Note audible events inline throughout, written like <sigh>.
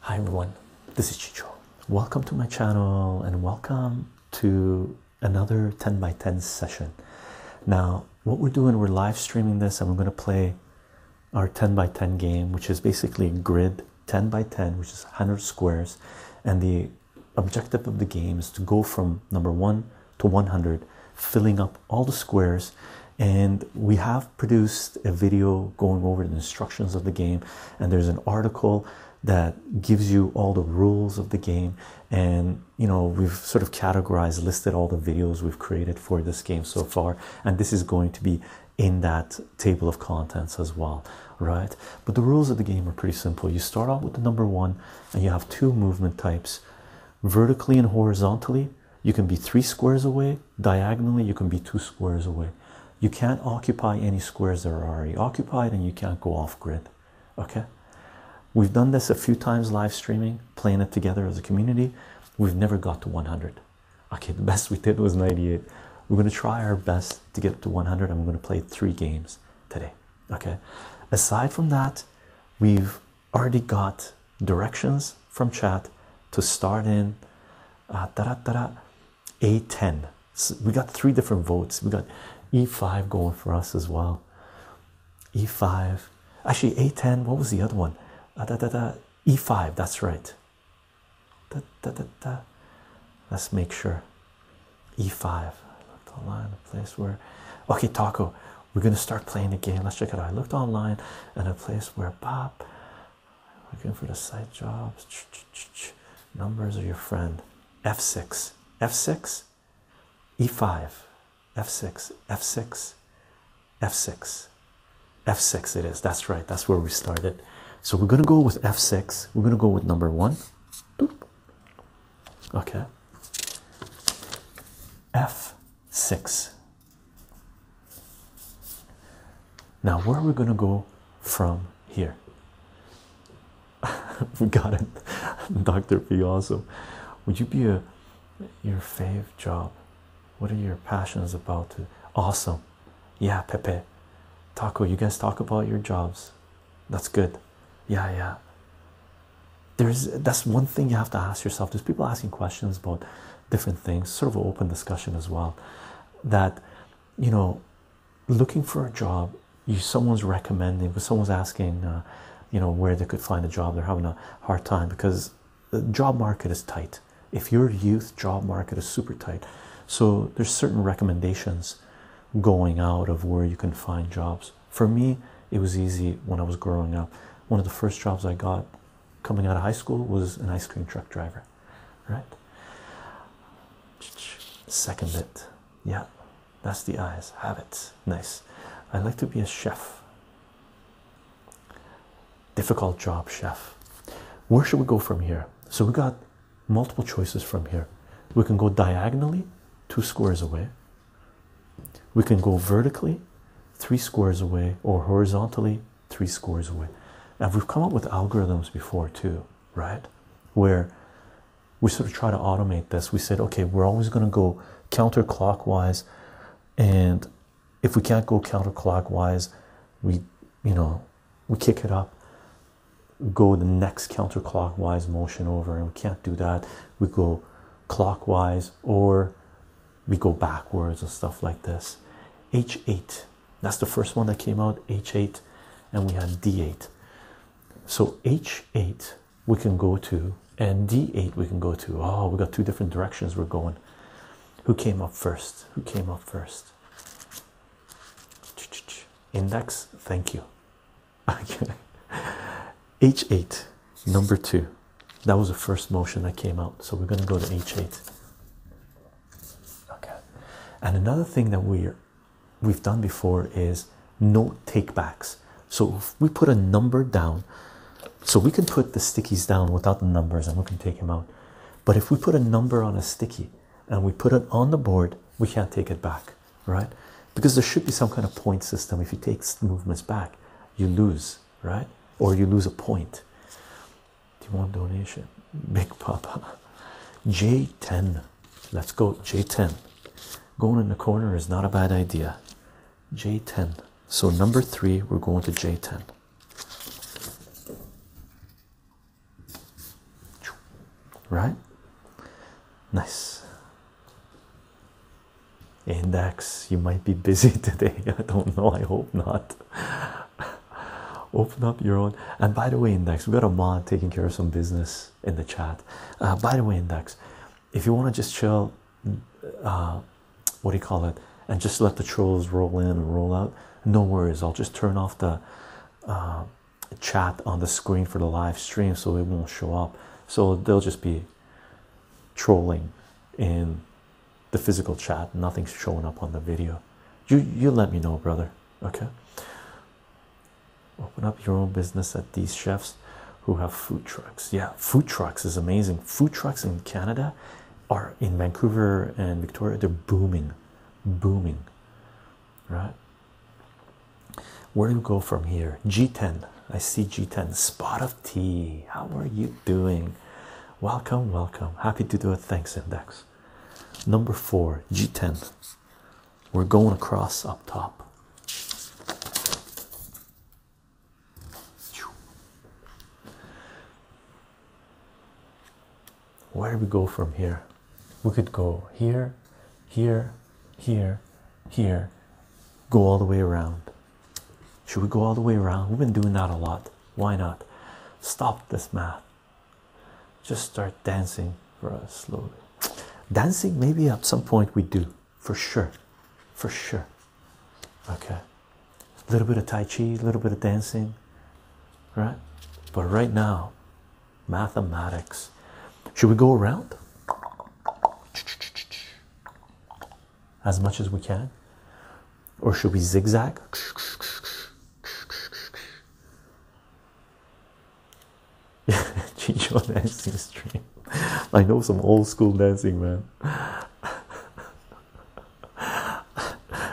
Hi everyone, this is Chicho. Welcome to my channel and welcome to another 10 by 10 session. Now, what we're doing, we're live streaming this and we're going to play our 10 by 10 game, which is basically a grid 10 by 10, which is 100 squares, and the objective of the game is to go from number one to 100, filling up all the squares. And we have produced a video going over the instructions of the game, and there's an article that gives you all the rules of the game and you know we've sort of categorized listed all the videos we've created for this game so far and this is going to be in that table of contents as well right but the rules of the game are pretty simple. You start off with the number one, and you have two movement types vertically and horizontally. You can be three squares away, diagonally, you can be two squares away. You can't occupy any squares that are already occupied, and you can't go off grid. Okay, we've done this a few times live streaming, playing it together as a community. We've never got to 100. Okay, the best we did was 98. We're going to try our best to get to 100, and we're going to play three games today. Okay, aside from that, we've already got directions from chat to start in da -da -da A10. we got three different votes. We got E5 going for us as well. E5, actually, A10. What was the other one? da -da -da, E5, that's right. -da -da -da. Let's make sure E5. I looked online, a place where okay, Taco, we're gonna start playing the game. Let's check it out. I looked online and a place where Bob looking for the side jobs. Numbers are your friend. F6, F6, E5, F6, F6, F6, F6. It is. That's right. That's where we started. So we're gonna go with F6. We're gonna go with number one okay f6 now where are we going to go from here <laughs> we got it dr p awesome would you be your fave job what are your passions about to awesome yeah pepe taco you guys talk about your jobs that's good yeah yeah there's that's one thing you have to ask yourself there's people asking questions about different things sort of open discussion as well that you know looking for a job someone's recommending but someone's asking uh, you know where they could find a job they're having a hard time because the job market is tight if your youth job market is super tight so there's certain recommendations going out of where you can find jobs for me, it was easy when I was growing up. One of the first jobs I got coming out of high school was an ice cream truck driver, right? Second bit, yeah, that's the eyes. Have it, nice. I'd like to be a chef. Difficult job, chef. Where should we go from here? So we got multiple choices from here. We can go diagonally two squares away. We can go vertically, three squares away, or horizontally, three squares away. Now we've come up with algorithms before too, right? Where we sort of try to automate this. We said, okay, we're always going to go counterclockwise, and if we can't go counterclockwise, we, you know, we kick it up go the next counterclockwise motion over and we can't do that we go clockwise or we go backwards and stuff like this h8 that's the first one that came out h8 and we had d8 so h8 we can go to and d8 we can go to oh we got two different directions we're going who came up first who came up first index thank you Okay. H8, number two. That was the first motion that came out. So we're going to go to H8. Okay. And another thing that we we've done before is no takebacks. So we put a number down, so we can put the stickies down without the numbers and we can take them out. But if we put a number on a sticky and we put it on the board, we can't take it back right? Because there should be some kind of point system. If you take movements back, you lose, right? Or you lose a point. Do you want donation? <laughs> Big Papa. J10. Let's go. J10. Going in the corner is not a bad idea. J10. So number three, we're going to J10. Right? Nice. Index, you might be busy <laughs> today. I don't know. I hope not. Open up your own. And by the way, Index, we got a mod taking care of some business in the chat. Uh, by the way, Index, if you want to just chill, uh, what do you call it, and just let the trolls roll in and roll out, no worries. I'll just turn off the uh, chat on the screen for the live stream so it won't show up so they'll just be trolling in the physical chat nothing's showing up on the video you you let me know brother okay open up your own business at these chefs who have food trucks yeah food trucks is amazing food trucks in canada are in vancouver and victoria they're booming booming right where do we go from here? G10. I see G10. Spot of tea. How are you doing? Welcome, welcome. Happy to do it. Thanks, Index. Number four, G10. We're going across up top. Where do we go from here? We could go here, here, here, here, go all the way around. Should we go all the way around? We've been doing that a lot. Why not? Stop this math. Just start dancing for us slowly. Dancing, maybe at some point we do, for sure. For sure. Okay. A little bit of Tai Chi, a little bit of dancing, right? But right now, mathematics. Should we go around? As much as we can? Or should we zigzag? <laughs> dancing stream. I know some old school dancing, man.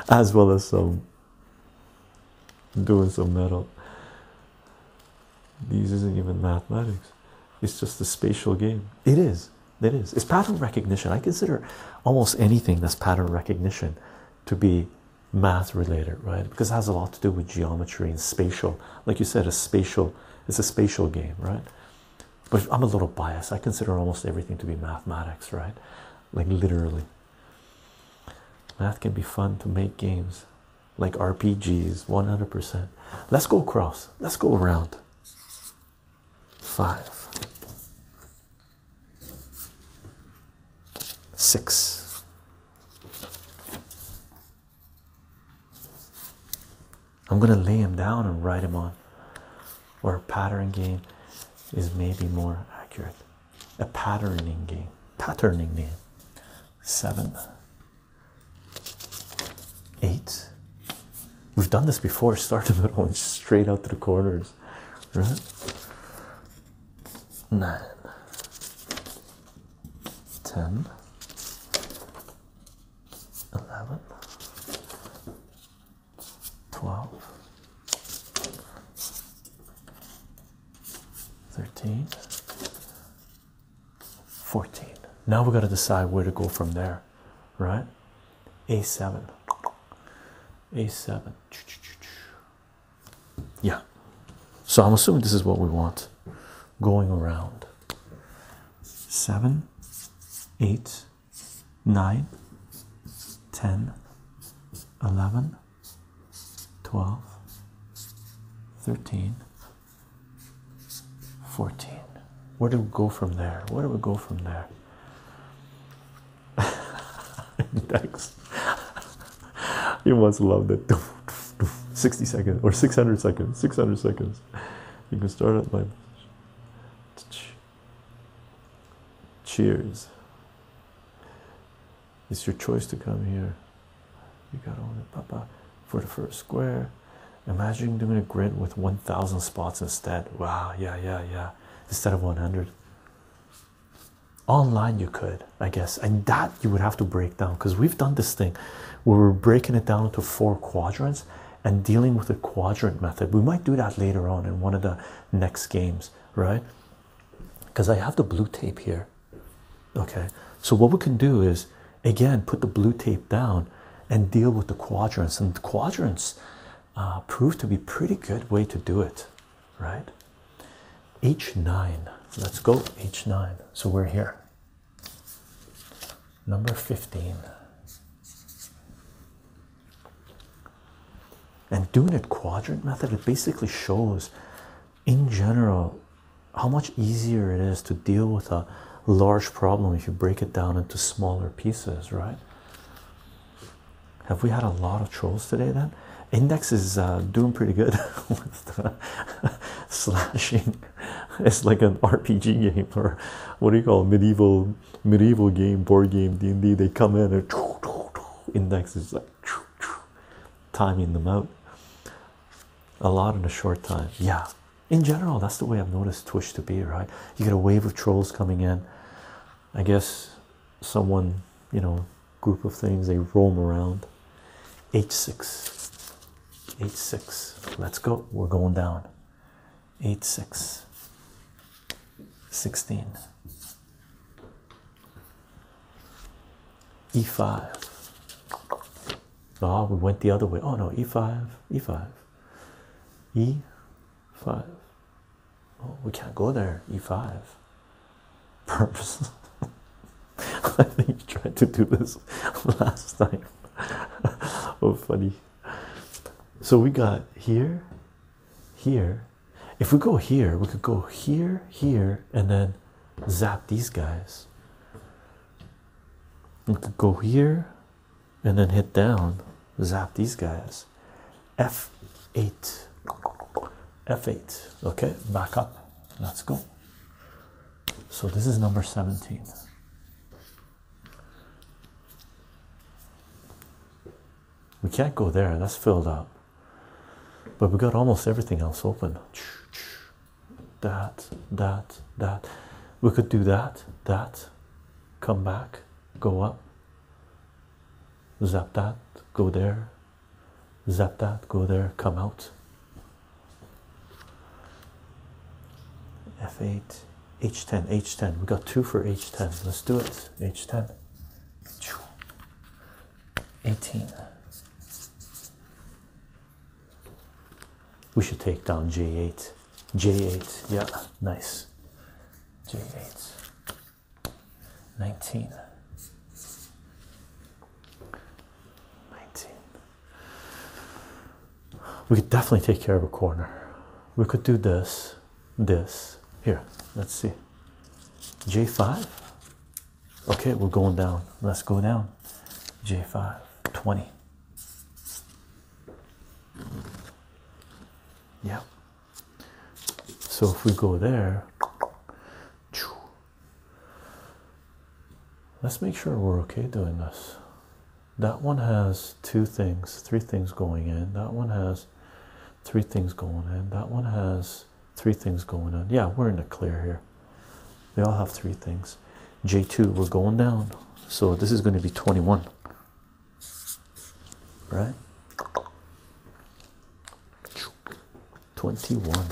as well as some doing some metal. These isn't even mathematics. It's just a spatial game. It is. It is. It's pattern recognition. I consider almost anything that's pattern recognition to be math related, right? Because it has a lot to do with geometry and spatial. Like you said, a spatial. It's a spatial game, right? But I'm a little biased. I consider almost everything to be mathematics, right? Like literally. Math can be fun to make games like RPGs 100%. Let's go cross. let's go around. Five, six, I'm gonna lay him down and write him on, or a pattern game is maybe more accurate. A patterning game, patterning game. Seven. Eight. We've done this before. Start the middle and straight out to the corners. Right? Nine, ten, eleven, twelve, thirteen. 14. Now we got to decide where to go from there, right? A7. A7. Yeah. So I'm assuming this is what we want going around. 7, 8, 9, 10, 11, 12, 13, 14. Where do we go from there? Where do we go from there? Thanks. <laughs> <laughs> you must love that. <laughs> 60 seconds or 600 seconds. 600 seconds. You can start at my. Cheers. It's your choice to come here. You got on it, Papa, for the first square. Imagine doing a grid with 1,000 spots instead. Wow, yeah, yeah, yeah. Instead of 100. Online, you could, I guess, and that you would have to break down because we've done this thing where we're breaking it down into four quadrants and dealing with the quadrant method. We might do that later on in one of the next games, right? Because I have the blue tape here Okay, so what we can do is again put the blue tape down and deal with the quadrants, and the quadrants uh, prove to be pretty good way to do it, right? H9, let's go H9. So we're here, number 15. And doing it quadrant method, it basically shows in general how much easier it is to deal with a large problem if you break it down into smaller pieces right have we had a lot of trolls today then index is uh, doing pretty good <laughs> with the <laughs> slashing it's like an rpg game or what do you call it? medieval medieval game board game d&d they come in and index is like <laughs> timing them out a lot in a short time. Yeah, in general, that's the way I've noticed Twitch to be, right? You get a wave of trolls coming in. I guess someone, you know, group of things they roam around. H6, H6, let's go. We're going down. 8 6 16 E5 Ah, oh, we went the other way. Oh no, e5, e5, e5. we can't go there, e5. Purpose. <laughs> I think you tried to do this <laughs> last time. <laughs> oh, funny. So we got here, here. If we go here, we could go here, here, and then zap these guys we could go here and then hit down zap these guys f8 f8 okay back up let's go so this is number 17 we can't go there that's filled up but we got almost everything else open that, that, that. We could do that, that, come back, go up, zap that, go there, zap that, go there, come out. F8, H10, H10. We got two for H10. Let's do it. H10. 18. We should take down J8. J8, yeah, nice. J8. 19. 19. We could definitely take care of a corner. We could do this, this. Here, let's see. J5. Okay, we're going down. Let's go down. J5, 20. Yeah. So if we go there, let's make sure we're okay doing this. That one has two things, three things going in. That one has three things going in. That one has three things going on. Yeah, we're in the clear here here they all have three things j2 we're going down so this is going to be 21 right 21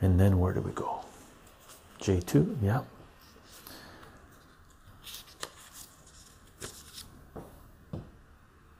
and then where do we go j2 yeah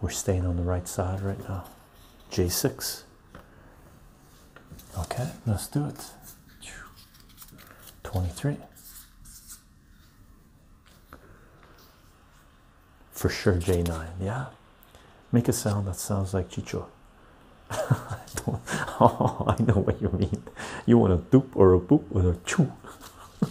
We're staying on the right side right now. J6. Okay, let's do it. 23. For sure, J9. Yeah. Make a sound that sounds like Chicho. <laughs> Oh, I, know what you mean. You want a doop or a boop or a choo. <laughs>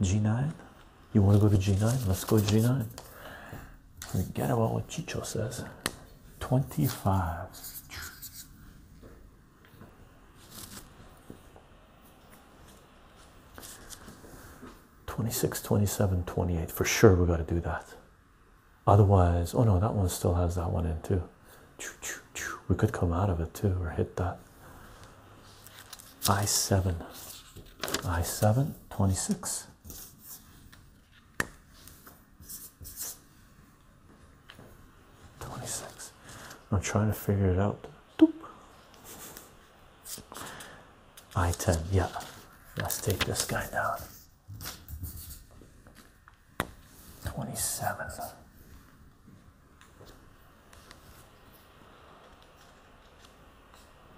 G9. You want to go to G9? Let's go G9. Forget about what Chicho says. 25. Twenty-six, twenty-seven, twenty-eight. For sure, we got to do that. Otherwise, oh no, that one still has that one in too we could come out of it too or hit that i7 i7 26 i'm trying to figure it out Doop. i10 yeah let's take this guy down 27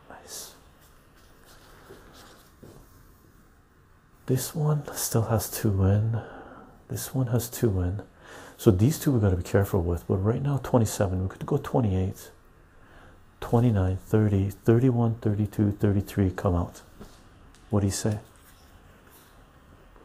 Nice. This one still has two in. This one has two in. So these two we got to be careful with. But right now, 27. We could go 28, 29, 30, 31, 32, 33 come out. What do you say?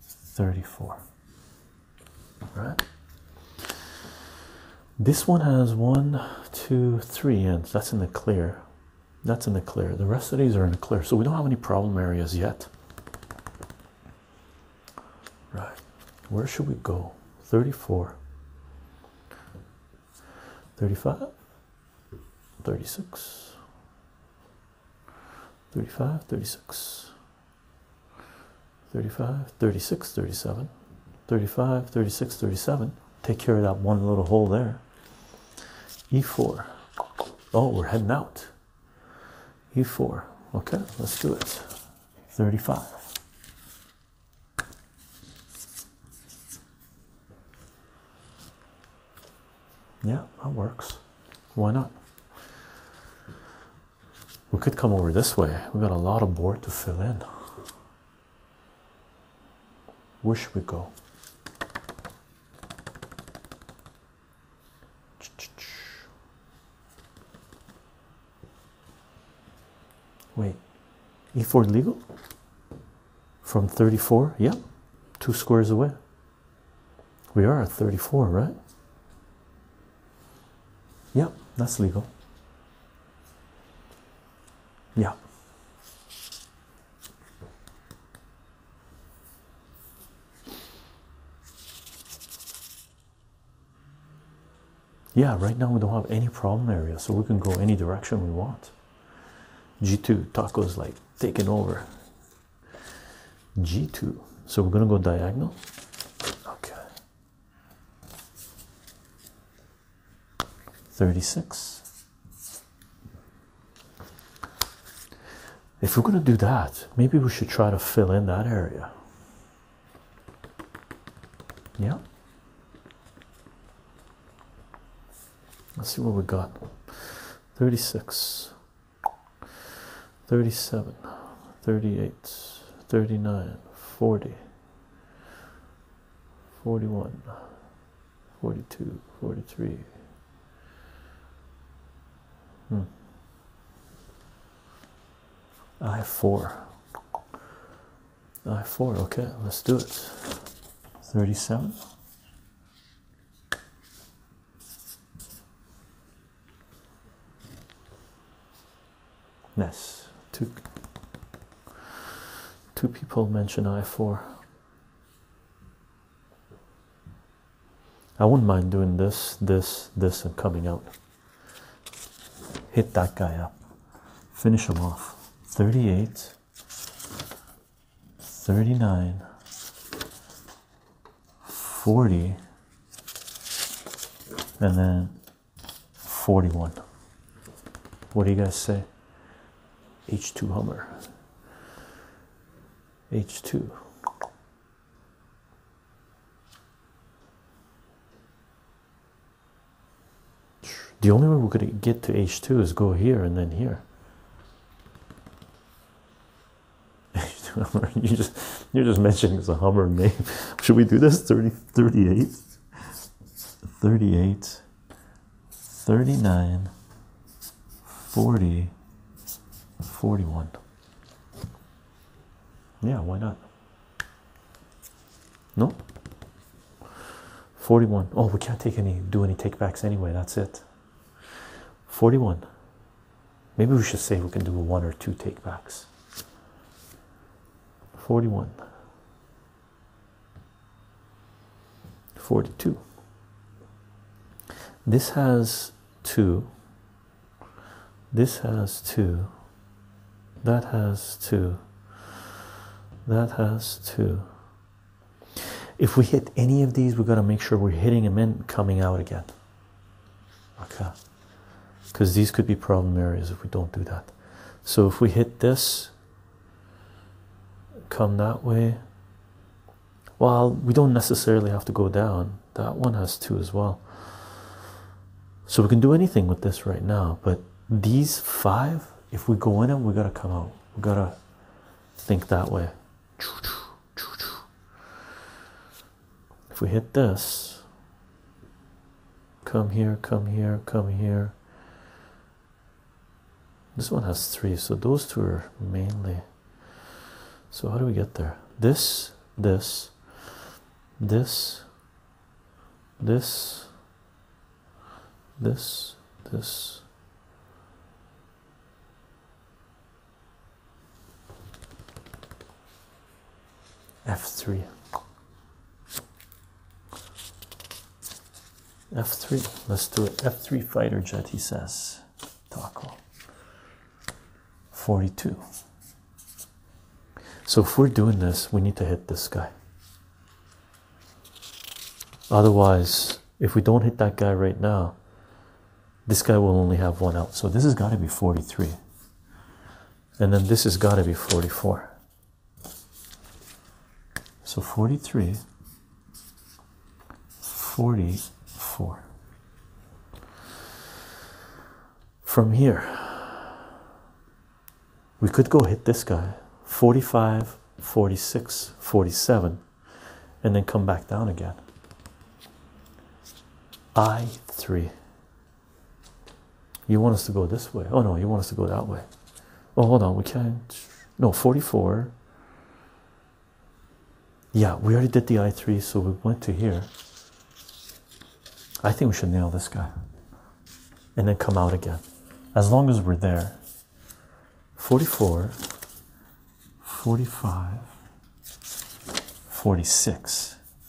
34 all right this one has one two three ends that's in the clear that's in the clear the rest of these are in the clear so we don't have any problem areas yet right where should we go 34 35 36 35 36 35 36 37 35 36 37 take care of that one little hole there e4 oh we're heading out e4 okay let's do it 35 yeah that works why not we could come over this way. We've got a lot of board to fill in. Where should we go? Wait, E4 legal? From 34? Yep, two squares away. We are at 34, right? Yeah, that's legal. Yeah. Yeah, right now we don't have any problem area, so we can go any direction we want. G2 tacos like taking over. G2. So we're gonna go diagonal. Okay. 36. If we're going to do that, maybe we should try to fill in that area. Yeah. Let's see what we got. 36. 37 38 39 40 41 42 43 hmm. I have four. I have four. Okay, let's do it. Thirty-seven. Yes, two two people mention I wouldn't mind doing this, this, this, and coming out. Hit that guy up. Finish him off. 38, 39, 40, and then 41. What do you guys say? H2 Hummer. H2. The only way we're going to get to H2 is go here and then here. H2 <laughs> Hummer. You just you're just mentioning it's a Hummer name. Should we do this? 30, 38, 39, 40, 41. Yeah, why not? No? 41. Oh, we can't take any, do any takebacks anyway. That's it. 41, Maybe we should say we can do one or two takebacks. 41, 42. This has two. This has two. That has two. That has two. If we hit any of these, we have got to make sure we're hitting them in, coming out again okay because these could be problem areas if we don't do that so if we hit this come that way well we don't necessarily have to go down that one has two as well so we can do anything with this right now but these five if we go in them we gotta come out we gotta think that way if we hit this come here come here come here this one has three so those two are mainly so how do we get there this this this this this this f3 f3 let's do it f3 fighter jet he says taco 42 so if we're doing this we need to hit this guy otherwise if we don't hit that guy right now this guy will only have one out so this has got to be 43 and then this has got to be 44 so 43 44 from here we could go hit this guy 45 46 47 and then come back down again i3 you want us to go this way? Oh no, you want us to go that way. Oh, hold on, we can't. No, 44. Yeah, we already did the i3, so we went to here. I think we should nail this guy and then come out again as long as we're there. 44, 45, 46.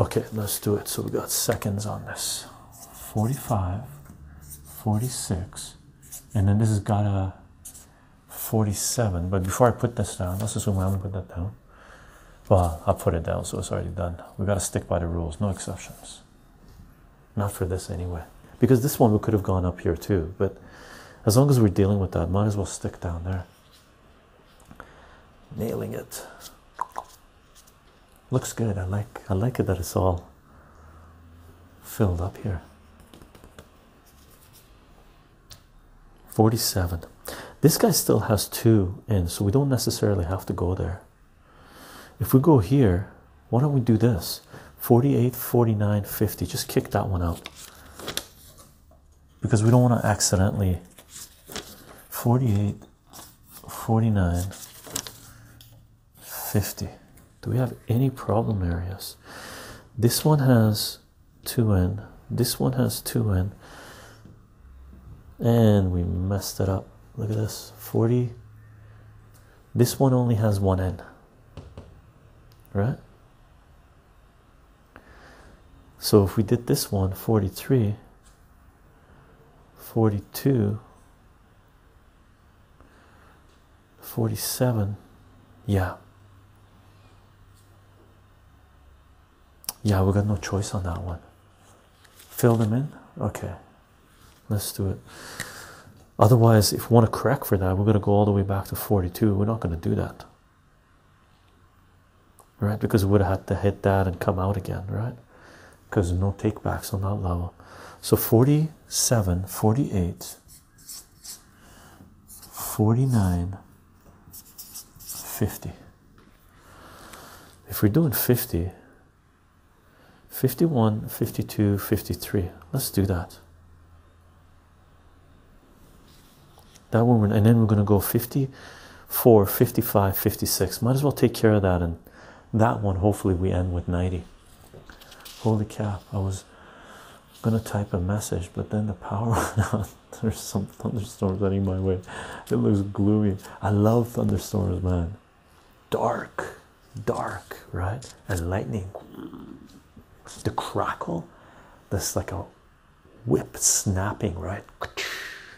Okay, let's do it. So we got seconds on this 45, 46, and then this has got a 47. But before I put this down, let's assume I haven't put that down. Well, i put it down, so it's already done. We got to stick by the rules, no exceptions. Not for this anyway, because this one we could have gone up here too. But as long as we're dealing with that, might as well stick down there. Nailing it looks good i like i like it that it's all filled up here 47 this guy still has two in so we don't necessarily have to go there if we go here why don't we do this 48 49 50 just kick that one out because we don't want to accidentally 48 49 50 do we have any problem areas this one has 2n this one has 2n and we messed it up look at this 40 this one only has 1n right so if we did this one 43 42 47 yeah yeah we got no choice on that one fill them in okay let's do it otherwise if we want to correct for that we're going to go all the way back to 42 we're not going to do that right because we would have had to hit that and come out again right because no takebacks on that level. So 47, 48, 49, 50. If we're doing 50, 51, 52, 53, let's do that. That one, and then we're going to go 54, 55, 56. Might as well take care of that and that one hopefully we end with 90 holy cap! i was gonna type a message but then the power <laughs> went out there's some thunderstorms heading my way it looks gloomy i love thunderstorms man dark dark right and lightning the crackle that's like a whip snapping right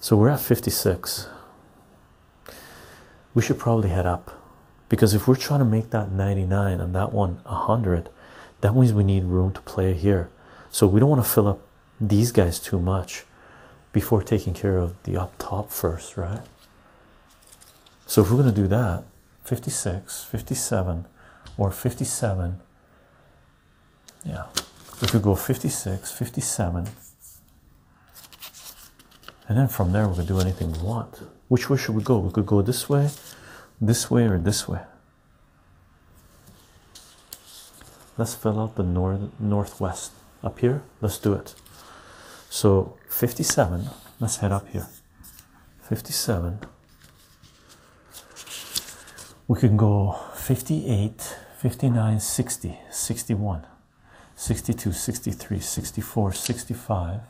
So we're at 56. We should probably head up because if we're trying to make that 99 and that one 100, that means we need room to play here. So we don't want to fill up these guys too much before taking care of the up top first, right? So if we're going to do that, 56, 57, or 57, yeah we could go 56 57 and then from there we can do anything we want which way should we go we could go this way this way or this way let's fill out the north northwest up here let's do it so 57 let's head up here 57 we can go 58 59 60 61 62 63 64 65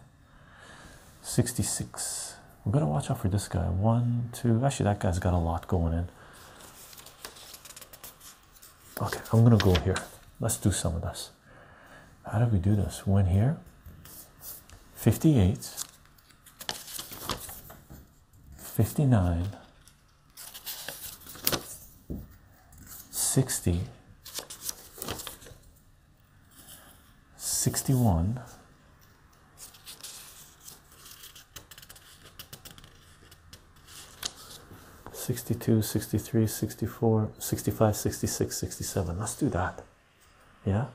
66 we're gonna watch out for this guy one two actually that guy's got a lot going in okay i'm gonna go here let's do some of this how did we do this One here 58 59 60 61 62 63 64 65 66 67 let's do that yeah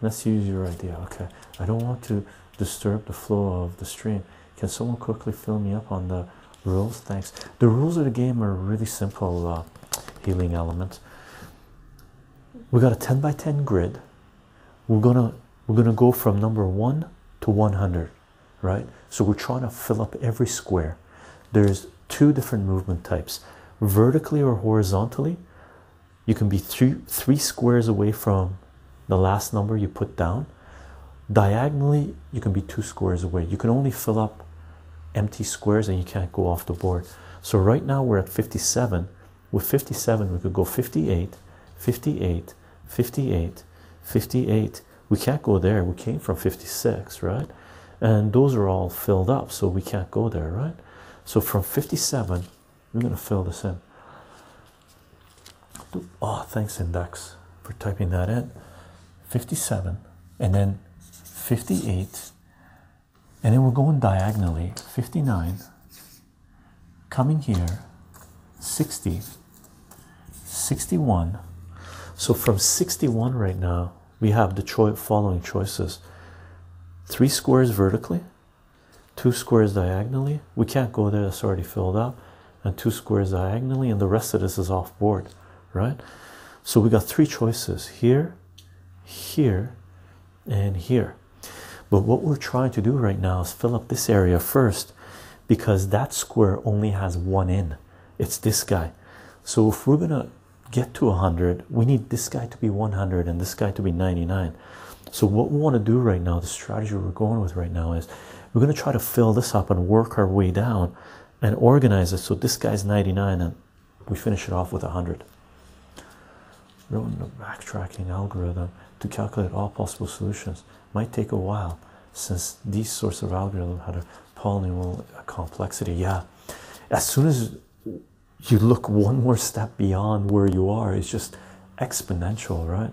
let's use your idea okay i don't want to disturb the flow of the stream can someone quickly fill me up on the rules? Thanks. The rules of the game are really simple uh, healing element. We got a 10 by 10 grid. We're gonna we're gonna go from number one to 100, right? So we're trying to fill up every square. There's two different movement types, vertically or horizontally. You can be three three squares away from the last number you put down diagonally you can be two squares away you can only fill up empty squares and you can't go off the board so right now we're at 57 with 57 we could go 58 58 58 58 we can't go there we came from 56 right and those are all filled up so we can't go there right so from 57 we're going to fill this in Oh, thanks, Index, for typing that in. 57, and then 58, and then we're going diagonally 59, coming here, 60, 61. So from 61 right now, we have the cho following choices three squares vertically, two squares diagonally. We can't go there, that's already filled up and two squares diagonally and the rest of this is off board right so we got three choices here here and here but what we're trying to do right now is fill up this area first because that square only has one in it's this guy so if we're gonna get to 100 we need this guy to be 100 and this guy to be 99 so what we want to do right now the strategy we're going with right now is we're going to try to fill this up and work our way down and organize it. So this guy's 99 and we finish it off with 100. Writing a backtracking algorithm to calculate all possible solutions. Might take a while since these sorts of algorithms have a polynomial complexity. Yeah, as soon as you look one more step beyond where you are, it's just exponential, right?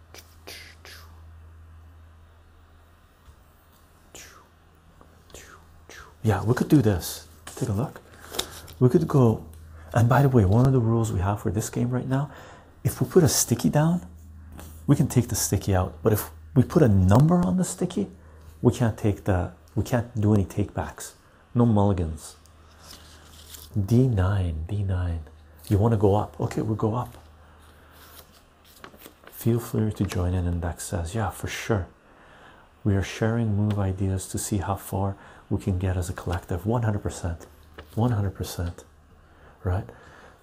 yeah we could do this take a look we could go and by the way one of the rules we have for this game right now if we put a sticky down we can take the sticky out but if we put a number on the sticky we can't take the we can't do any takebacks no mulligans d9 d9 you want to go up? Okay, we'll go up. Feel free to join in. And Beck says, Yeah, for sure. We are sharing move ideas to see how far we can get as a collective. 100%. 100%. Right?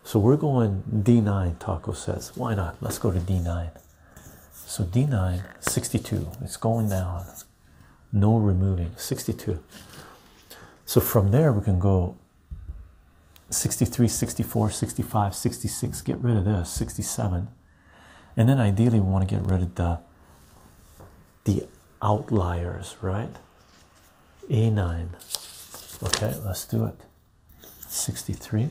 So we're going D9, Taco says. Why not? Let's go to D9. So D9, 62. It's going down. No removing. 62. So from there, we can go 63, 64, 65, 66. Get rid of this. 67. And then ideally we want to get rid of the the outliers, right? A9. Okay, let's do it. 63.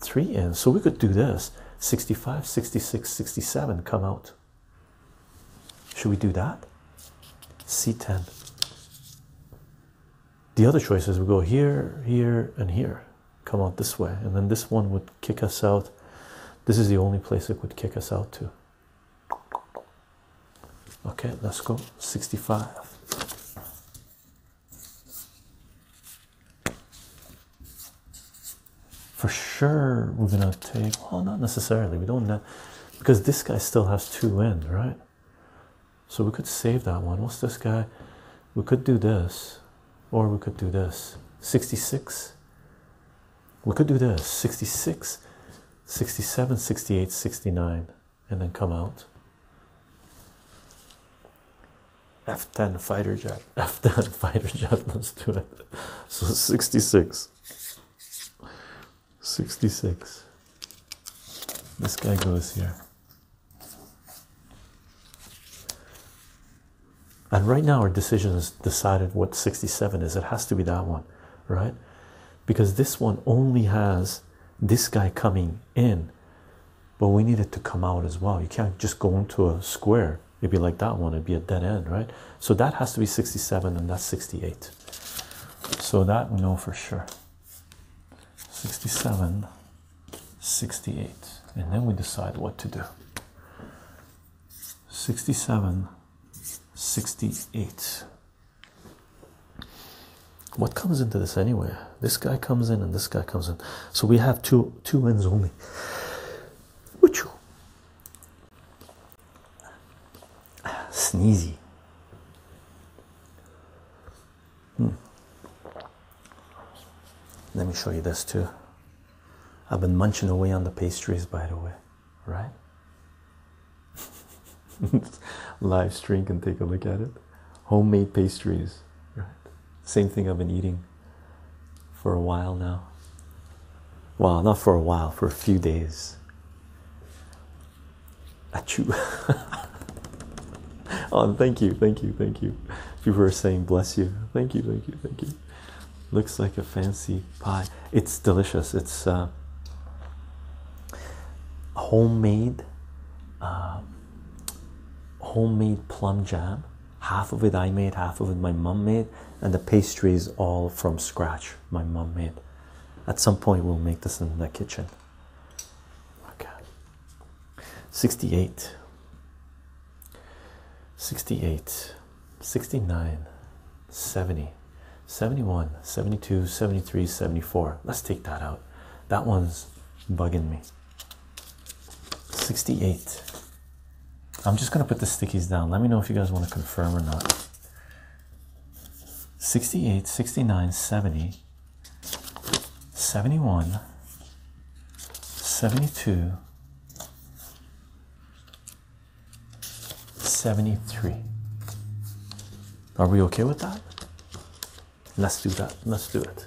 3 in so we could do this 65 66 67 come out should we do that c10 the other choices would go here here and here come out this way and then this one would kick us out this is the only place it would kick us out to okay let's go 65 for sure we're gonna take well not necessarily we don't know because this guy still has two in right so we could save that one what's this guy we could do this or we could do this 66 we could do this 66 67 68 69 and then come out F10 fighter jet, <laughs> F10 fighter jet. Let's do it. So 66, 66. This guy goes here. And right now, our decision is decided what 67 is. It has to be that one, right? Because this one only has this guy coming in but we need it to come out as well. You can't just go into a square. It'd be like that one. It'd be a dead end, right? So that has to be 67 and that's 68. So that we know for sure. 67, 68. And then we decide what to do. 67, 68. What comes into this anyway? This guy comes in and this guy comes in. So we have two two ends only. Wachoo. Sneezy. Hm. Let me show you this too. I've been munching away on the pastries, by the way, right? <laughs> Live stream and take a look at it. Homemade pastries, right? Same thing I've been eating for a while now. Well, not for a while, for a few days. Achoo. <laughs> oh, thank you, thank you, thank you. People are saying bless you. Thank you, thank you, thank you. Looks like a fancy pie. It's delicious. It's uh, homemade, uh, homemade plum jam half of it I made, half of it my mom made, and the pastry is all from scratch. My mom made. At some point, we'll make this in the kitchen. Okay. 68, 68, 69, 70, 71, 72, 73, 74. Let's take that out. That one's bugging me. 68. I'm just going to put the stickies down. Let me know if you guys want to confirm or not. 68, 69, 70, 71, 72, 73. Are we okay with that? Let's do that. Let's do it.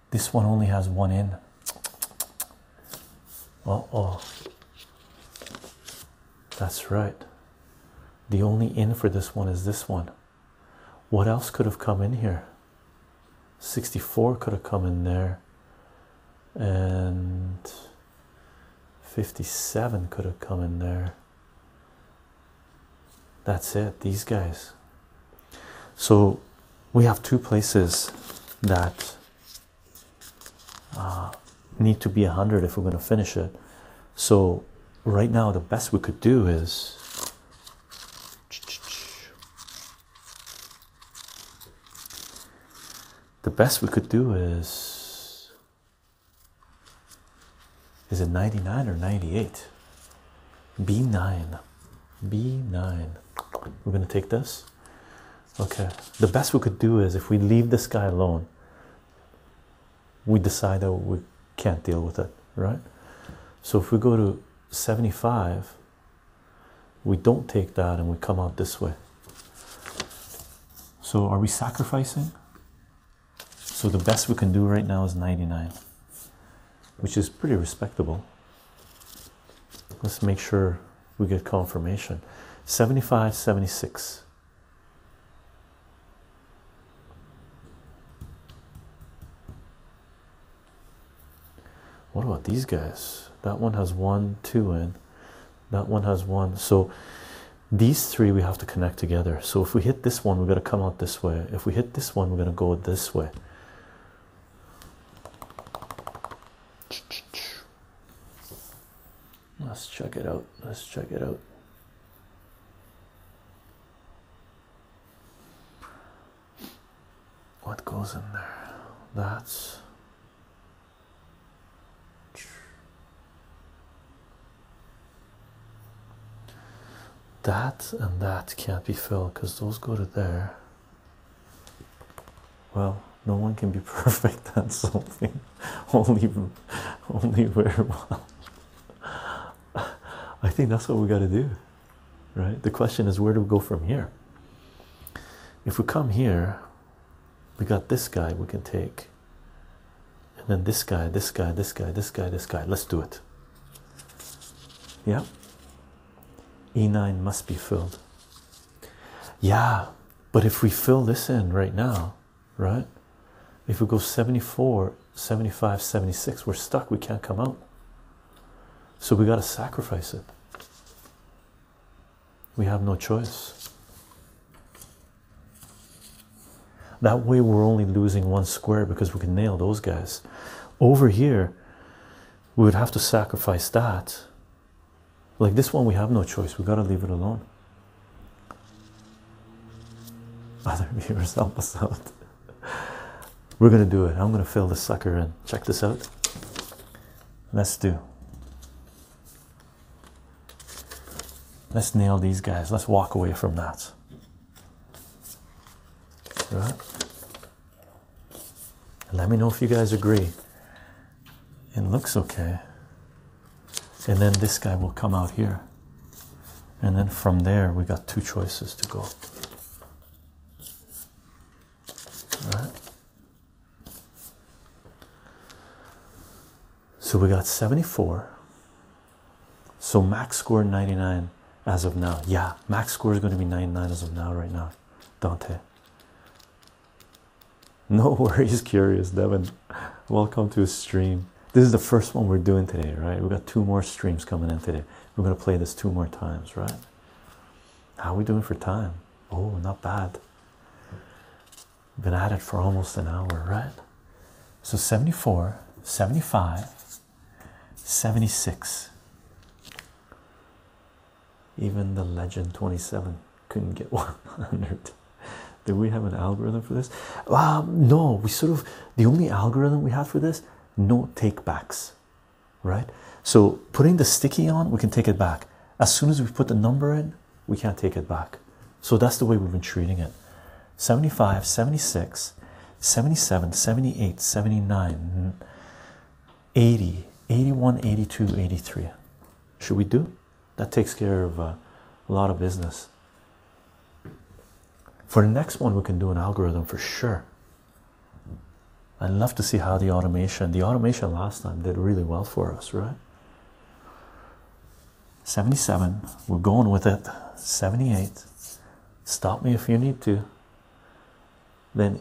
This one only has one in. Uh oh. That's right. The only in for this one is this one. What else could have come in here? 64 could have come in there, and 57 could have come in there. That's it, these guys so we have two places that uh, need to be 100 if we're going to finish it. So right now, the best we could do is the best we could do is is it 99 or 98 b9 B9. We're going to take this. Okay, the best we could do is if we leave this guy alone, we decide that we can't deal with it, right? So if we go to 75, we don't take that and we come out this way. So are we sacrificing? So the best we can do right now is 99 which is pretty respectable. Let's make sure we get confirmation. 75, 76. What about these guys? That one has one, two in. That one has one. So these three we have to connect together. So if we hit this one, we're going to come out this way. If we hit this one, we're going to go this way. Let's check it out. Let's check it out. What goes in there? That's that and that can't be filled because those go to there well, no one can be <laughs> perfect at something. only, only very well. <laughs> I think that's what we got to do, right? The question is, where do we go from here? If we come here, we got this guy we can take, and then this guy, this guy, this guy, this guy, this guy. Let's do it. Yeah, E9 must be filled. Yeah, but if we fill this in right now, right? If we go 74, 75, 76, we're stuck. We can't come out. So we got to sacrifice it. We have no choice. That way, we're only losing one square because we can nail those guys. Over here, we would have to sacrifice that. Like this one, we have no choice. we got to leave it alone. Other <laughs> viewers help us out. We're going to do it. I'm going to fill this sucker in. Check this out. Let's do. Let's nail these guys. Let's walk away from that. Right? Let me know if you guys agree. It looks okay. And then this guy will come out here. And then from there, we got two choices to go. So we got 74. So max score 99 as of now. Yeah, max score is going to be 99 as of now, right now. Dante. <laughs> No worries, curious Devin. Welcome to a stream. This is the first one we're doing today, right? we got two more streams coming in today. We're gonna play this two more times, right? How are we doing for time? Oh, not bad. Been at it for almost an hour, right? So 74, 75, 76 even the legend 27 couldn't get <laughs> 100 do we have an algorithm for this um, no we sort of the only algorithm we have for this no take backs right so putting the sticky on we can take it back as soon as we put the number in we can't take it back so that's the way we've been treating it 75 76 77 78 79 80, 81, 82, 83. Should we do? That takes care of uh, a lot of business. For the next one, we can do an algorithm for sure. I'd love to see how the automation, the automation last time did really well for us, right? 77, we're going with it. 78, stop me if you need to. Then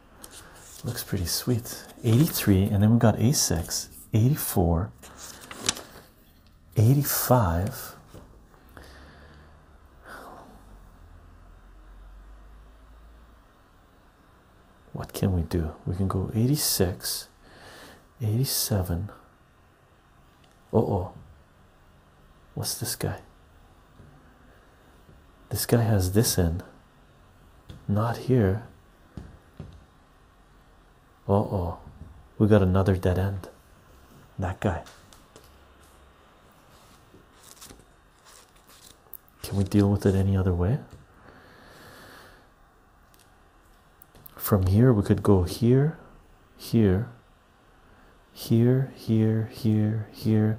Looks pretty sweet. 83, and then we got A6, 84, 85. What can we do? We can go 86, 87. Uh oh. What's this guy? This guy has this in. Not here. Oh oh, we got another dead end. That guy. Can we deal with it any other way? From here, we could go here, here, here, here, here, here,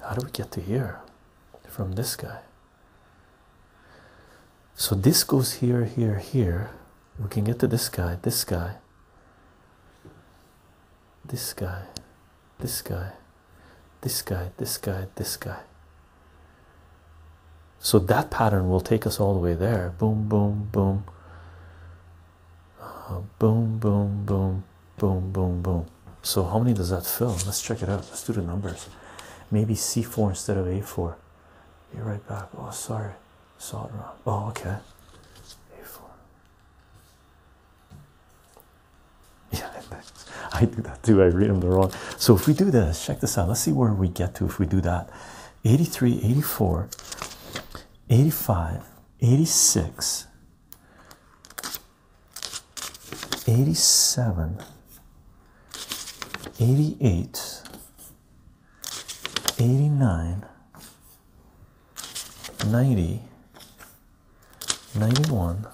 How do we get to here from this guy? So this goes here, here, here. We can get to this guy, this guy, this guy, this guy, this guy, this guy, this guy. So that pattern will take us all the way there. Boom, boom, boom boom boom boom boom boom boom so how many does that fill let's check it out let's do the numbers maybe c4 instead of a4 you're right back oh sorry saw it wrong oh okay a4 <laughs> yeah i do that too i read them the wrong so if we do this check this out let's see where we get to if we do that 83 84 85 86 87 88 89 90 91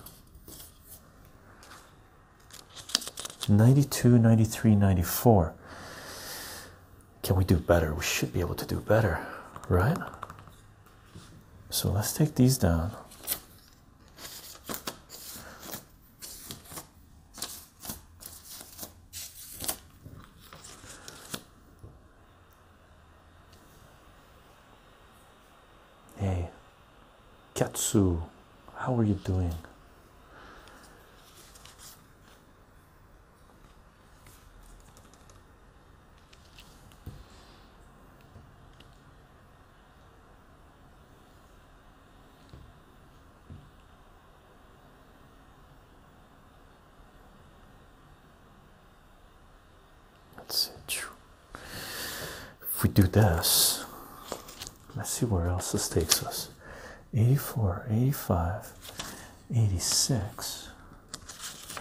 92 93 94 can we do better? We should be able to do better, right? So let's take these down. Hey, Katsu, how are you doing? Let's see. If we do this, let's see where else this takes us. 84, 85, 86.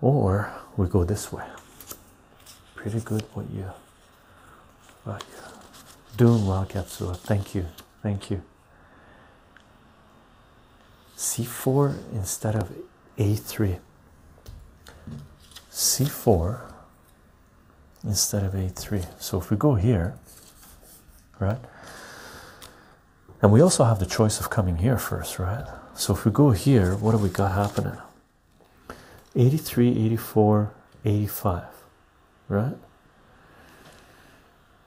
or we go this way pretty good what you what you doing well Katsura. thank you thank you c4 instead of a3 c4 instead of a3 so if we go here right? And we also have the choice of coming here first, right? So if we go here, what do we got happening? 83, 84, 85, right?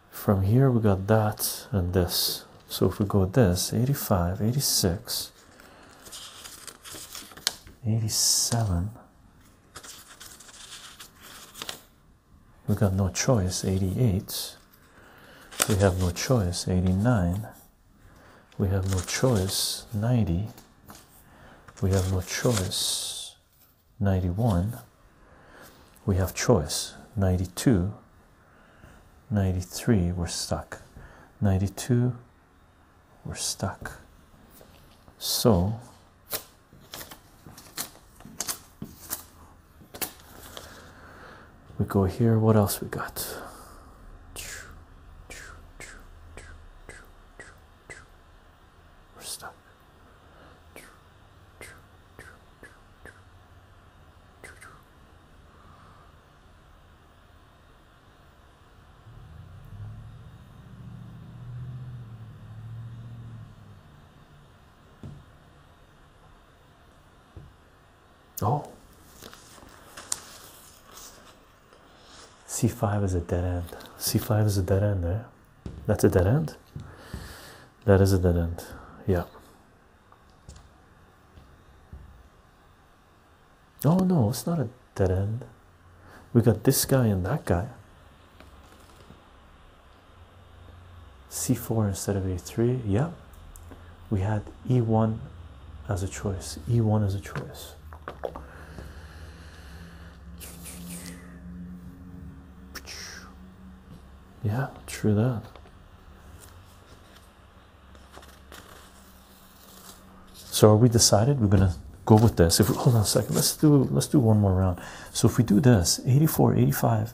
From here, we got that and this. So if we go this, 85, 86, 87, we got no choice 88 we have no choice 89 we have no choice 90 we have no choice 91 we have choice 92 93 we're stuck 92 we're stuck so we go here what else we got we're stuck Oh. C5 is a dead end. C5 is a dead end there. Eh? That's a dead end. That is a dead end. Yeah. Oh no, it's not a dead end. We got this guy and that guy c4 instead of a3 yeah we had e1 as a choice e1 as a choice yeah true that so are we decided we're gonna go with this if hold on a second let's do let's do one more round so if we do this 84 85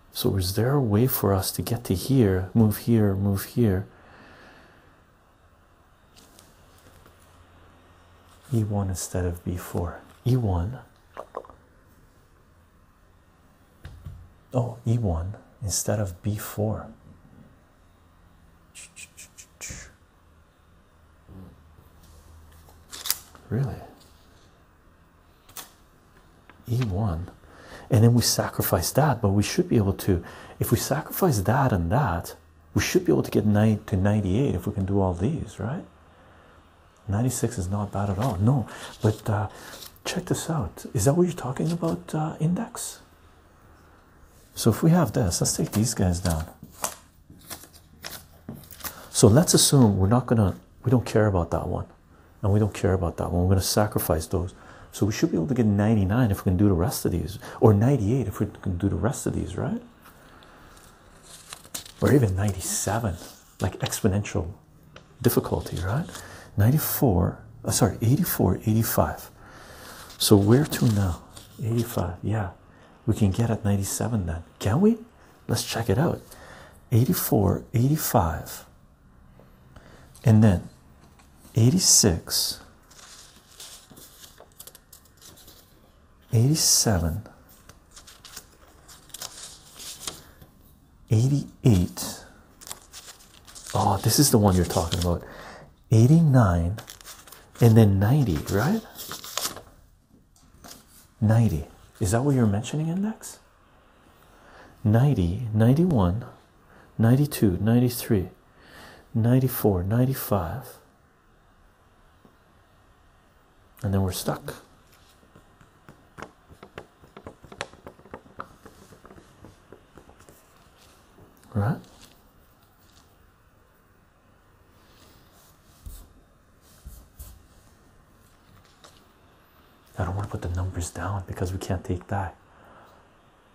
So is there a way for us to get to here, move here, move here? E1 instead of B4. E1. Oh, E1 instead of B4. Really? e1 and then we sacrifice that but we should be able to if we sacrifice that and that we should be able to get ninety to 98 if we can do all these right 96 is not bad at all no but uh, check this out is that what you're talking about uh, index so if we have this let's take these guys down so let's assume we're not gonna we don't care about that one and we don't care about that one. We're going to sacrifice those. So we should be able to get 99 if we can do the rest of these, or 98 if we can do the rest of these, right? Or even 97, like exponential difficulty, right? 94, uh, sorry, 84, 85. So where to now? 85, yeah. We can get at 97 then. Can we? Let's check it out. 84, 85, and then 86 87 88 oh this is the one you're talking about 89 and then 90 right 90 is that what you're mentioning index 90 91 92 93 94 95 and then we're stuck right I don't want to put the numbers down because we can't take that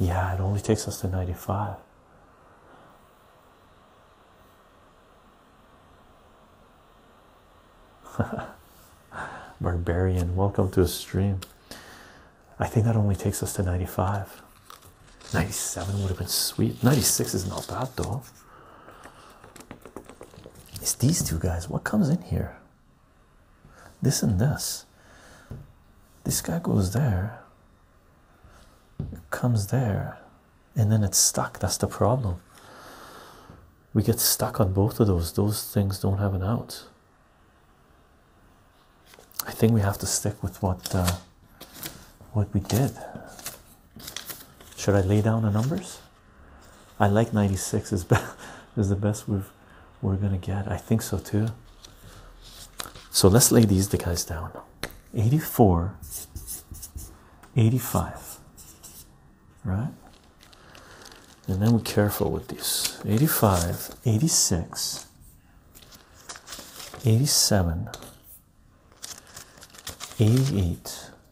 Yeah, it only takes us to 95. <laughs> Barbarian, welcome to a stream. I think that only takes us to 95. 97 would have been sweet. 96 is not bad though. It's these two guys. What comes in here? This and this. This guy goes there, comes there, and then it's stuck. That's the problem. We get stuck on both of those. Those things don't have an out. I think we have to stick with what uh, what we did. Should I lay down the numbers? I like 96 is <laughs> the best we are gonna get. I think so too. So let's lay these guys down. 84 85 right and then we're careful with these 85 86 87 88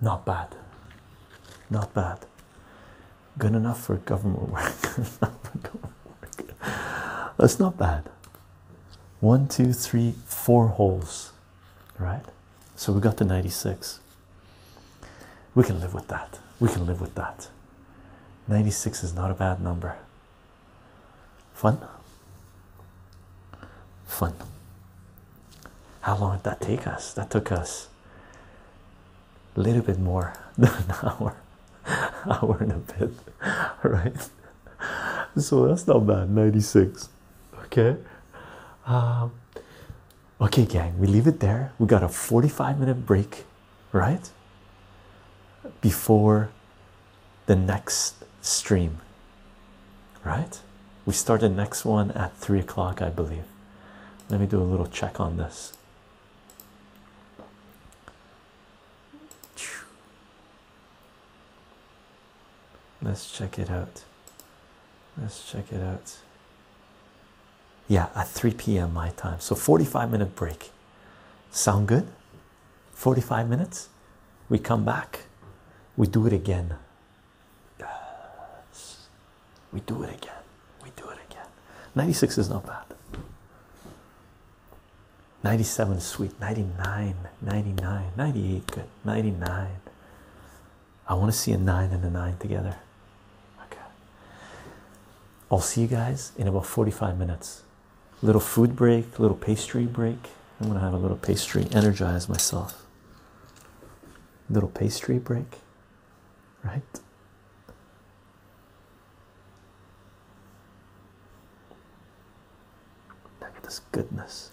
Not bad. Not bad. Good enough for government work. <laughs> That's not bad. One, two, three, four holes. Right? So we got to 96. We can live with that. We can live with that. 96 is not a bad number. Fun? Fun. How long did that take us? That took us a little bit more <laughs> than an hour, <laughs> hour and a bit, <laughs> right? So that's not bad. 96. Okay. Um, okay, gang, we leave it there. We got a 45 minute break, right? Before the next stream right? We start the next one at three o'clock, I believe. Let me do a little check on this. Let's check it out. Let's check it out. Yeah, at 3 p.m. my time. So 45 minute break. Sound good? 45 minutes. We come back. We do it again yes. we do it again we do it again 96 is not bad 97 sweet 99 99 98 good 99 i want to see a 9 and a 9 together okay i'll see you guys in about 45 minutes little food break little pastry break i'm gonna have a little pastry energize myself little pastry break, right? Look at this goodness.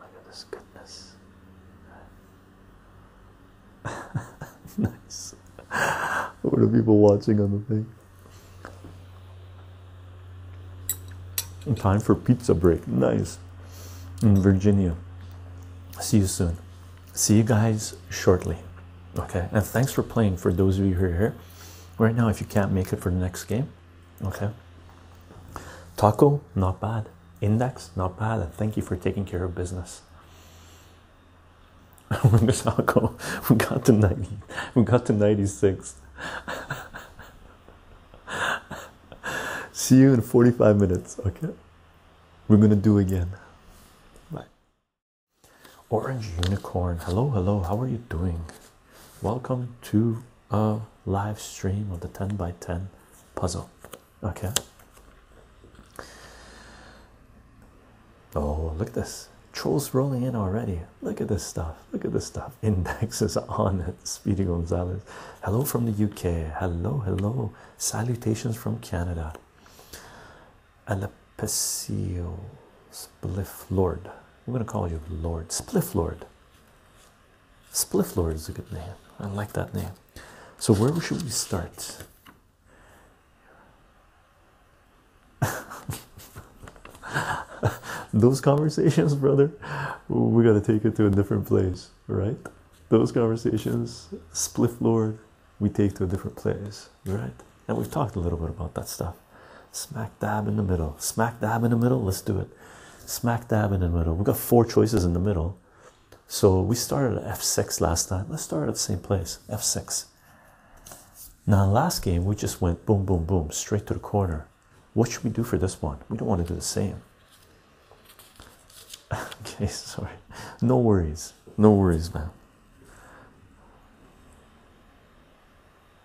Look at this goodness. <laughs> nice. What are people watching on the thing? Time for pizza break. Nice in Virginia. See you soon. See you guys shortly. Okay, and thanks for playing for those of you who are here. Right now, if you can't make it for the next game, okay. Taco, not bad. Index, not bad. And thank you for taking care of business. <laughs> Miss Alco, <laughs> we got to 90, we got to 96. <laughs> <laughs> See you in 45 minutes. Okay, we're gonna do again. Bye. Orange Unicorn. Hello, hello. How are you doing? Welcome to a live stream of the 10 by 10 puzzle. Okay. Oh, look at this. Trolls rolling in already. Look at this stuff. Look at this stuff. <laughs> Indexes on it. Speedy Gonzalez. Hello from the UK. Hello, hello. Salutations from Canada. Alepesio Spliff Lord. I'm going to call you Lord. Spliff Lord. Spliff Lord is a good name. I like that name. So, where should we start? <laughs> Those conversations, brother, we got to take it to a different place right? Those conversations, Spliff Lord, we take to a different place, right? And we've talked a little bit about that stuff. Smack dab in the middle, smack dab in the middle, let's do it. Smack dab in the middle. We've got four choices in the middle. So we started at F6 last time. Let's start at the same place, F6. Now, last game, we just went boom, boom, boom, straight to the corner. What should we do for this one? We don't want to do the same okay, <laughs> sorry. No worries. No worries, man.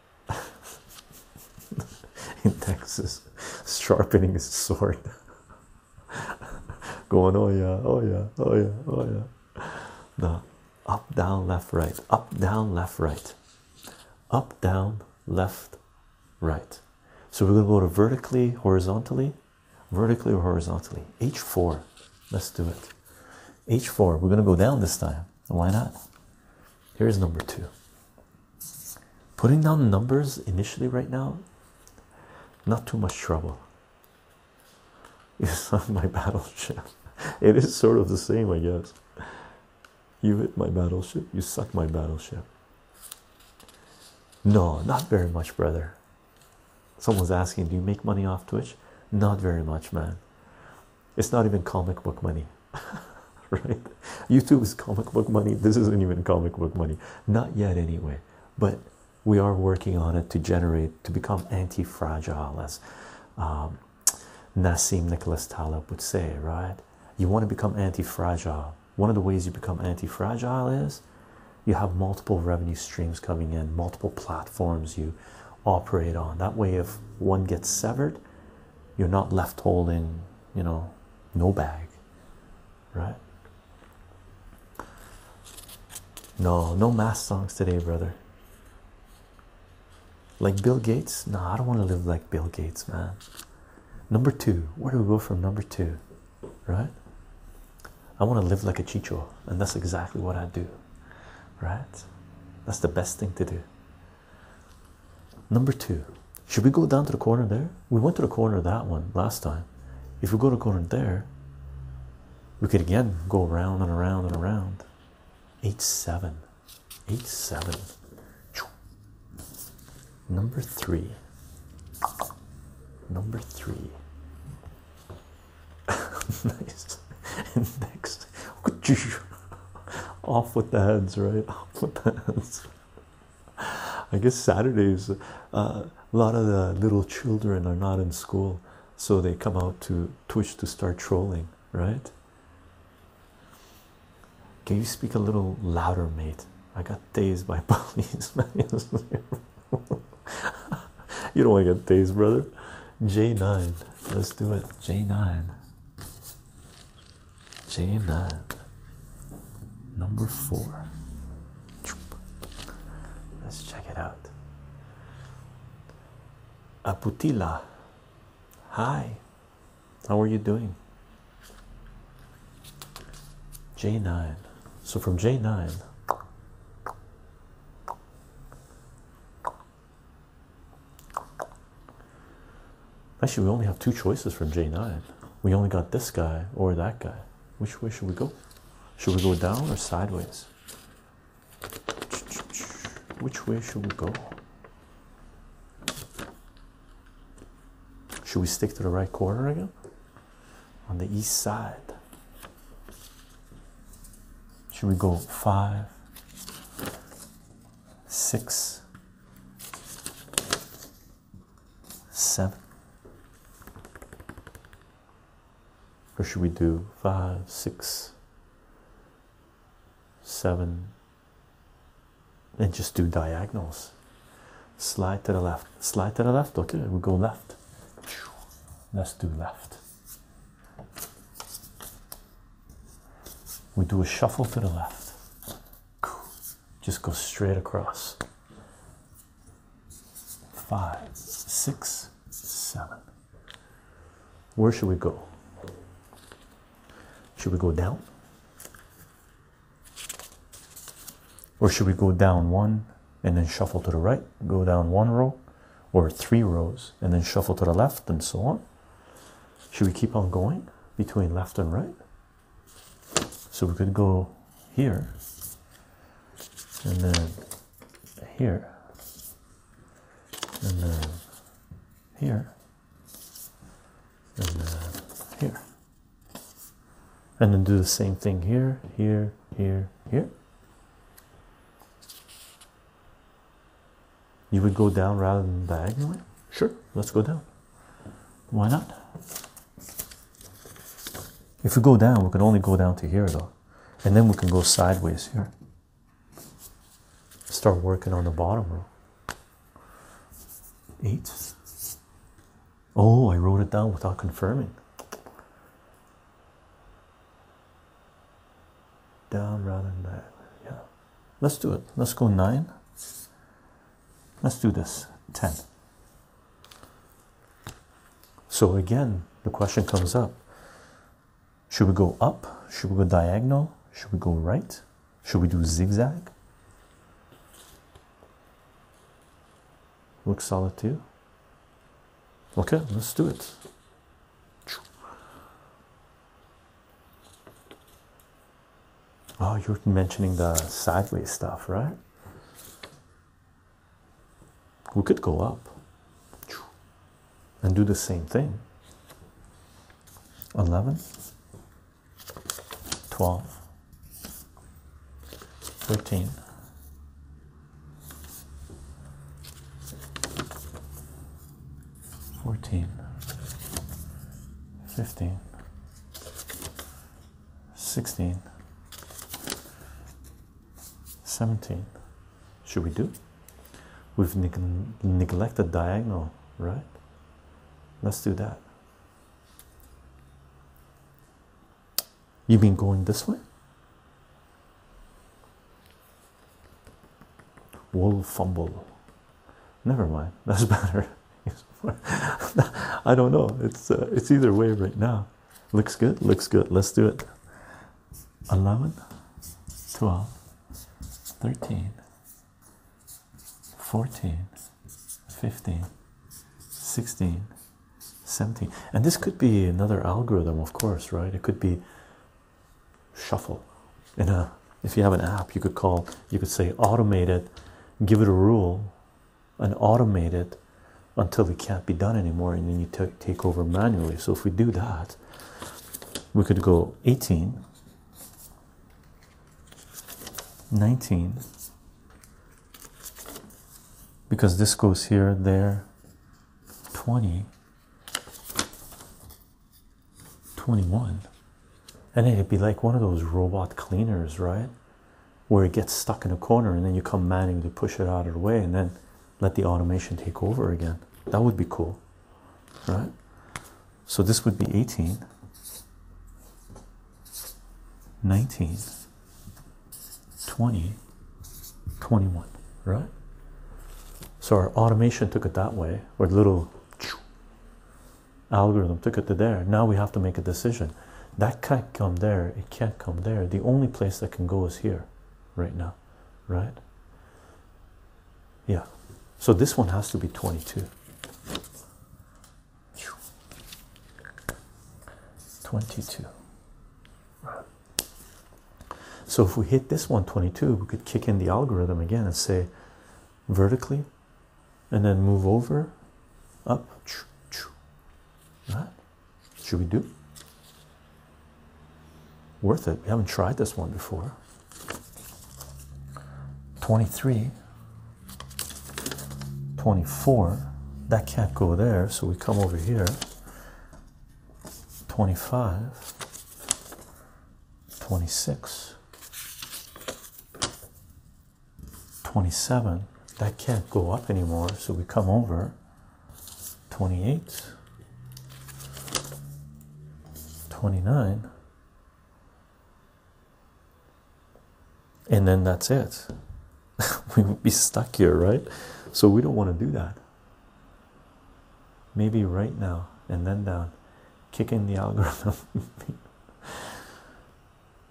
<laughs> In Texas, sharpening his sword. <laughs> Going, oh yeah, oh yeah, oh yeah, oh yeah. No. Up, down, left, right. Up, down, left, right. Up, down, left, right. So we're going to go to vertically, horizontally, vertically or horizontally. H4. Let's do it. H4. We're going to go down this time. Why not? Here's number two. Putting down numbers initially right now, not too much trouble. <laughs> It's not my battleship. It is sort of the same, I guess. You hit my battleship, you suck my battleship. No, not very much, brother. Someone's asking, Do you make money off Twitch? Not very much, man. It's not even comic book money, <laughs> right? YouTube is comic book money. This isn't even comic book money, not yet, anyway. But we are working on it to generate to become anti fragile, as um, Nassim Nicholas Taleb would say, right? You want to become anti fragile. One of the ways you become anti fragile is you have multiple revenue streams coming in, multiple platforms you operate on. That way, if one gets severed, you're not left holding, you know, no bag, right? No, no mass songs today, brother. Like Bill Gates? No, I don't want to live like Bill Gates, man. Number two, where do we go from number two? right? I want to live like a chico, and that's exactly what I do, right? That's the best thing to do. Number two, should we go down to the corner there? We went to the corner that one last time. If we go to corner there, we could again go around and around and around. Eight seven, eight seven. Number three. Number three. <laughs> nice. Next, <laughs> Off with the heads, right? <laughs> Off with the heads. I guess Saturdays, uh, a lot of the little children are not in school, so they come out to Twitch to start trolling, right? Can you speak a little louder, mate? I got dazed by <laughs> police. <laughs> you don't want to get dazed, brother. J9. Let's do it. J9. J9. Number four. Let's check it out. Aputila. Hi. How are you doing? J9. So from J9, actually, we only have two choices from J9. We only got this guy or that guy. Which way should we go? Should we go down or sideways? Which way should we go? Should we stick to the right corner again? on the east side. Should we go five, six, seven? Or should we do five, six, seven, and just do diagonals. Slide to the left, slide to the left. Okay, we go left. Let's do left. We do a shuffle to the left. Just go straight across. Five, six, seven. Where should we go? Should we go down? Or should we go down one and then shuffle to the right, go down one row or three rows and then shuffle to the left and so on? Should we keep on going between left and right? So we could go here and then here and then here and then here and then do the same thing here, here, here, here. You would go down rather than diagonally? Sure, let's go down. Why not? If we go down, we can only go down to here though. And then we can go sideways here. Start working on the bottom row. Eight, Oh, I wrote it down without confirming. Down rather than that. Yeah. Let's do it. Let's go nine. Let's do this. Ten. So again, the question comes up. Should we go up? Should we go diagonal? Should we go right? Should we do zigzag? looks solid to you. okay let's do it oh you're mentioning the sideways stuff right we could go up and do the same thing 11 12, 13, 14, 15, 16, 17. Should we do? We've neglected diagonal, right? Let's do that. You've been going this way? Will fumble. Never mind. <laughs> That's better. <laughs> I don't know. It's uh, it's either way right now. Looks good. Looks good. Let's do it. 11, 12, 13, 14, 15 16 17 and this could be another algorithm of course right it could be shuffle in a if you have an app you could call you could say automate it give it a rule and automate it until it can't be done anymore and then you take over manually so if we do that we could go 18 19 because this goes here, there, 20, 21. And it'd be like one of those robot cleaners, right? Where it gets stuck in a corner and then you come manually push it out of the way and then let the automation take over again. That would be cool, right? So this would be 18. 19 20 21 right so our automation took it that way or the little algorithm took it to there now we have to make a decision that can't come there it can't come there the only place that can go is here right now right yeah so this one has to be 22 22 so if we hit this one, twenty-two, we could kick in the algorithm again and say vertically and then move over up should we do worth it we haven't tried this one before 23 24 that can't go there so we come over here 25 26 27 that can't go up anymore so we come over 28 29 and then that's it. <laughs> we would be stuck here, right? So we don't want to do that. Maybe right now and then down, kick in the <laughs> algorithm.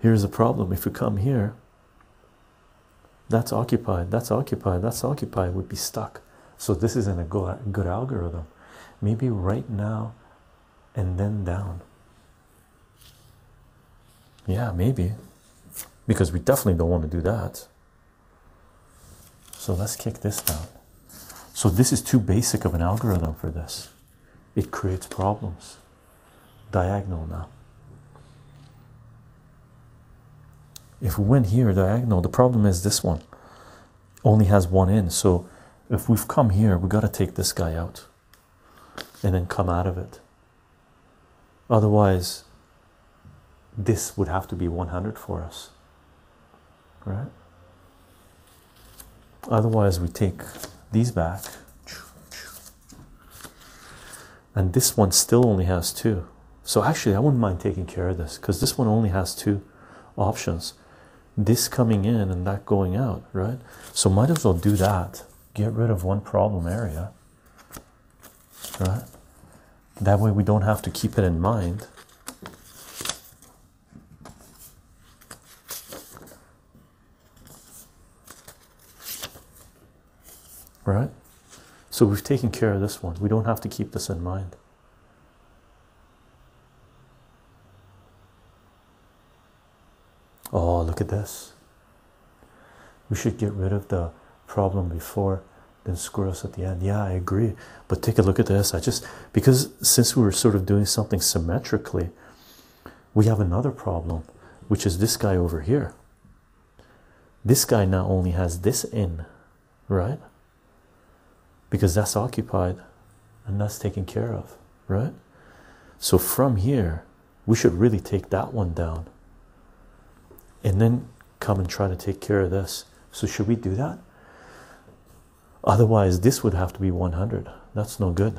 Here's the problem if we come here, that's occupied, that's occupied, that's occupied, we'd be stuck. So this isn't a good algorithm. Maybe right now and then down. Yeah, maybe. Because we definitely don't want to do that. So let's kick this down. So this is too basic of an algorithm for this. It creates problems. Diagonal now. If we went here diagonal, the problem is this one only has one in. So if we've come here, we got to take this guy out and then come out of it. Otherwise, this would have to be 100 for us, right? Otherwise, we take these back, and this one still only has two. So, actually, I wouldn't mind taking care of this because this one only has two options this coming in and that going out, right? So, might as well do that get rid of one problem area, right? That way we don't have to keep it in mind. Right? So we've taken care of this one. We don't have to keep this in mind. Oh, look at this. We should get rid of the problem before, then square us at the end. Yeah, I agree. But take a look at this. I just, because since we were sort of doing something symmetrically, we have another problem, which is this guy over here. This guy now only has this in, right? Because that's occupied and that's taken care of, right? So from here, we should really take that one down and then come and try to take care of this. So, should we do that? Otherwise, this would have to be 100. That's no good.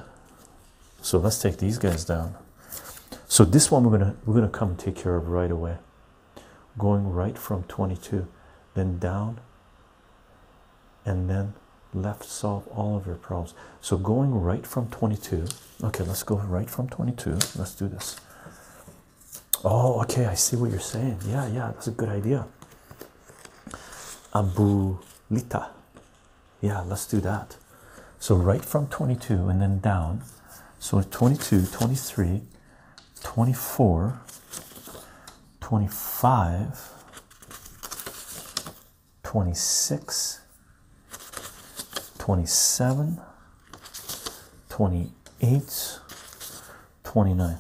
So, let's take these guys down. So, this one we're gonna we're gonna come and take care of right away. Going right from 22, then down, and then left solve all of your problems. So, going right from 22 Okay, let's go right from 22. Let's do this. Oh, okay, I see what you're saying. Yeah, yeah, that's a good idea. Abulita. Yeah, let's do that. So right from 22 and then down. So 22, 23, 24, 25, 26, 27, 28, 29.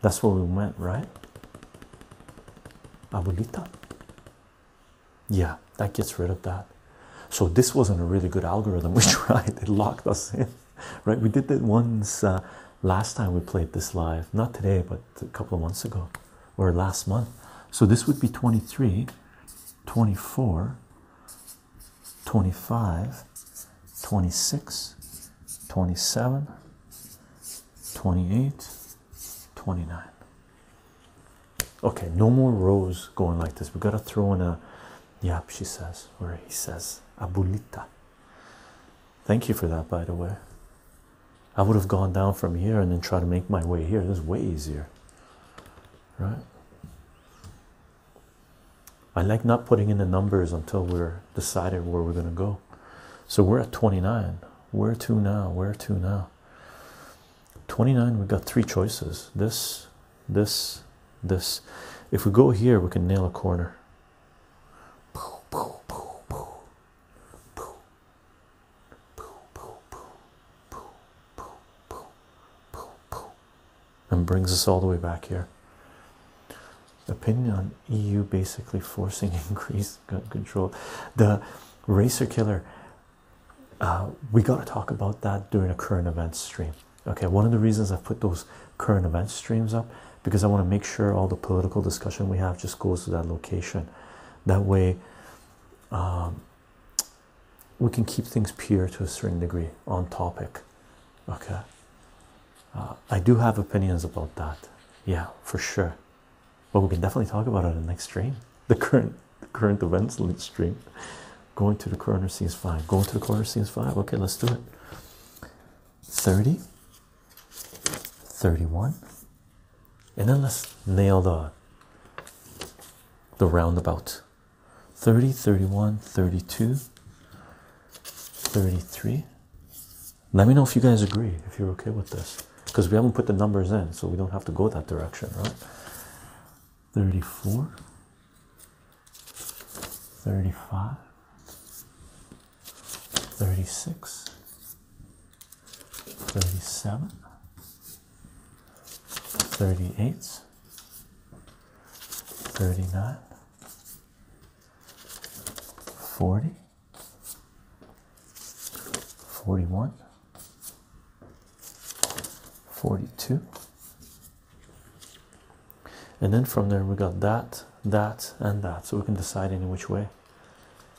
That's where we went, right? Abuelita. Yeah, that gets rid of that. So this wasn't a really good algorithm. <laughs> We tried; it locked us in, right? We did that once uh, last time we played this live, not today, but a couple of months ago or last month. So this would be 23, 24, 25, 26, 27, 28, 29. Okay, no more rows going like this. We gotta throw in a yap, she says, or he says, abuelita. Thank you for that, by the way. I would have gone down from here and then try to make my way here. This is way easier, right? I like not putting in the numbers until we're decided where we're going to go. So we're at 29. Where to now? Where to now? 29, we've got three choices this, this, this. If we go here, we can nail a corner and brings us all the way back here. Opinion on EU basically forcing <laughs> increased gun control. The racer killer, uh, we got to talk about that during a current events stream. Okay, one of the reasons I put those current events streams up because I want to make sure all the political discussion we have just goes to that location. That way, um, we can keep things pure to a certain degree on topic. Okay. Uh, I do have opinions about that. Yeah, for sure. But we can definitely talk about it in the next stream. The current the current events stream. Going to the corner seems five. Going to the corner seems five. Okay, let's do it. 30, 31, and then let's nail the the roundabout 30 31 32 33 let me know if you guys agree if you're okay with this because we haven't put the numbers in so we don't have to go that direction right 34 35 36 37 38 39 40 41 42 and then from there we got that that and that so we can decide in which way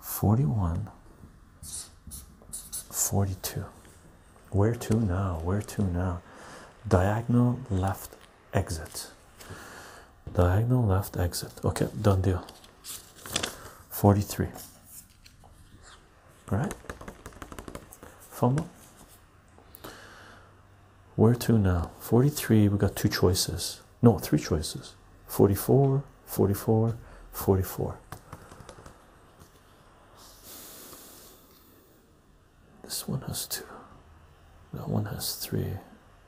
41 42 where to now where to now diagonal left exit diagonal left exit okay done deal 43 All right fumble where to now 43 we got two choices no three choices 44 44 44 this one has two that one has three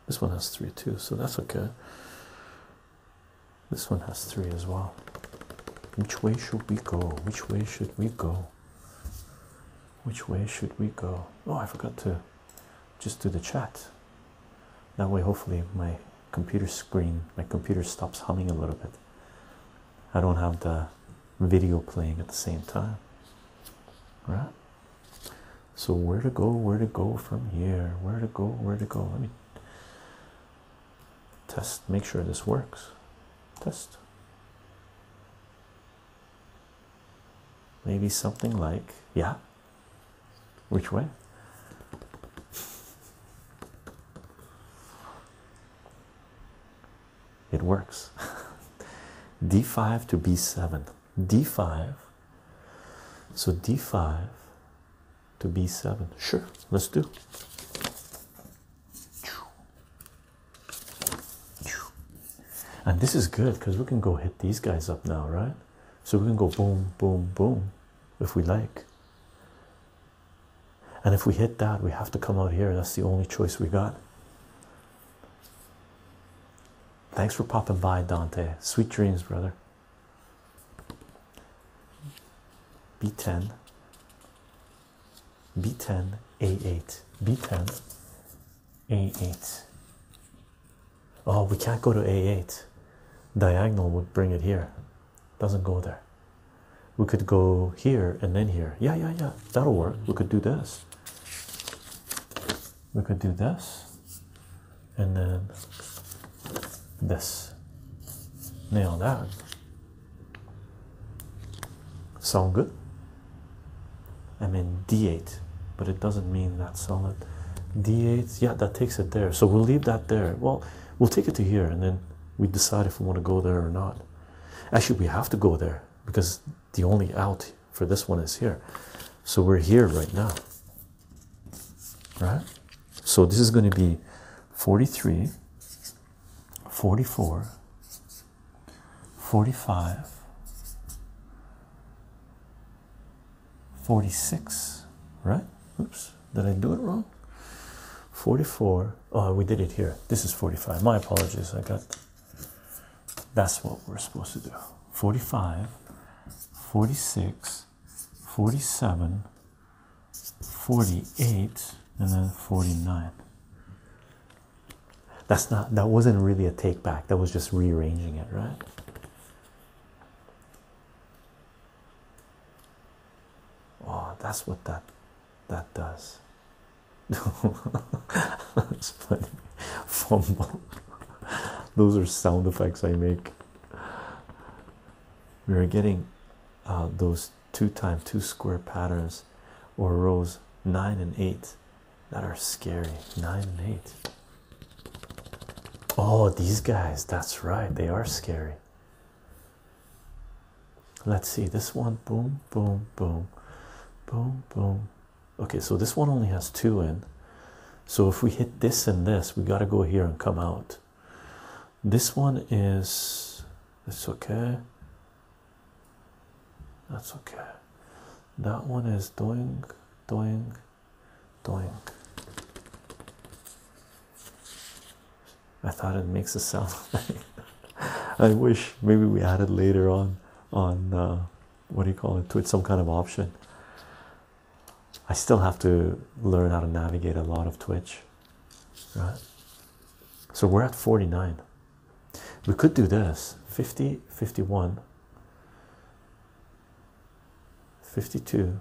this one has three too so that's okay this one has three as well which way should we go which way should we go which way should we go oh i forgot to just do the chat that way, hopefully, my computer screen, my computer stops humming a little bit. I don't have the video playing at the same time. Right. So where to go, where to go from here, where to go, where to go. Let me test, make sure this works. Test. Maybe something like, yeah, which way? It works. <laughs> D5 to B7. D5. So D5 to B7. Sure, let's do. And this is good because we can go hit these guys up now, right? So we can go boom, boom, boom if we like. And if we hit that, we have to come out here. That's the only choice we got. Thanks for popping by, Dante. Sweet dreams, brother. B10, B10, A8, B10, A8. Oh, we can't go to A8. Diagonal would bring it here. Doesn't go there. We could go here and then here. Yeah, yeah, yeah. That'll work. We could do this. We could do this. And then this. Nail that. Sound good? i mean D8, but it doesn't mean that solid. D8, yeah, that takes it there. So we'll leave that there. Well, We'll take it to here and then we decide if we want to go there or not. Actually, we have to go there because the only out for this one is here. So we're here right now. Right? So this is going to be 43, 44, 45, 46 right oops did i do it wrong 44 oh we did it here this is 45 my apologies i got that's what we're supposed to do 45 46 47 48 and then 49 that's not that wasn't really a take back that was just rearranging it right Oh, that's what that that does. <laughs> that's funny. Fumble. Those are sound effects I make. We are getting uh, those two time two square patterns or rows nine and eight that are scary. Nine and eight. Oh, these guys, that's right, they are scary. Let's see this one boom, boom, boom, boom, boom. Okay, so this one only has two in. So if we hit this and this, we got to go here and come out. This one is it's okay. That's okay. That one is doing, doing, Doink. I thought it makes a sound. <laughs> I wish maybe we added later on on uh, what do you call it to some kind of option. I still have to learn how to navigate a lot of Twitch, right? So we're at 49. We could do this 50, 51, 52.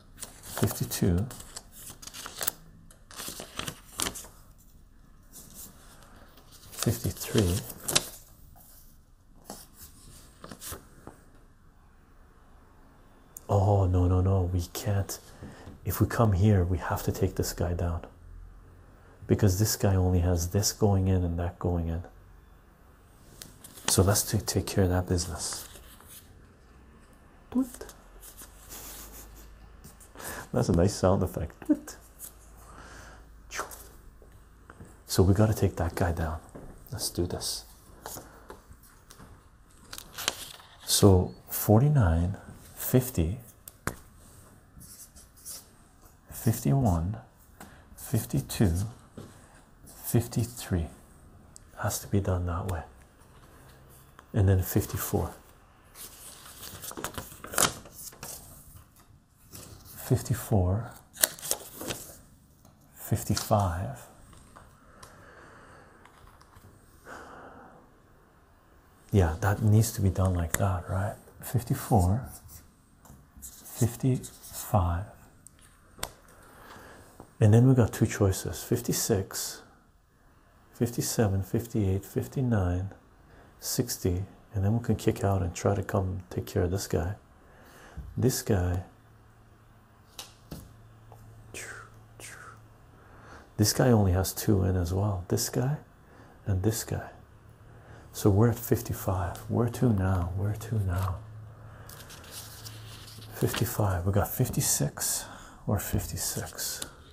52 53 oh no no no we can't if we come here we have to take this guy down because this guy only has this going in and that going in so let's take, take care of that business that's a nice sound effect. So we got to take that guy down. Let's do this. So 49, 50, 51, 52, 53 has to be done that way and then 54. 54, 55, yeah, that needs to be done like that, right? 54, 55, and then we got two choices 56 57, 58, 59, 60, and then we can kick out and try to come take care of this guy. This guy, this guy only has two in as well. This guy and this guy. So we're at 55. we We're two now? Where to now? 55. We got 56 or 56.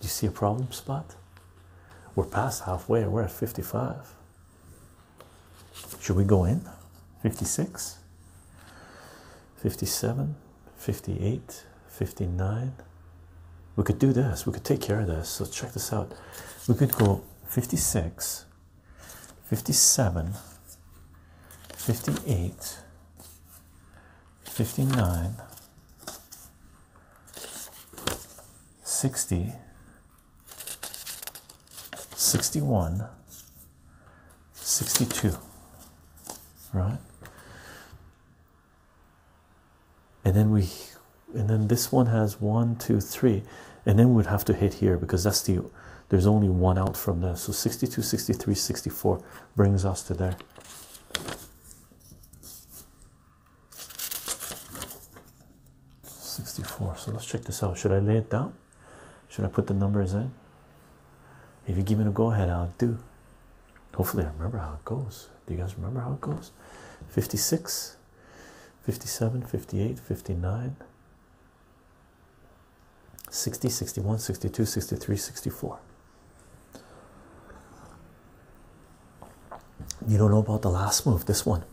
Do you see a problem spot? We're past halfway, we're at 55. Should we go in? 56, 57, 58, 59. We could do this, we could take care of this. So, check this out. We could go 56, 57, 58, 59, 60, 61, 62, right? And then we, and then this one has one, two, three, and then we'd have to hit here because that's the, there's only one out from there. So 62, 63, 64 brings us to there. 64 so let's check this out should I lay it down should I put the numbers in if you give me the go ahead I'll do hopefully I remember how it goes do you guys remember how it goes 56 57 58 59 60 61 62 63 64 you don't know about the last move, this one.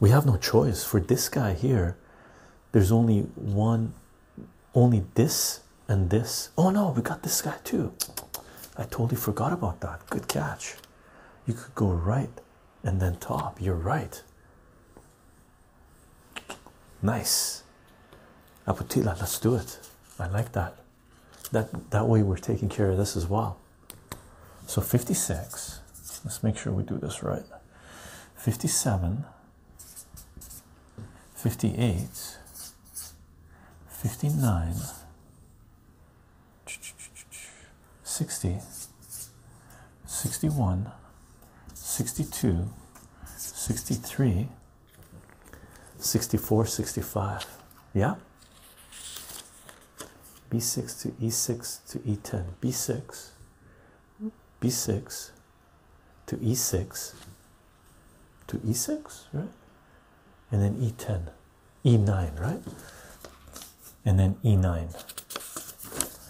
We have no choice for this guy here. There's only one, only this and this. Oh no, we got this guy too. I totally forgot about that. Good catch. You could go right and then top. You're right. Nice. Apotila, let's do it. I like that that that way we're taking care of this as well so 56 let's make sure we do this right 57 58 59 60 61 62 63 64 65 yeah b6 to e6 to e10 b6 b6 to e6 to e6 right and then e10 e9 right and then e9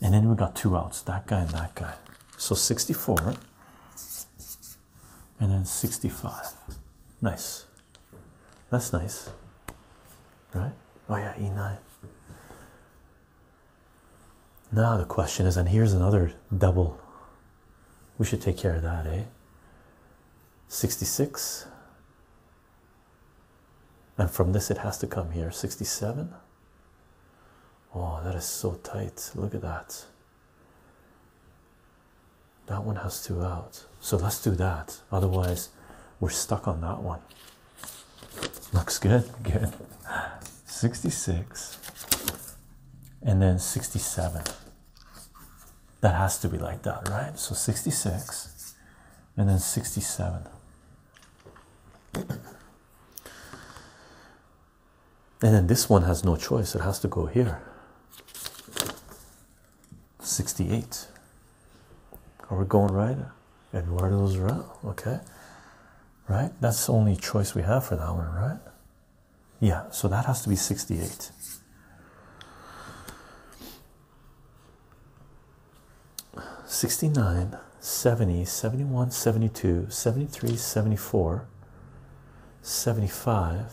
and then we got two outs that guy and that guy so 64 and then 65 nice that's nice right oh yeah e9 now the question is and here's another double we should take care of that eh 66 and from this it has to come here 67 oh that is so tight look at that that one has two out so let's do that otherwise we're stuck on that one looks good good 66 and then 67 that has to be like that right so 66 and then 67 and then this one has no choice, it has to go here. 68. Are we going right? Eduardo's route, okay. Right? That's the only choice we have for that one, right? Yeah, so that has to be 68. Sixty-nine, seventy, seventy-one, seventy-two, seventy-three, seventy-four, seventy-five.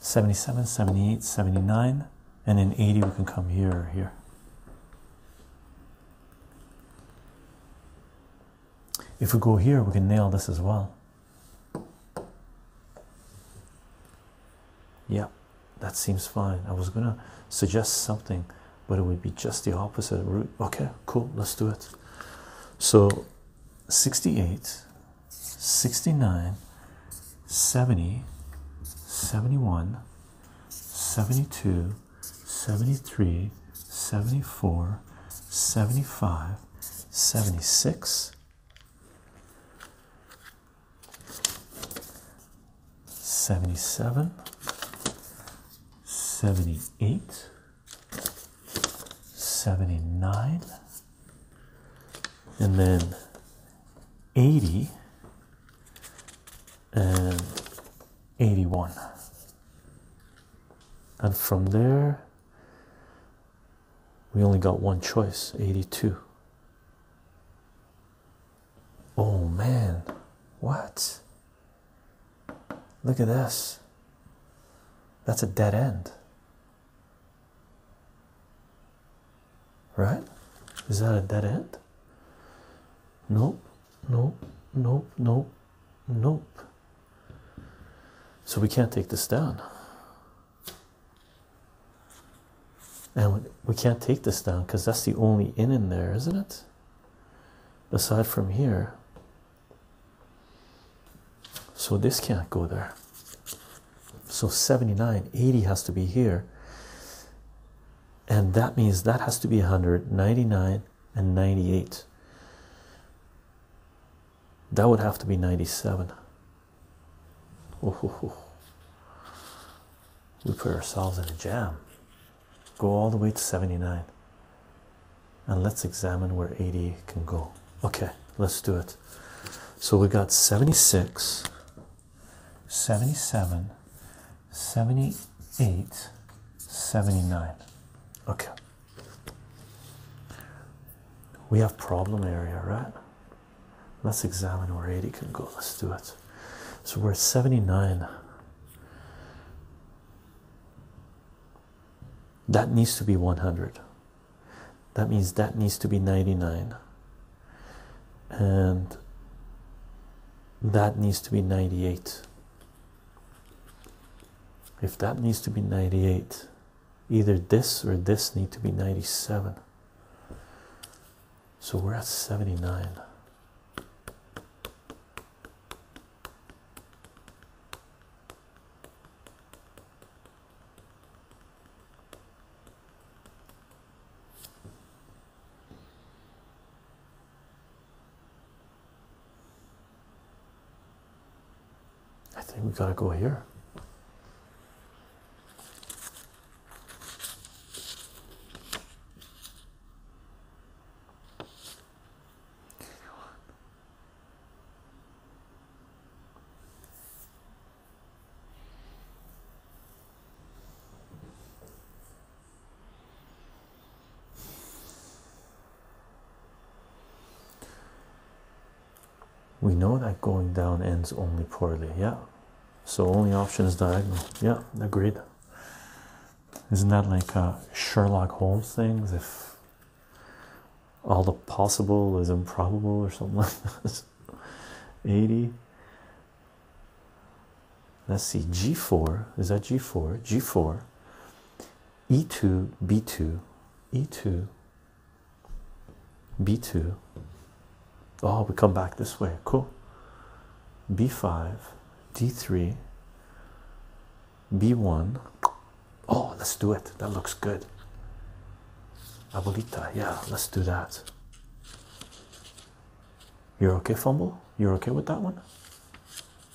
77, 78, 79, and then 80 we can come here or here. If we go here, we can nail this as well. Yeah, that seems fine. I was gonna suggest something, but it would be just the opposite route. Okay, cool, let's do it. So 68 69, 70, 71, 72, 73, 74, 75, 76, 77, 78, 79 and then 80 and 81 and from there we only got one choice 82 oh man what look at this that's a dead end Right? Is that a dead end? Nope, nope, nope, nope, nope. So we can't take this down. And we can't take this down because that's the only in in there, isn't it? Aside from here, so this can't go there. So 79, 80 has to be here. And that means that has to be 100, 99, and 98. That would have to be 97. We put ourselves in a jam. Go all the way to 79. And let's examine where 80 can go. Okay, let's do it. So we got 76, 77, 78, 79. Okay. We have problem area, right? Let's examine where 80 can go. Let's do it. So we're at 79. That needs to be 100 that means that needs to be 99 and that needs to be 98 if that needs to be 98 either this or this need to be 97 so we're at 79 I think we gotta go here. We know that going down ends only poorly, yeah. So only option is diagonal. Yeah, agreed. Isn't that like Sherlock Holmes things? If all the possible is improbable or something like that. <laughs> 80 let's see g4 is that g4 g4 e2 b2 e2 b2 oh we come back this way cool b5 d3 b1 Oh, let's do it. That looks good. Abuelita, yeah, let's do that. You're okay, Fumble? You're okay with that one?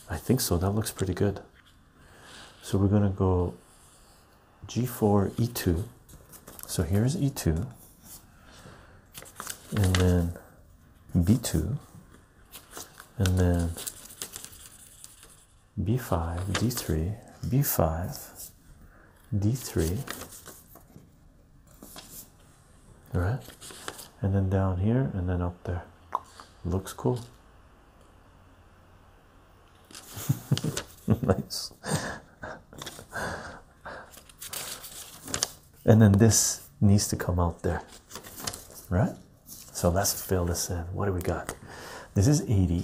I think so. That looks pretty good. So we're going to go g4, e2. So here's e2. And then b2. And then b5, d3, b5, d3, right? And then down here and then up there. Looks cool. <laughs> nice. and then this needs to come out there, right? So let's fill this in. What do we got? This is 80.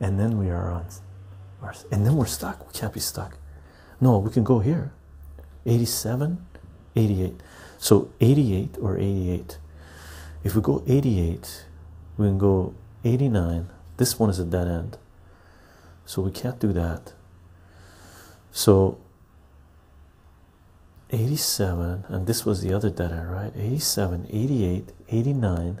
and then we are on and then we're stuck. We can't be stuck. No, we can go here 87, 88. So 88 or 88. If we go 88, we can go 89. This one is a dead end. So we can't do that. So 87, and this was the other dead end, right? 87, 88, 89,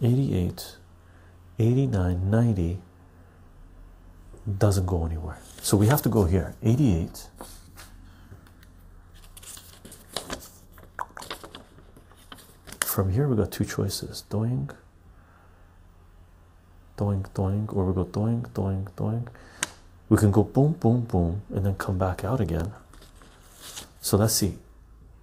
88 89 90 doesn't go anywhere so we have to go here 88 from here we got two choices doing doing doing or we go doing doing doing we can go boom boom boom and then come back out again so let's see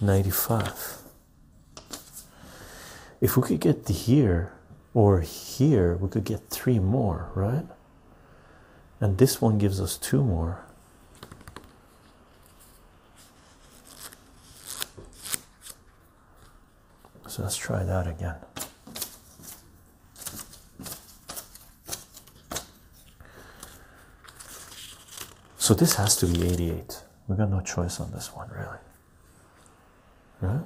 95 if we could get here or here we could get three more right and this one gives us two more so let's try that again so this has to be 88. We We've got no choice on this one, really. Right?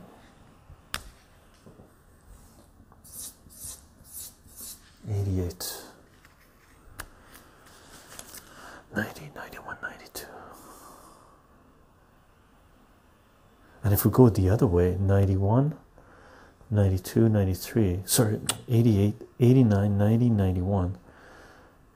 Eighty-eight, ninety, ninety-one, ninety-two, and if we go the other way, ninety-one, ninety-two, ninety-three. Sorry, 88, 89, 90, 91,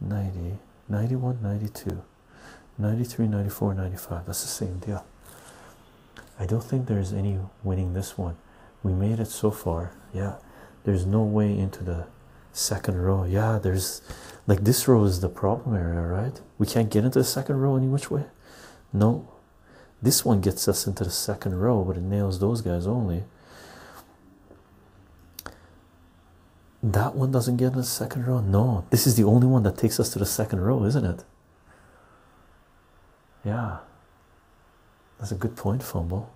90 91 92 93 94 95 that's the same deal i don't think there's any winning this one we made it so far yeah there's no way into the second row yeah there's like this row is the problem area right we can't get into the second row any which way no this one gets us into the second row but it nails those guys only that one doesn't get in the second row. No, this is the only one that takes us to the second row, isn't it? Yeah, that's a good point, Fumble.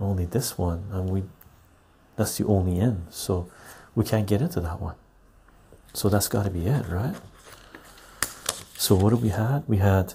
Only this one, and we that's the only end, so we can't get into that one. So that's got to be it, right? So, what do we had? We had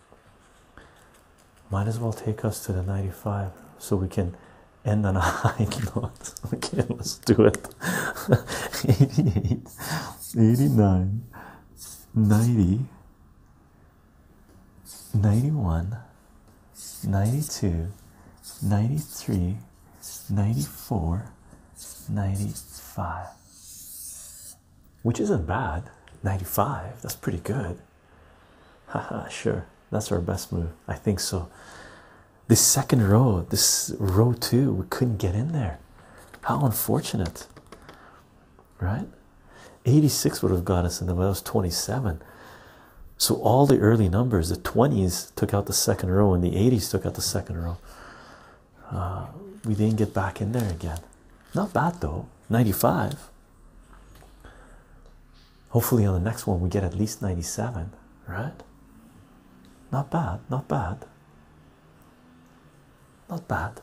Might as well take us to the 95 so we can end on a <laughs> high note. <laughs> Okay, let's do it. 88, <laughs> 89, 90, 91, 92, 93, 94, 95. Which isn't bad. 95, that's pretty good. <laughs> Haha, sure, that's our best move. I think so. This second row, this row two, we couldn't get in there. How unfortunate, right? 86 would have got us in there. well, it was 27. So, all the early numbers, the 20s took out the second row, and the 80s took out the second row. Uh, we didn't get back in there again. Not bad though. 95. Hopefully, on the next one, we get at least 97, right? Not bad, not bad, not bad.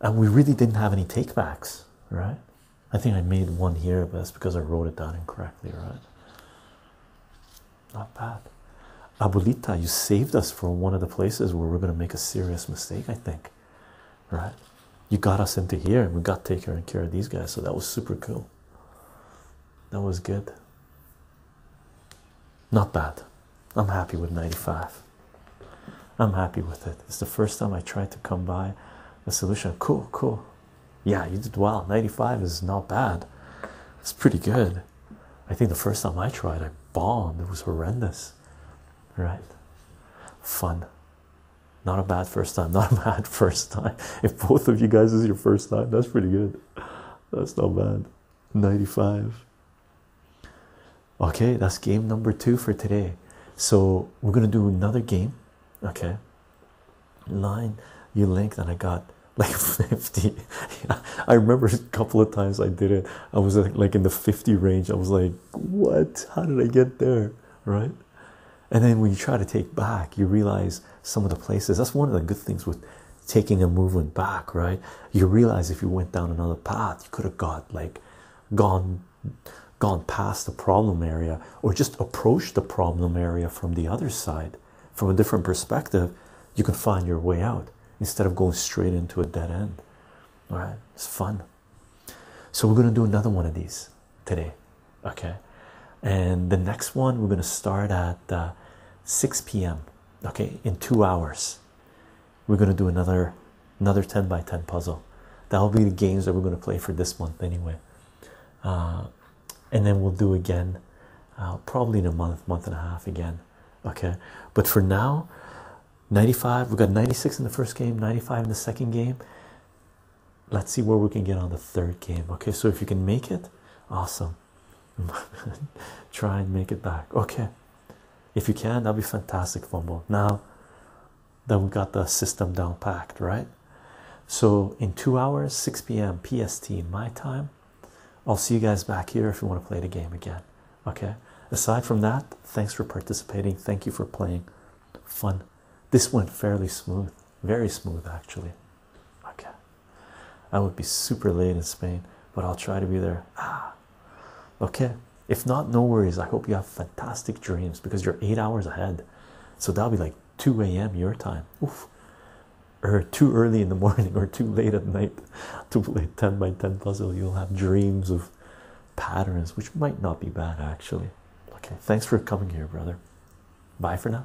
And we really didn't have any takebacks, right? I think I made one here, but that's because I wrote it down incorrectly, right? Not bad. Abuelita, you saved us from one of the places where we're going to make a serious mistake, I think right? You got us into here, and we got to take care and care of these guys, so that was super cool. That was good. Not bad. I'm happy with 95. I'm happy with it. It's the first time I tried to come by a solution. Cool, cool. Yeah, you did well. 95 is not bad. It's pretty good. I think the first time I tried, I bombed. It was horrendous right? Fun. Not a bad first time, not a <laughs> bad first time. If both of you guys is your first time, that's pretty good. That's not bad. 95. Okay, that's game number two for today. So we're gonna do another game. Okay. Line you linked and I got <laughs> like 50. <laughs> I remember a couple of times I did it. I was like in the 50 range. I was like what? How did I get there? Right? And then when you try to take back, you realize some of the places. That's one of the good things with taking a movement back, right? You realize if you went down another path, you could have got like gone gone past the problem area or just approached the problem area from the other side, from a different perspective, you can find your way out instead of going straight into a dead end. All right? It's fun. So we're going to do another one of these today, okay? And the next one we're going to start at uh, 6 p.m. Okay, in two hours, we're going to do another another 10 by 10 puzzle. That'll be the games that we're going to play for this month anyway. Uh, and then we'll do again, uh, probably in a month, month and a half again. Okay, but for now, 95 we got 96 in the first game 95 in the second game let's see where we can get on the third game okay so if you can make it awesome <laughs> try and make it back okay if you can that'll be fantastic fumble now then we got the system down packed right so in two hours 6 p.m pst my time i'll see you guys back here if you want to play the game again Okay, aside from that, thanks for participating. Thank you for playing. Fun. This went fairly smooth, very smooth actually. Okay, I would be super late in Spain, but I'll try to be there. Ah, okay. If not, no worries. I hope you have fantastic dreams because you're eight hours ahead, so that'll be like 2 a.m. your time. Oof. Or too early in the <laughs> morning, or too late at night to play 10 by 10 puzzle. You'll have dreams of patterns, which might not be bad actually. Okay, thanks for coming here, brother. Bye for now.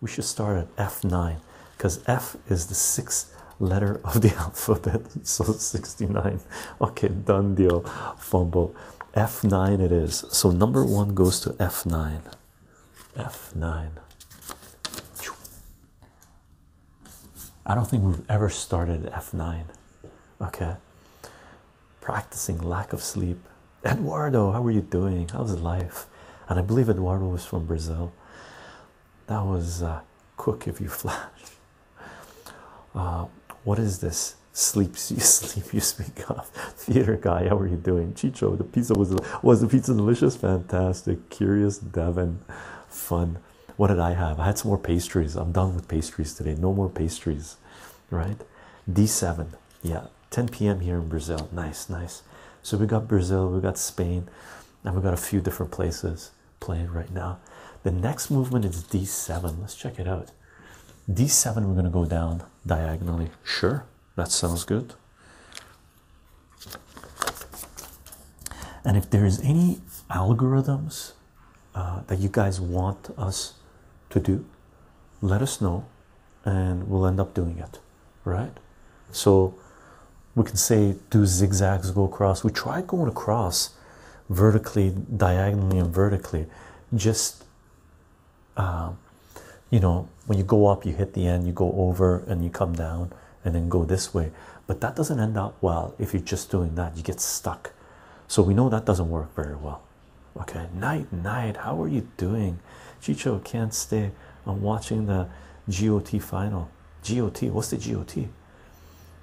We should start at F9 because F is the sixth letter of the <laughs> alphabet, so 69. Okay, done deal. Fumble. F9 it is. So number one goes to F9. F9. I don't think we've ever started F9. Okay. Practicing lack of sleep. Eduardo, how are you doing? How's life? And I believe Eduardo was from Brazil. That was uh, quick if you <laughs> flash. Uh, what is this? sleep? <laughs> you sleep you speak of. Theater guy, how are you doing? Chicho, the pizza was was the pizza delicious? Fantastic. Curious Devin, fun. What did I have? I had some more pastries. I'm done with pastries today. No more pastries, right? D7, yeah, 10 p.m. here in Brazil. Nice, nice. So we got Brazil, we got Spain, and we got a few different places playing right now. The next movement is D7. Let's check it out. D7, we're going to go down diagonally. Sure, that sounds good. And if there is any algorithms uh, that you guys want us to do, let us know and we'll end up doing it, right? So we can say do zigzags, go across. We try going across vertically, diagonally, and vertically. Just, uh, you know, when you go up, you hit the end, you go over, and you come down and then go this way but that doesn't end up well if you're just doing that you get stuck so we know that doesn't work very well okay night night how are you doing chicho can't stay on watching the got final got what's the got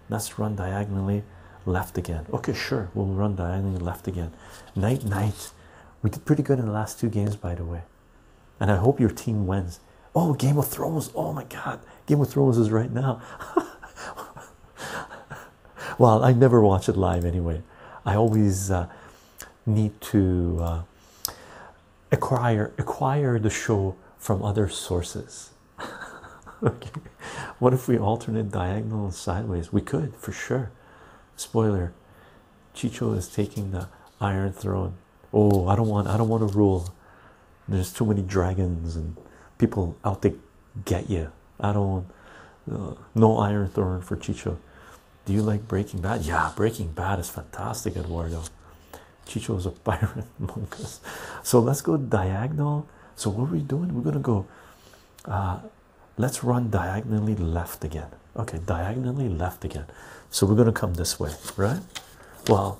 let's run diagonally left again okay sure we'll run diagonally left again night night we did pretty good in the last two games by the way and i hope your team wins Oh, Game of Thrones. Oh my God, Game of Thrones is right now. <laughs> well, I never watch it live anyway. I always uh, need to uh, acquire acquire the show from other sources. <laughs> okay, what if we alternate diagonally sideways? We could for sure. Spoiler: Chicho is taking the Iron Throne. Oh, I don't want. I don't want to rule. There's too many dragons and people out there get you. I don't. Uh, no Iron Throne for Chicho. Do you like Breaking Bad? Yeah, Breaking Bad is fantastic, Eduardo. Chicho is a <laughs> pirate among So let's go diagonal. So what are we doing? We're gonna go. Uh, let's run diagonally left again. Okay, diagonally left again. So we're gonna come this way, right? Well,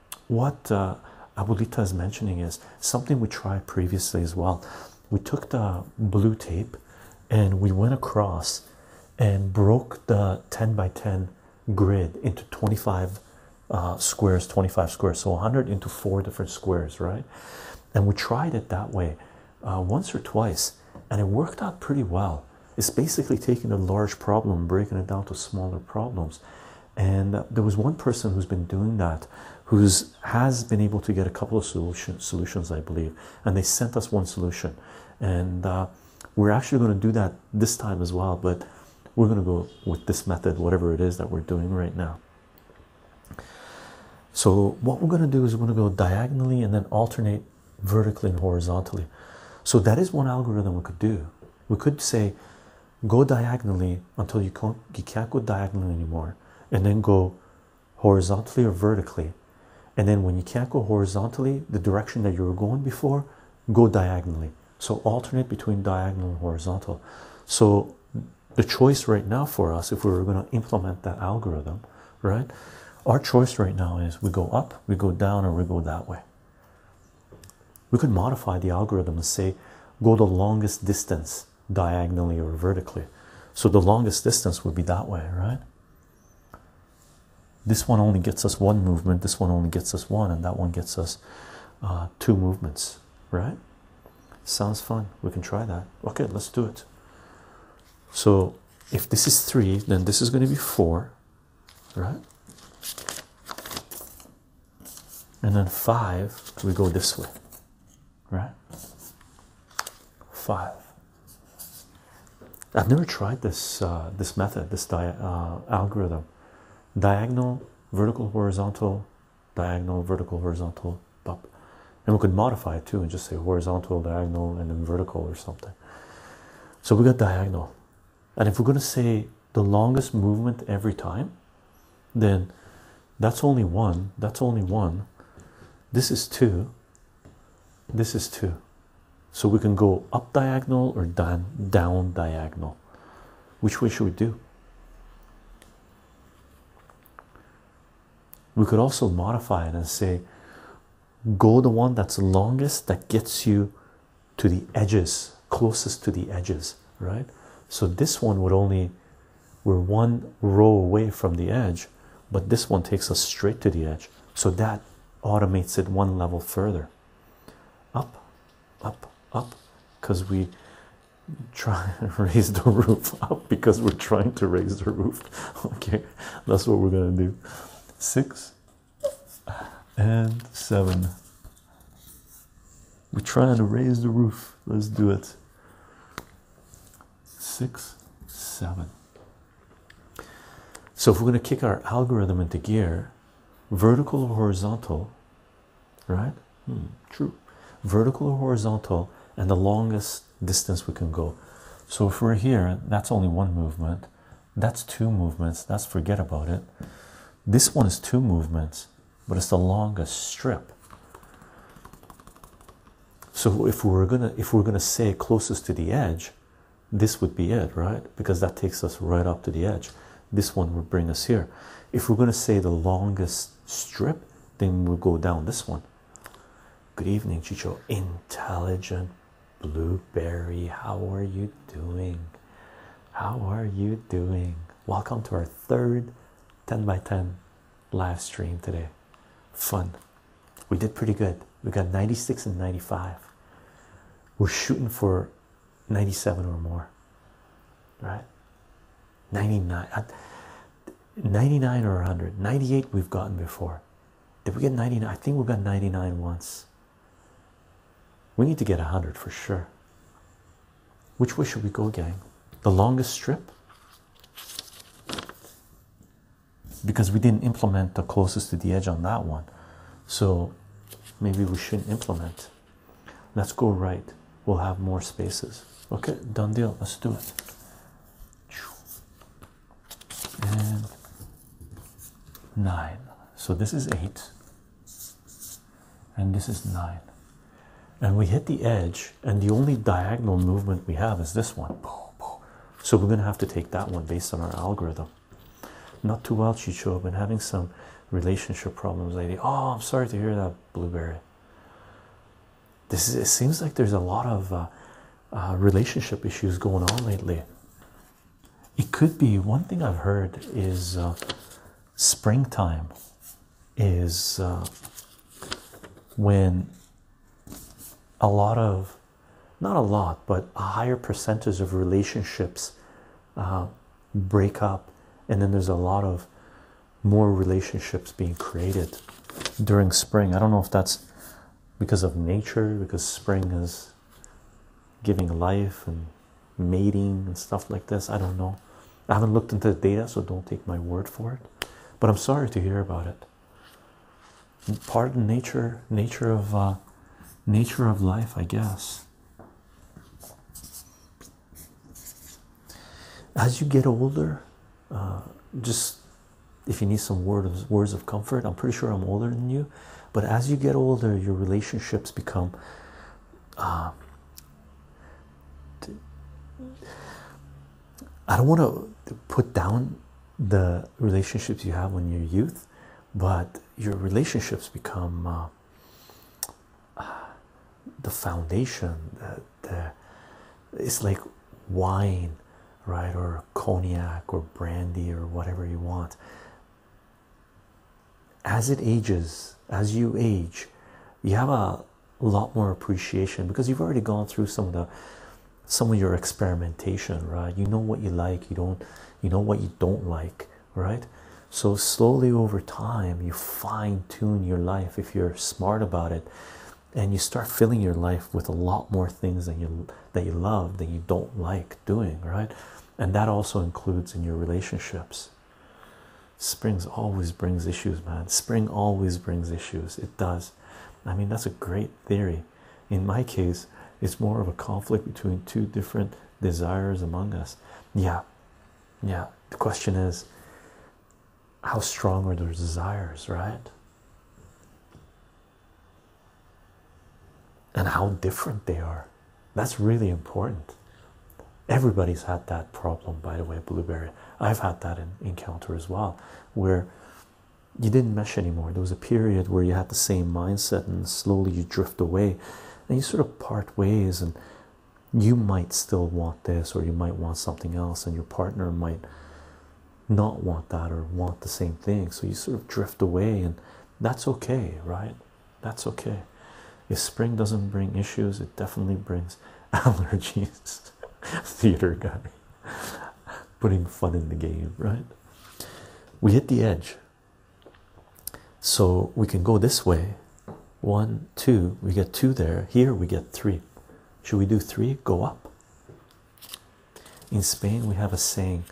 what uh, Abuelita is mentioning is something we tried previously as well. We took the blue tape and we went across and broke the 10 by 10 grid into 25 uh, squares, 25 squares, so 100 into four different squares, right? And we tried it that way uh, once or twice, and it worked out pretty well. It's basically taking a large problem, breaking it down to smaller problems, and there was one person who's been doing that who's has been able to get a couple of solutions i believe and they sent us one solution and uh, we're actually going to do that this time as well but we're going to go with this method whatever it is that we're doing right now so what we're going to do is we're going to go diagonally and then alternate vertically and horizontally so that is one algorithm we could do we could say go diagonally until you can't, go diagonally anymore, and then go horizontally or vertically. And then when you can't go horizontally, the direction that you were going before, go diagonally. So alternate between diagonal and horizontal. So the choice right now for us, if we were going to implement that algorithm, right? Our choice right now is we go up, we go down, or we go that way. We could modify the algorithm and say go the longest distance diagonally or vertically. So the longest distance would be that way, right? This one only gets us one movement, this one only gets us one, and that one gets us uh, two movements, right? Sounds fun. We can try that. Okay, let's do it. So if this is three, then this is going to be four, right? and then five we go this way right five I've never tried this uh, this method this uh, algorithm diagonal vertical horizontal diagonal vertical horizontal up and we could modify it too and just say horizontal diagonal and then vertical or something so we got diagonal and if we're going to say the longest movement every time, then that's only one. That's only one. This is two. This is two. So we can go up diagonal or down, down diagonal. Which way should we do? We could also modify it and say, go the one that's longest that gets you to the edges, closest to the edges right? So this one would only, we're one row away from the edge, but this one takes us straight to the edge. So that automates it one level further. Up, up, up, because we try to <laughs> raise the roof up because we're trying to raise the roof. <laughs> Okay, that's what we're gonna do. Six and seven. We're trying to raise the roof. Let's do it. Six, seven. So if we're going to kick our algorithm into gear, vertical or horizontal, right? Hmm, true. Vertical or horizontal, and the longest distance we can go. So if we're here, that's only one movement. That's two movements. That's forget about it. This one is two movements but it's the longest strip so if we are gonna if we are gonna say closest to the edge this would be it right because that takes us right up to the edge this one would bring us here if we're gonna say the longest strip then we'll go down this one good evening chicho intelligent blueberry how are you doing how are you doing Welcome to our third 10 by 10 live stream today. Fun. We did pretty good. We got 96 and 95. We're shooting for 97 or more, right? 99. 99 or 100. 98 we've gotten before. Did we get 99? I think we got 99 once. We need to get 100 for sure. Which way should we go, again? The longest strip? Because we didn't implement the closest to the edge on that one. So maybe we shouldn't implement. Let's go right. We'll have more spaces. Okay, done deal. Let's do it. And nine. So this is eight and this is 9 and we hit the edge and the only diagonal movement we have is this one so we're going to have to take that one based on our algorithm not too well she showed up and having some relationship problems lately. oh i'm sorry to hear that blueberry this is it seems like there's a lot of uh, uh, relationship issues going on lately it could be one thing i've heard is uh, springtime is uh, when a lot of not a lot but a higher percentage of relationships uh, break up and then there's a lot of more relationships being created during spring i don't know if that's because of nature because spring is giving life and mating and stuff like this. I don't know. I haven't looked into the data, so don't take my word for it. But I'm sorry to hear about it. Part of nature, nature of uh, nature of life, I guess. As you get older, uh, just if you need some word words of comfort, I'm pretty sure I'm older than you. But as you get older, your relationships become um, I don't want to put down the relationships you have in your youth, but your relationships become uh, the foundation. The, it's like wine, right, or cognac, or brandy, or whatever you want as it ages, as you age, you have a lot more appreciation because you've already gone through some of the some of your experimentation, right? You know what you like, you don't you know what you don't like, right? So slowly over time you fine-tune your life if you're smart about it and you start filling your life with a lot more things than you that you love that you don't like doing, right? And that also includes in your relationships. Springs always brings issues, man. Spring always brings issues. It does. I mean, that's a great theory. In my case, it's more of a conflict between two different desires among us. Yeah, yeah. The question is, how strong are those desires, right? And how different they are. That's really important. Everybody's had that problem, by the way, Blueberry. I've had that encounter as well, where you didn't mesh anymore. There was a period where you had the same mindset, and slowly you drift away, and you sort of part ways. And you might still want this, or you might want something else, and your partner might not want that or want the same thing. So you sort of drift away, and that's okay, right? That's okay. If spring doesn't bring issues, it definitely brings <laughs> allergies. Theater guy putting fun in the game, right? We hit the edge. So we can go this way. One, two, we get two there. Here we get three. Should we do three? Go up. In Spain, we have a saying,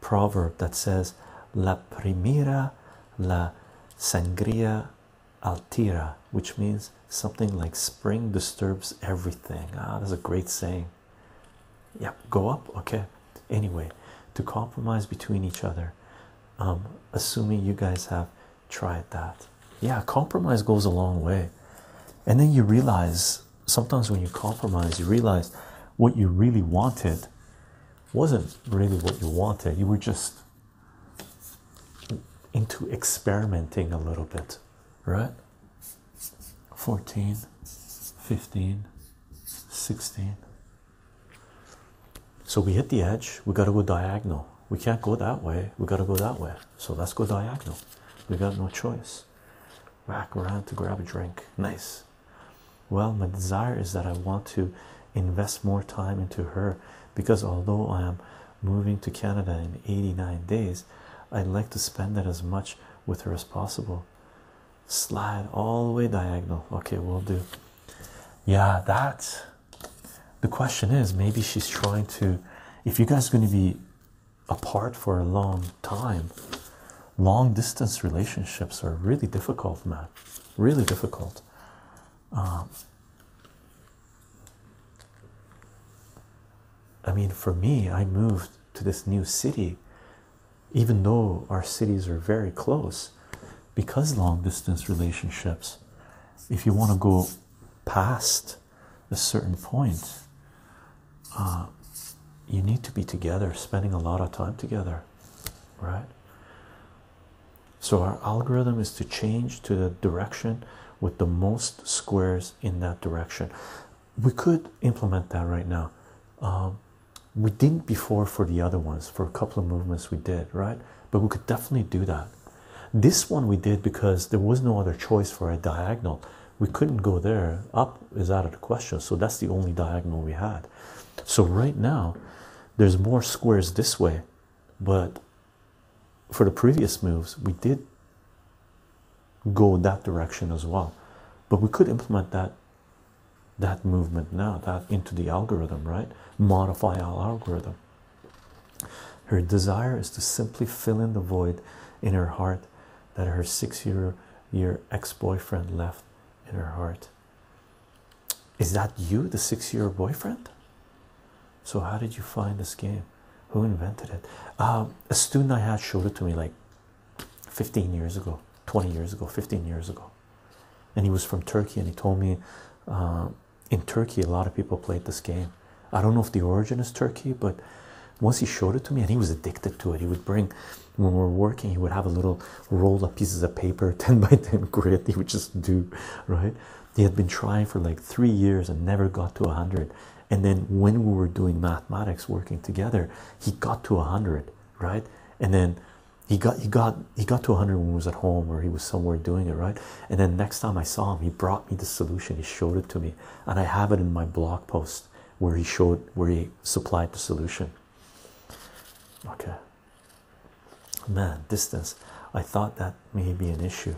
proverb that says, La primera, la sangría altira, which means something like spring disturbs everything. Ah, that's a great saying. Yep, go up. Okay, anyway, to compromise between each other. Um, assuming you guys have tried that, yeah, compromise goes a long way, and then you realize sometimes when you compromise, you realize what you really wanted wasn't really what you wanted, you were just into experimenting a little bit, right? 14, 15, 16. So we hit the edge, we got to go diagonal. We can't go that way, we got to go that way. So let's go diagonal. We got no choice. Back around to grab a drink. Nice. Well, my desire is that I want to invest more time into her because although I am moving to Canada in 89 days, I'd like to spend that as much with her as possible. Slide all the way diagonal. Okay, we'll do. Yeah, that. The question is maybe she's trying to. If you guys are going to be apart for a long time, long distance relationships are really difficult, man. Really difficult. Um, I mean, for me, I moved to this new city, even though our cities are very close, because long distance relationships, if you want to go past a certain point, uh, you need to be together, spending a lot of time together, right? so our algorithm is to change to the direction with the most squares in that direction we could implement that right now um, we didn't before for the other ones for a couple of movements we did right but we could definitely do that this one we did because there was no other choice for a diagonal we couldn't go there up is out of the question so that's the only diagonal we had so right now there's more squares this way but for the previous moves, we did go that direction as well. But we could implement that that movement now, that into the algorithm, right? Modify our algorithm. Her desire is to simply fill in the void in her heart that her six-year year, year ex-boyfriend left in her heart. Is that you, the six year boyfriend? So, how did you find this game? Who invented it? Um, a student I had showed it to me like 15 years ago, 20 years ago, 15 years ago. And he was from Turkey and he told me um, in Turkey, a lot of people played this game. I don't know if the origin is Turkey, but once he showed it to me and he was addicted to it, he would bring when we were working, he would have a little roll of pieces of paper, <laughs> 10 by 10 grid, he would just do right. He had been trying for like three years and never got to 100. And then when we were doing mathematics working together, he got to 100, right? And then he got he got he got to 100 when he was at home or he was somewhere doing it right and then next time i saw him he brought me the solution he showed it to me and i have it in my blog post where he showed where he supplied the solution okay Man, distance. I thought that may be an issue.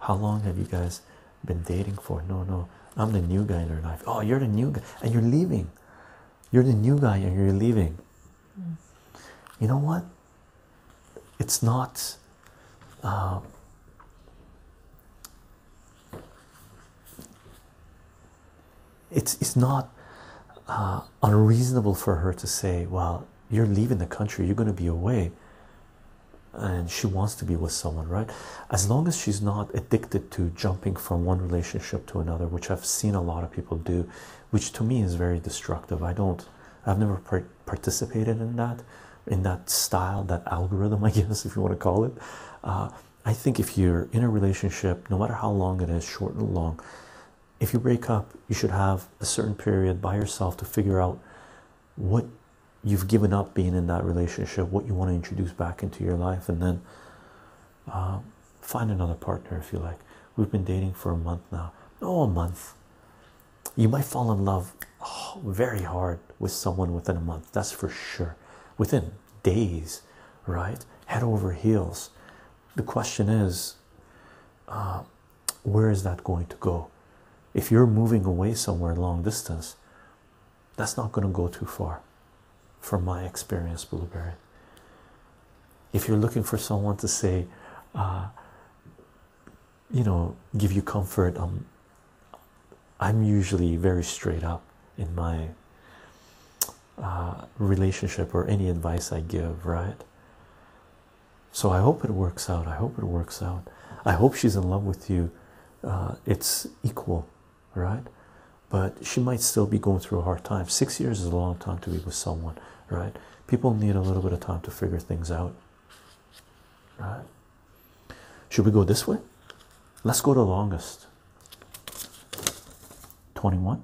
How long have you guys been dating for? No, no, I'm the new guy in your life. Oh, you're the new guy, and you're leaving. You're the new guy, and you're leaving. You know what? It's not. Um, it's it's not uh, unreasonable for her to say, "Well, you're leaving the country you're going to be away and she wants to be with someone right as long as she's not addicted to jumping from one relationship to another which i've seen a lot of people do which to me is very destructive i don't i've never participated in that in that style that algorithm <laughs> i guess if you want to call it uh, i think if you're in a relationship no matter how long it is short and long if you break up, you should have a certain period by yourself to figure out what you've given up being in that relationship, what you want to introduce back into your life, and then uh, find another partner if you like. We've been dating for a month now. Oh, a month. You might fall in love very hard with someone within a month, that's for sure. Within days, right? Head over heels. The question is, uh, where is that going to go? If you're moving away somewhere long distance, that's not going to go too far, from my experience, Blueberry. If you're looking for someone to say, uh, you know, give you comfort, um, I'm usually very straight up in my uh, relationship or any advice I give, right? so i hope it works out i hope it works out i hope she's in love with you uh, it's equal right but she might still be going through a hard time six years is a long time to be with someone right people need a little bit of time to figure things out right should we go this way let's go the longest 21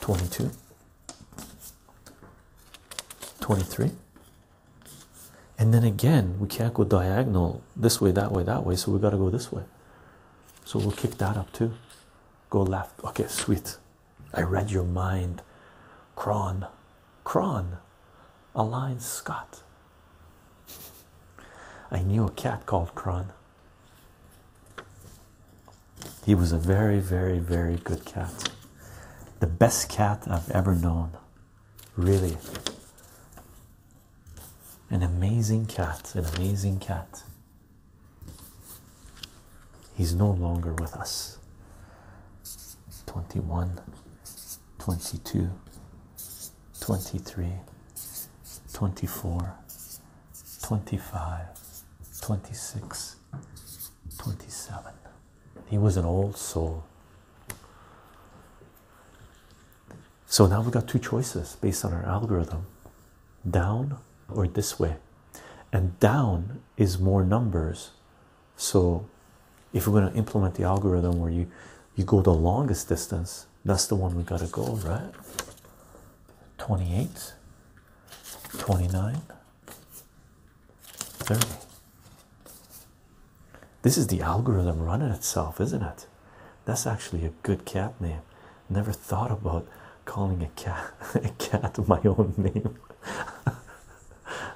22 23 and then again we can't go diagonal this way that way that way so we got to go this way so we'll kick that up too go left okay sweet i read your mind cron cron align scott i knew a cat called cron he was a very, very, very good cat. The best cat I've ever known. Really. An amazing cat. An amazing cat. He's no longer with us. 21, 22, 23, 24, 25, 26, 27. He was an old soul. So now we've got two choices based on our algorithm down or this way. And down is more numbers. So if we're going to implement the algorithm where you, you go the longest distance, that's the one we have got to go, right? 28, 29. There. This is the algorithm running itself, isn't it? That's actually a good cat name. Never thought about calling a cat <laughs> a cat my own name.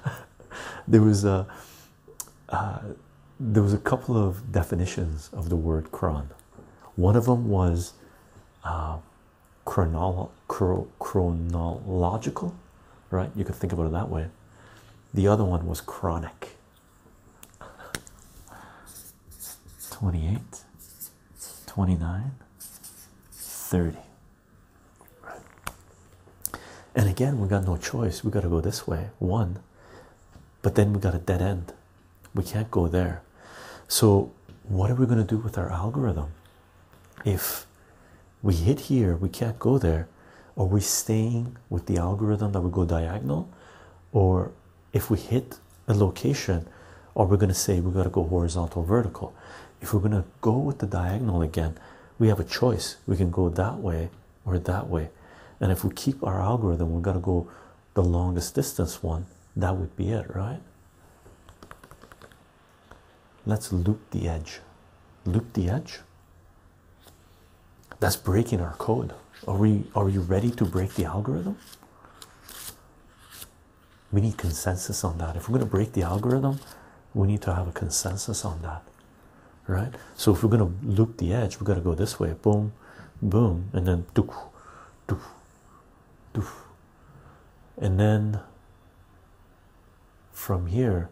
<laughs> there was a uh, there was a couple of definitions of the word cron. One of them was uh, chronolo chronological, right? You can think about it that way. The other one was chronic. 28, 29, 30. Right. And again, we got no choice. We got to go this way, one, but then we got a dead end. We can't go there. So, what are we going to do with our algorithm if we hit here we can't go there are we staying with the algorithm that we go diagonal or if we hit a location or we're going to say we got to go horizontal vertical if we're going to go with the diagonal again we have a choice we can go that way or that way and if we keep our algorithm we're going to go the longest distance one that would be it right Let's loop the edge. Loop the edge. That's breaking our code. Are we are you ready to break the algorithm? We need consensus on that. If we're going to break the algorithm, we need to have a consensus on that. Right? So if we're going to loop the edge, we've got to go this way, boom, boom, and then doo, doo, doo, And then from here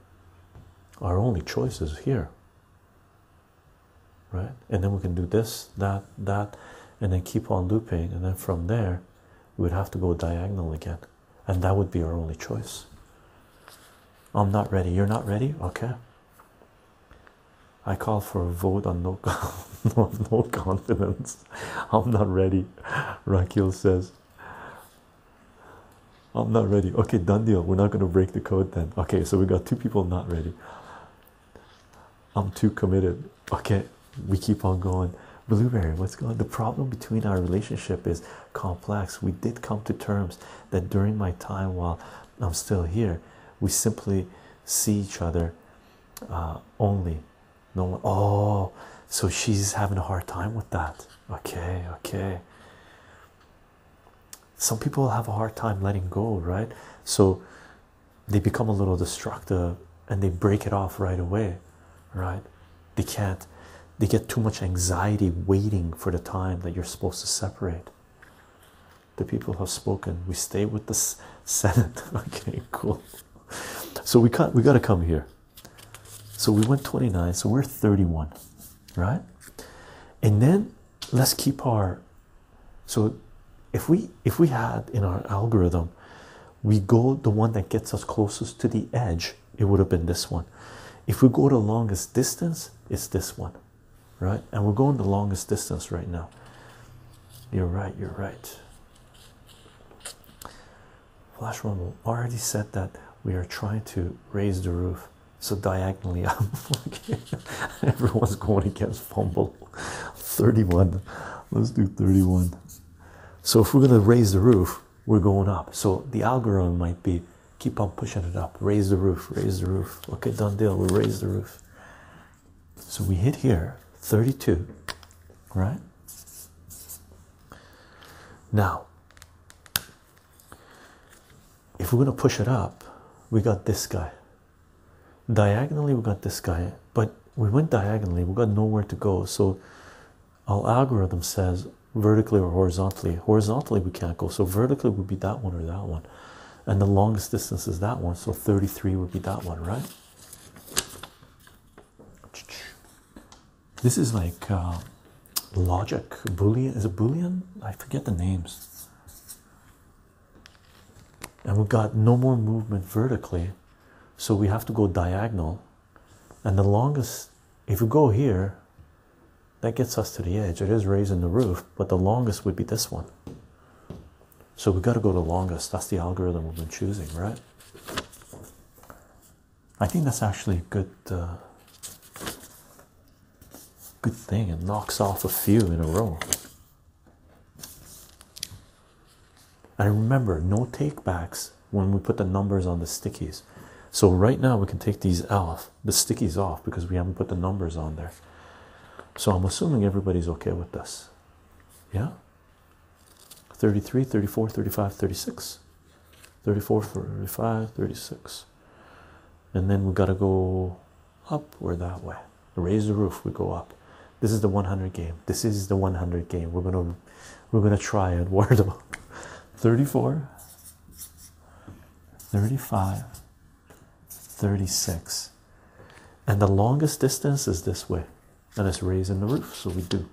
our only choice is here right and then we can do this that that and then keep on looping and then from there we would have to go diagonal again and that would be our only choice i'm not ready you're not ready okay i call for a vote on no, <laughs> no, confidence i'm not ready rakil says I'm not ready. Okay, done deal. We're not going to break the code then. Okay, so we got two people not ready. I'm too committed. Okay, we keep on going. Blueberry, what's going The problem between our relationship is complex. We did come to terms that during my time while I'm still here, we simply see each other uh, only no Oh, so she's having a hard time with that okay okay some people have a hard time letting go right so they become a little destructive and they break it off right away right they can't they get too much anxiety waiting for the time that you're supposed to separate the people have spoken we stay with the <laughs> senate okay cool so we can't we got to come here so we went 29, so we're 31, right? And then let's keep our so if we if we had in our algorithm we go the one that gets us closest to the edge, it would have been this one. If we go the longest distance, it's this one, right? And we're going the longest distance right now. You're right, you're right. Flash Rumble already said that we are trying to raise the roof, so diagonally up. <laughs> Everyone's going against Fumble. 31. Let's do 31. So if we're gonna raise the roof, we're going up. So the algorithm might be keep on pushing it up, raise the roof, raise the roof. Okay, done deal. We raise the roof. So we hit here, 32, right? Now, if we're going to push it up, we got this guy. Diagonally, we got this guy, but we went diagonally, we got nowhere to go. So, our algorithm says vertically or horizontally. Horizontally, we can't go, so vertically would be that one or that one, and the longest distance is that one, so 33 would be that one, right? This is like uh, logic boolean. Is a boolean? I forget the names. And we've got no more movement vertically, so we have to go diagonal. And the longest, if we go here, that gets us to the edge. It is raising the roof, but the longest would be this one. So we have got to go the longest. That's the algorithm we've been choosing, right? I think that's actually a good uh, good thing. It knocks off a few in a row. And remember, no takebacks when we put the numbers on the stickies. So right now we can take these off, the stickies off, because we haven't put the numbers on there. So I'm assuming everybody's okay with this. Yeah? 33, 34, 35, 36. 34, 35, 36. And then we got to go up or that way. Raise the roof, we go up. This is the 100 game. This is the 100 game. We're going to we're going to try Eduardo. <laughs> 34 35 36. And the longest distance is this way. And it's raising the roof, so we do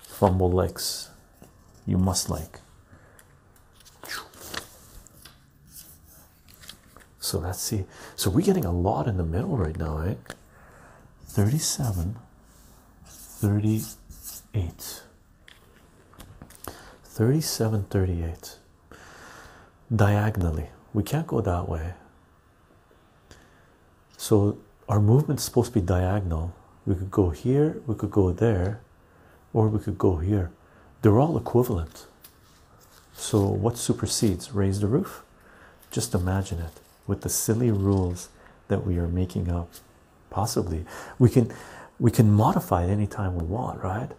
fumble legs you must like. So let's see. So we're getting a lot in the middle right now, right? Eh? 37, 38. 37, 38. Diagonally. We can't go that way. So our movement is supposed to be diagonal. We could go here, we could go there, or we could go here. They're all equivalent. So what supersedes? Raise the roof? Just imagine it with the silly rules that we are making up. Possibly. We can we can modify it anytime we want, right?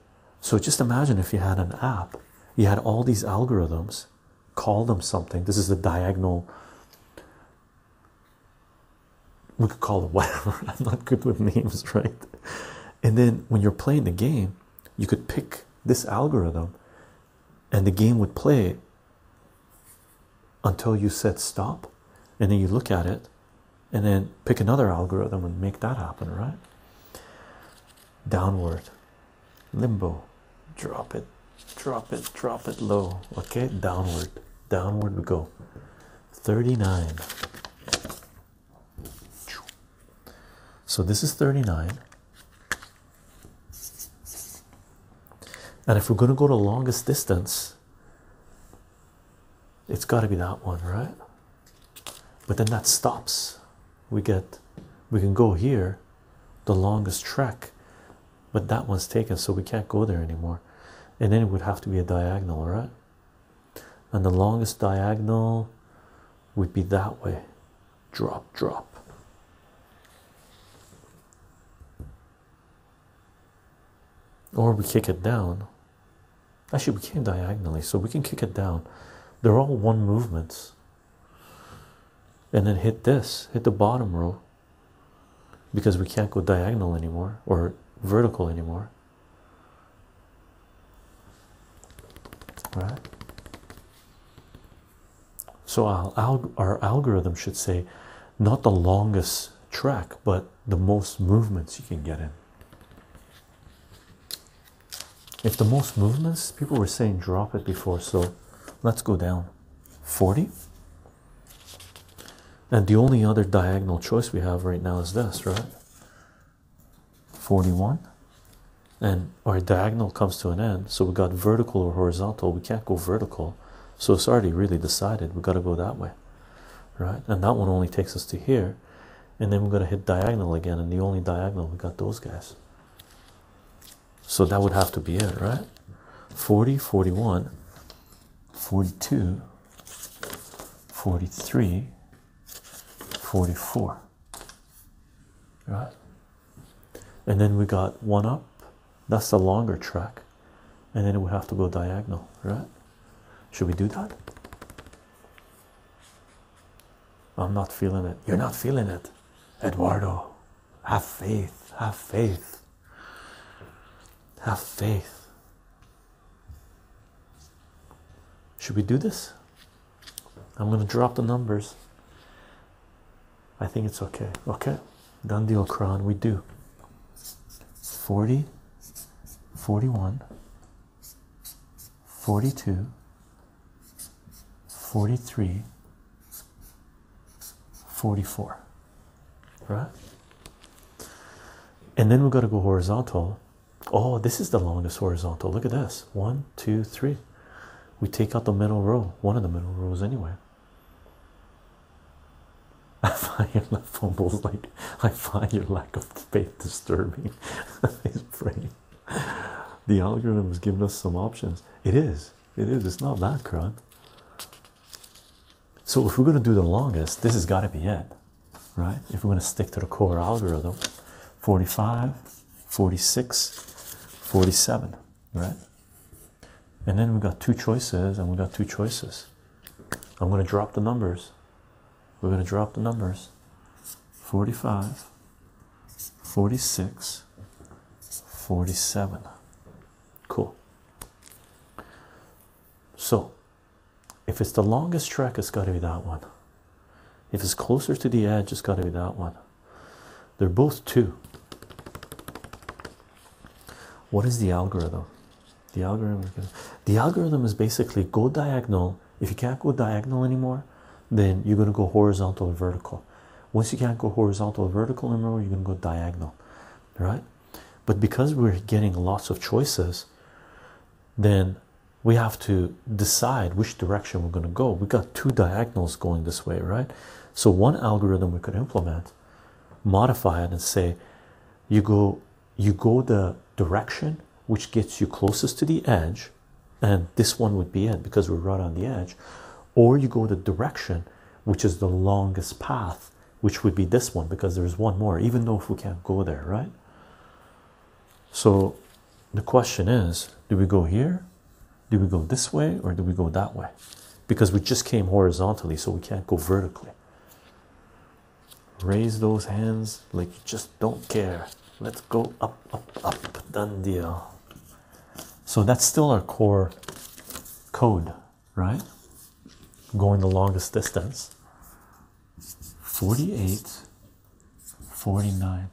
So just imagine if you had an app, you had all these algorithms, call them something. This is the diagonal we could call it <laughs> whatever. I'm not good with names, right? And then when you're playing the game, you could pick this algorithm and the game would play until you said stop. And then you look at it and then pick another algorithm and make that happen, right? Downward, limbo, drop it drop it drop it low okay downward downward we go 39 so this is 39 and if we're going to go to longest distance it's got to be that one right but then that stops we get we can go here the longest trek but that one's taken so we can't go there anymore and then it would have to be a diagonal right and the longest diagonal would be that way drop drop or we kick it down actually we came diagonally so we can kick it down they're all one movements and then hit this hit the bottom row because we can't go diagonal anymore or vertical anymore. right? So our algorithm should say not the longest track, but the most movements you can get in. If the most movements, people were saying drop it before, so let's go down 40. And the only other diagonal choice we have right now is this, right? 41. And our diagonal comes to an end, so we got vertical or horizontal. We can't go vertical, so it's already really decided. We got to go that way, right? And that one only takes us to here, and then we're going to hit diagonal again. And the only diagonal we got those guys, so that would have to be it, right? 40, 41, 42, 43, 44. Right? And then we got one up. That's the longer track. And then we have to go diagonal, right? Should we do that? I'm not feeling it. You're not feeling it. Eduardo, have faith, have faith. Have faith. Should we do this? I'm going to drop the numbers. I think it's okay. Okay. Done deal, Kron. We do. 40, 41, 42, 43, 44 right? And then we've got to go horizontal. Oh, this is the longest horizontal. Look at this. One, two, three. We take out the middle row, one of the middle rows anyway. <laughs> I find your fumbles like I find your lack of faith disturbing. His <laughs> brain. The algorithm has given us some options. It is. It is. It's not that Kron. So if we're going to do the longest, this has got to be it, right? If we're going to stick to the core algorithm, 45, 46, 47, right? And then we have got two choices, and we have got two choices. I'm going to drop the numbers. We're going to drop the numbers. 45, 46, 47. Cool. So, if it's the longest trek, it's got to be that one. If it's closer to the edge, it's got to be that one. They're both two. What is the algorithm? The algorithm, the algorithm is basically go diagonal. If you can't go diagonal anymore, then you're going to go horizontal or vertical. Once you can't go horizontal or vertical anymore, you're going to go diagonal, right? But because we're getting lots of choices, then we have to decide which direction we're going to go. we got two diagonals going this way, right? So, one algorithm we could implement, modify it, and say, you go, you go the direction which gets you closest to the edge, and this one would be it because we're right on the edge, or you go the direction which is the longest path which would be this one because there's one more, even though if we can't go there, right? So the question is do we go here? Do we go this way or do we go that way? Because we just came horizontally, so we can't go vertically. Raise those hands like you just don't care. Let's go up, up, up. Done deal. So that's still our core code right? Going the longest distance. 48, 49.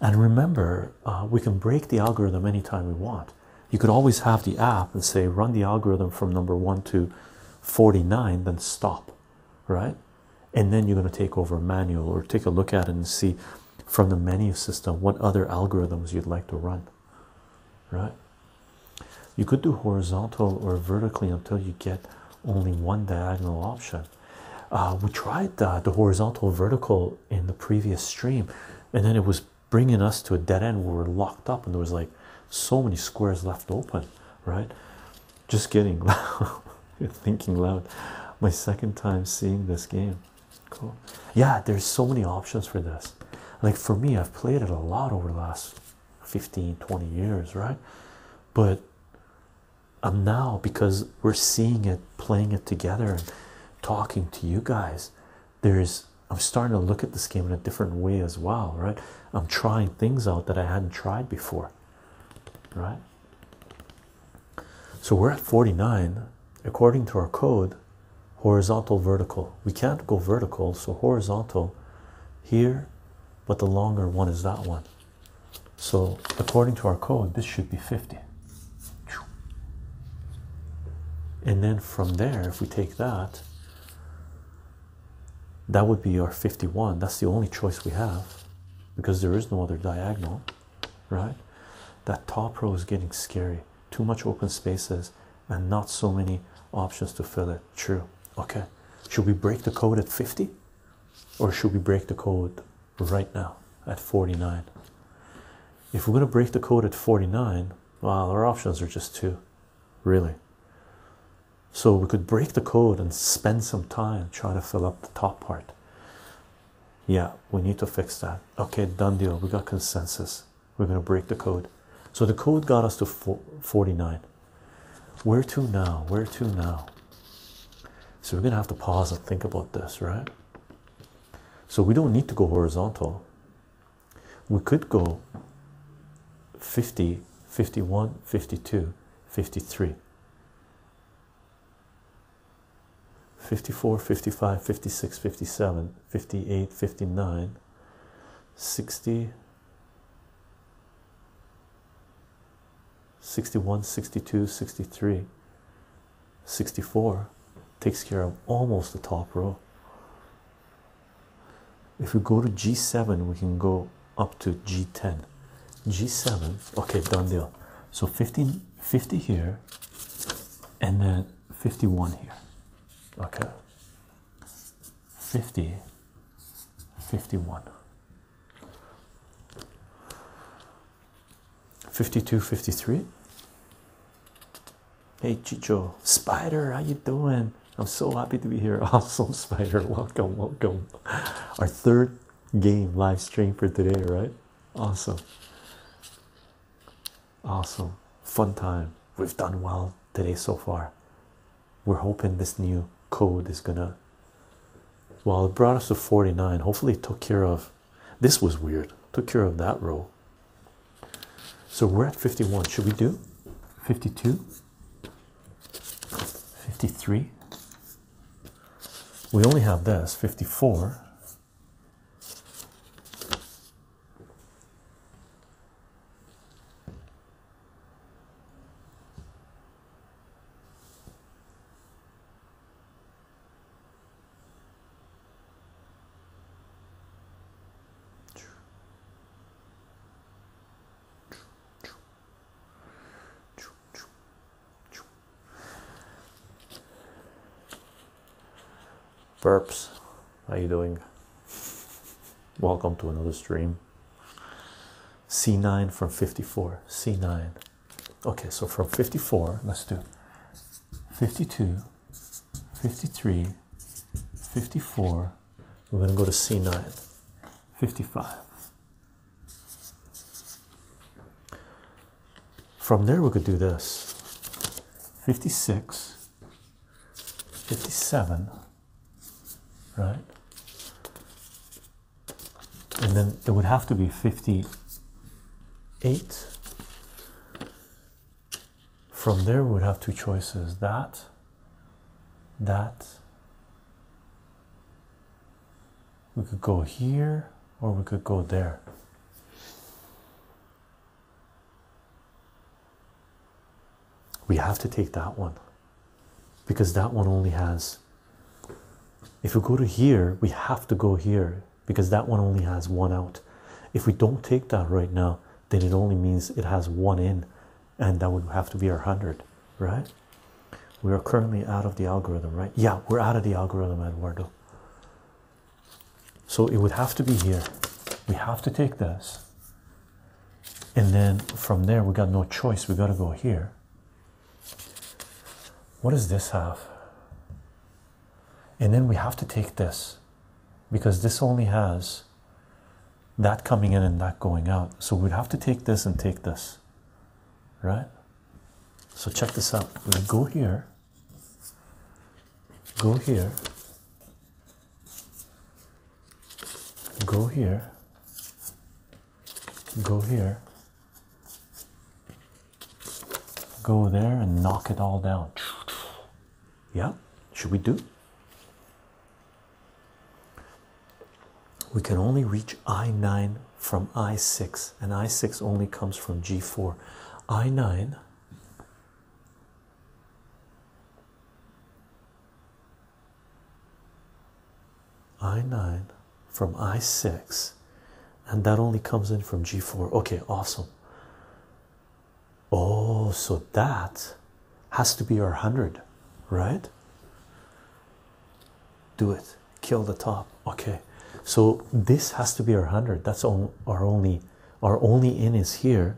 And remember, uh, we can break the algorithm anytime we want. You could always have the app and say, run the algorithm from number 1 to 49, then stop, right? And then you're going to take over manual or take a look at it and see from the menu system what other algorithms you'd like to run right? You could do horizontal or vertically until you get only one diagonal option. Uh, we tried the, uh, the horizontal vertical in the previous stream, and then it was bringing us to a dead end where we we're locked up, and there was like so many squares left open, right? Just getting <laughs> loud, thinking loud. My second time seeing this game, cool. Yeah, there's so many options for this. Like for me, I've played it a lot over the last 15 20 years right but um, now because we're seeing it playing it together and talking to you guys there's i'm starting to look at this game in a different way as well right i'm trying things out that i hadn't tried before right so we're at 49 according to our code horizontal vertical we can't go vertical so horizontal here, but the longer one is that one. So, according to our code, this should be 50. And then from there, if we take that, that would be our 51. That's the only choice we have because there is no other diagonal, right? That top row is getting scary. Too much open spaces and not so many options to fill it true okay should we break the code at 50 or should we break the code right now at 49 if we're going to break the code at 49 well our options are just two really so we could break the code and spend some time trying to fill up the top part yeah we need to fix that okay done deal we got consensus we're going to break the code. So the code got us to 49. Where to now? Where to now? So we're going to have to pause and think about this, right? So we don't need to go horizontal. We could go 50, 51, 52, 53. 54, 55, 56, 57, 58, 59, 60, 61 62 63 64 takes care of almost the top row if we go to g7 we can go up to g10 g7 okay done deal so 50 here and then 51 here okay 50 51 52 53 hey chicho spider how you doing i'm so happy to be here <laughs> awesome spider welcome welcome our third game live stream for today right awesome awesome fun time we've done well today so far we're hoping this new code is gonna well it brought us to 49 hopefully it took care of this was weird took care of that row so we're at 51 should we do 52 53 we only have this 54 burps how you doing? Welcome to another stream. C9 from 54. C9. Okay, so from 54, let's do 52, 53, 54. We're going to go to C9. 55. From there, we could do this 56, 57 right? And then it would have to be 58. From there, we would have two choices that, that. We could go here or we could go there. We have to take that one because that one only has. If we go to here, we have to go here because that one only has one out. If we don't take that right now, then it only means it has one in, and that would have to be our 100, right? We are currently out of the algorithm, right? Yeah, we're out of the algorithm, Eduardo. So it would have to be here. We have to take this and then from there we got no choice we got to go here what does this have and then we have to take this because this only has that coming in and that going out so we'd have to take this and take this right so check this out we go here go here go here, go here, go there, and knock it all down. Yeah, should we do? We can only reach I9 from I6, and I6 only comes from G4. I9 I9 from I6, and that only comes in from G4. Okay, awesome. Oh, so that has to be our 100, right? Do it, kill the top. Okay, so this has to be our 100. That's our only, our only in is here,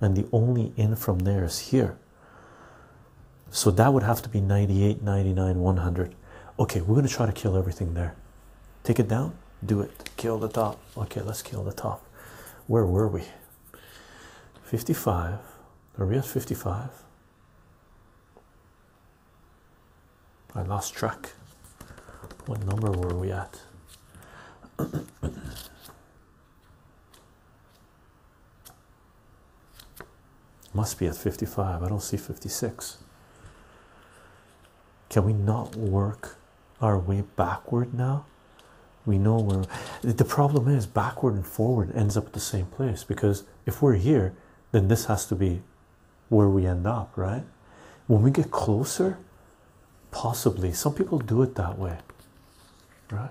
and the only in from there is here. So that would have to be 98, 99, 100. Okay, we're going to try to kill everything there. Take it down, do it. Kill the top. Okay, let's kill the top. Where were we? 55. Are we at 55? I lost track. What number were we at? <clears throat> <clears throat> Must be at 55. I don't see 56. Can we not work our way backward now? We know where the problem is backward and forward ends up at the same place because if we're here, then this has to be where we end up, right? When we get closer, possibly some people do it that way, right?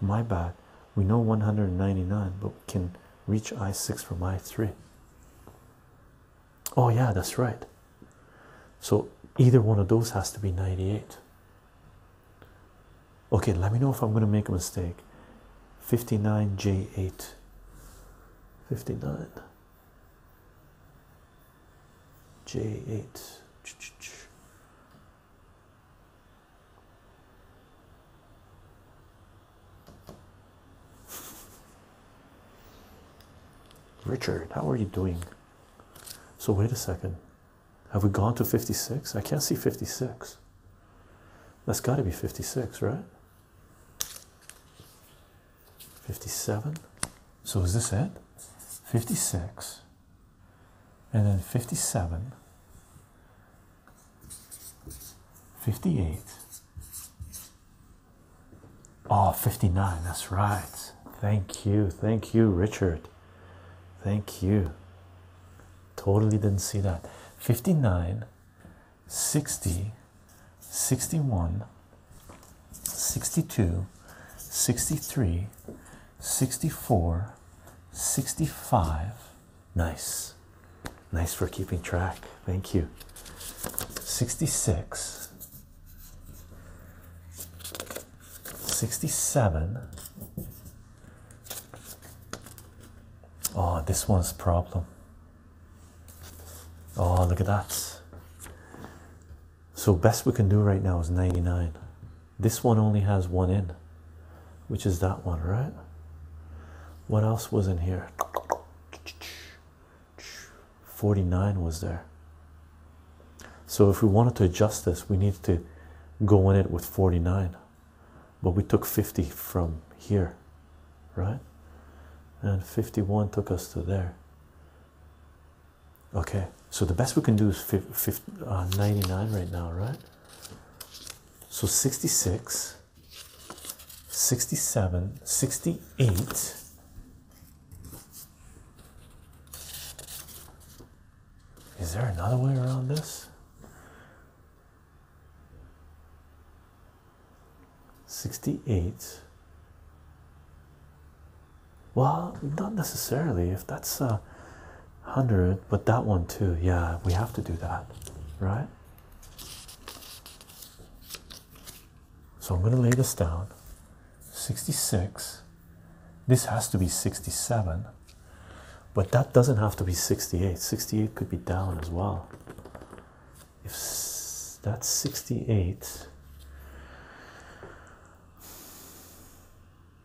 My bad. We know 199, but we can reach I6 from I3. Oh, yeah, that's right. So either one of those has to be 98. Okay, let me know if I'm going to make a mistake. 59J8. 59. J8. Richard, how are you doing? So, wait a second. Have we gone to 56? I can't see 56. That's got to be 56, right? 57. So, is this it? 56 and then 57, 58, oh, 59. That's right. Thank you. Thank you, Richard. Thank you. Totally didn't see that. 59, 60, 61, 62, 63, 64, 65. Nice. Nice for keeping track. Thank you. 66, 67. Oh, this one's a problem. Oh, look at that. So best we can do right now is 99. This one only has one in, which is that one, right? What else was in here? 49 was there. So if we wanted to adjust this, we needed to go in it with 49. But we took 50 from here, right? And 51 took us to there. Okay, so the best we can do is 50, uh, right now, right? So 66, 67, 68. Is there another way around this? 68 well, not necessarily if that's a hundred, but that one too. Yeah, we have to do that, right? So I'm going to lay this down 66. This has to be 67, but that doesn't have to be 68. 68 could be down as well. If that's 68,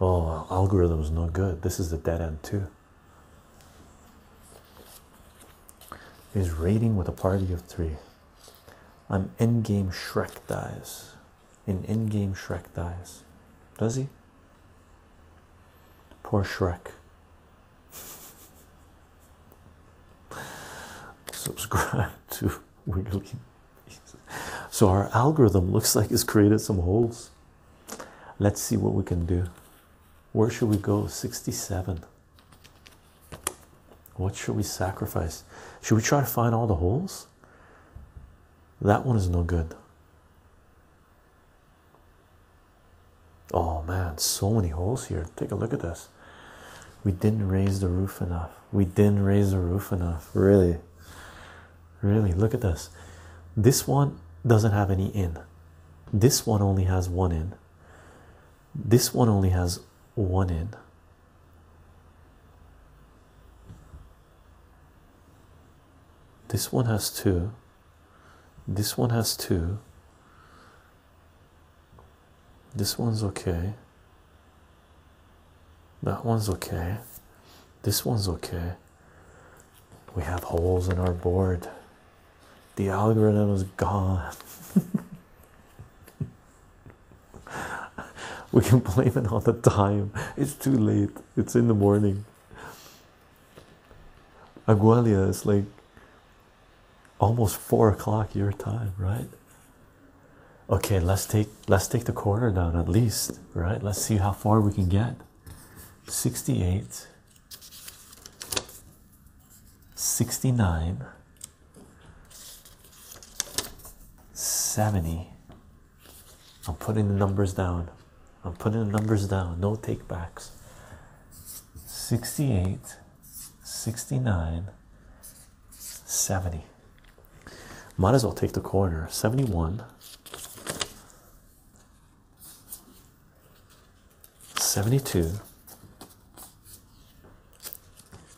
Oh, algorithm is no good. This is the dead end too. Is raiding with a party of three. I'm in-game Shrek dies. In in-game Shrek dies. Does he? Poor Shrek. <laughs> Subscribe <laughs> to Wiggly. So our algorithm looks like it's created some holes. Let's see what we can do. Where should we go? 67. What should we sacrifice? Should we try to find all the holes? That one is no good. Oh man, so many holes here. Take a look at this. We didn't raise the roof enough. We didn't raise the roof enough. Really? really look at this this one doesn't have any in this one only has one in this one only has one in this one has two this one has two this one's okay that one's okay this one's okay we have holes in our board. The algorithm is gone. <laughs> we can blame it on the time. It's too late. It's in the morning. Agualia is like almost four o'clock your time, right? Okay, let's take let's take the corner down at least, right? Let's see how far we can get. 68 69 70 I'm putting the numbers down I'm putting the numbers down no takebacks. backs 68 69 70 might as well take the corner 71 72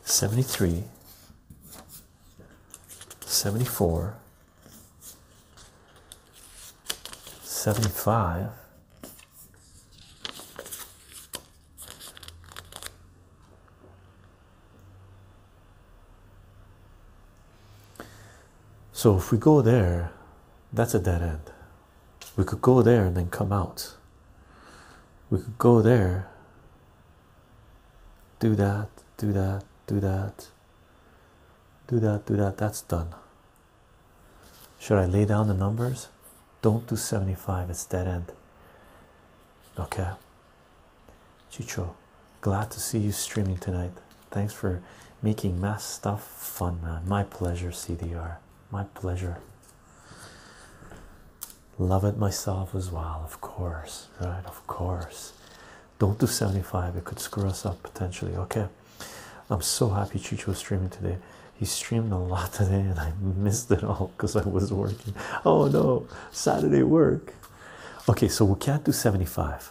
73 74 75 so if we go there that's a dead end we could go there and then come out we could go there do that do that do that do that do that that's done should i lay down the numbers don't do 75 it's dead end okay chicho Glad to see you streaming tonight. Thanks for making math stuff fun, man. My pleasure, CDR. My pleasure. Love it myself as well, of course. Right, of course. Don't do 75, it could screw us up potentially. Okay, I'm so happy Chicho was streaming today. He streamed a lot today and I <laughs> missed it all because I was working. Oh no, Saturday work. Okay, so we can't do 75.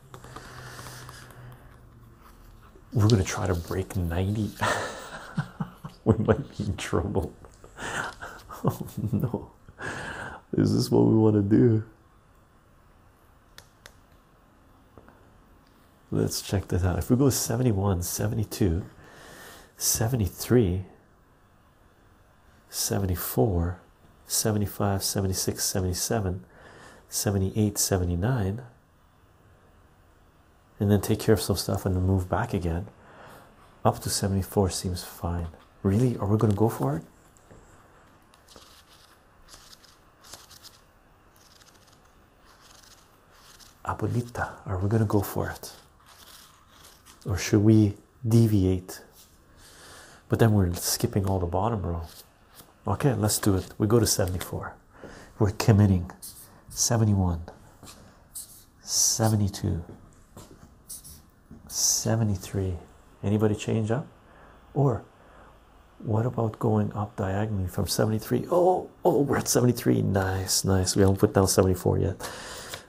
We're gonna try to break 90. <laughs> we might be in trouble. <laughs> oh no. Is this what we want to do? Let's check that out. If we go 71, 72, 73, 74, 75, 76, 77, 78, 79 and then take care of some stuff and then move back again. Up to 74 seems fine. Really? Are we going to go for it? Abuelita, are we going to go for it? Or should we deviate? But then we're skipping all the bottom row. Okay, let's do it. We go to 74. We're committing 71, 72, 73. Anybody change up? Or what about going up diagonally from 73? Oh, oh, we're at 73. Nice, nice. We haven't put down 74 yet.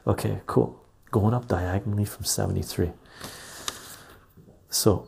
Okay, cool. Going up diagonally from 73. So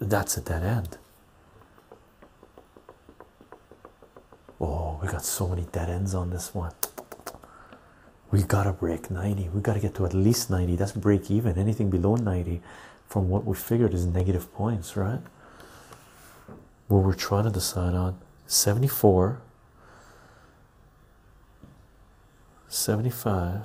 that's a dead end. Oh, we got so many dead ends on this one. We gotta break 90. We gotta get to at least 90. That's break even. Anything below 90 from what we figured is negative points, right? What we're trying to decide on 74, 75,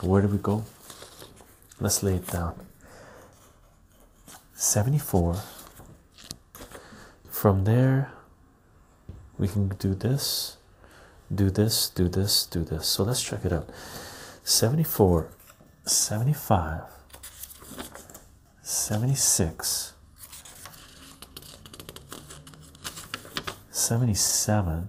Where do we go? Let's lay it down. 74. From there, we can do this, do this, do this, do this. So let's check it out. 74, 75, 76, 77,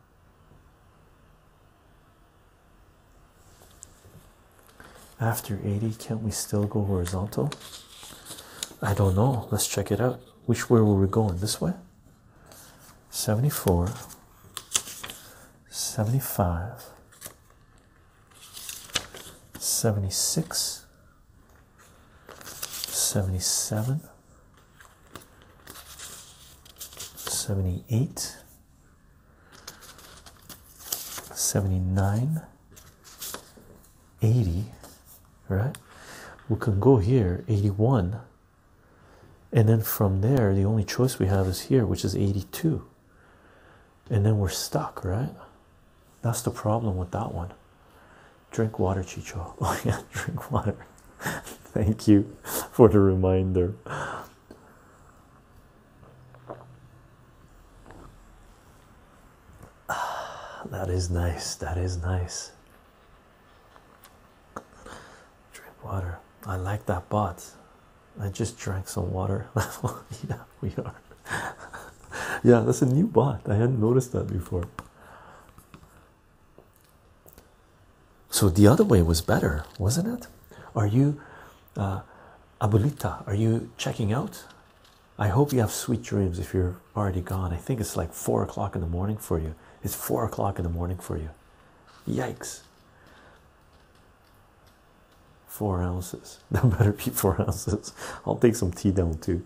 After 80, can't we still go horizontal? I don't know. Let's check it out. Which way were we going? This way? 74, 75, 76, 77, 78 79 80 right we can go here 81 and then from there the only choice we have is here which is 82 and then we're stuck right that's the problem with that one Drink water, Chicho. <laughs> Oh, yeah, drink water. <laughs> Thank you for the reminder. <sighs> That is nice. That is nice. Drink water. I like that bot. I just drank some water. <laughs> yeah, we are. yeah, that's a new bot. I hadn't noticed that before. So the other way was better, wasn't it? Are you, uh, Abulita? are you checking out? I hope you have sweet dreams if you're already gone. I think it's like four o'clock in the morning for you. It's four o'clock in the morning for you. Yikes. Four ounces. <laughs> That better be four ounces. I'll take some tea down too.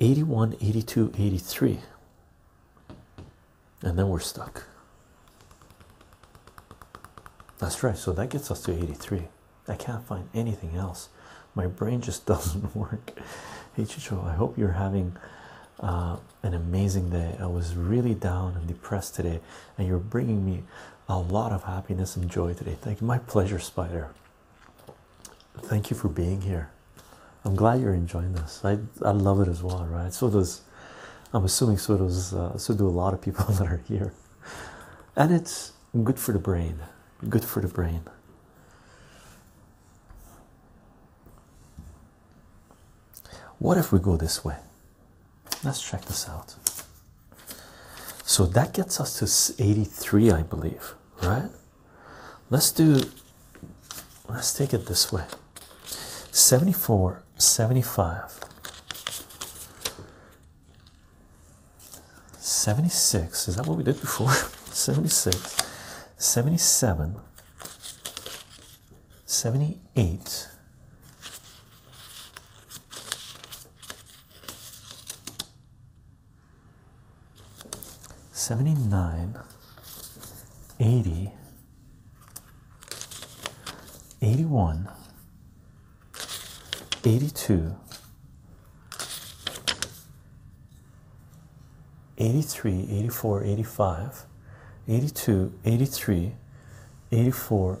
81, 82, 83, and then we're stuck. That's right, so that gets us to 83. I can't find anything else, my brain just <laughs> doesn't work. Hey, Chicho, I hope you're having uh, an amazing day. I was really down and depressed today, and you're bringing me a lot of happiness and joy today. Thank you, my pleasure, Spider. Thank you for being here. I'm glad you're enjoying this. I I love it as well, right? So does I'm assuming so does uh, so do a lot of people <laughs> that are here, and it's good for the brain. Good for the brain. What if we go this way? Let's check this out. So that gets us to 83, I believe, right? Let's do let's take it this way 74, 75, 76. Is that what we did before? <laughs> 76, 77, 78. 79 80 81 82 83 84 85 82 83 84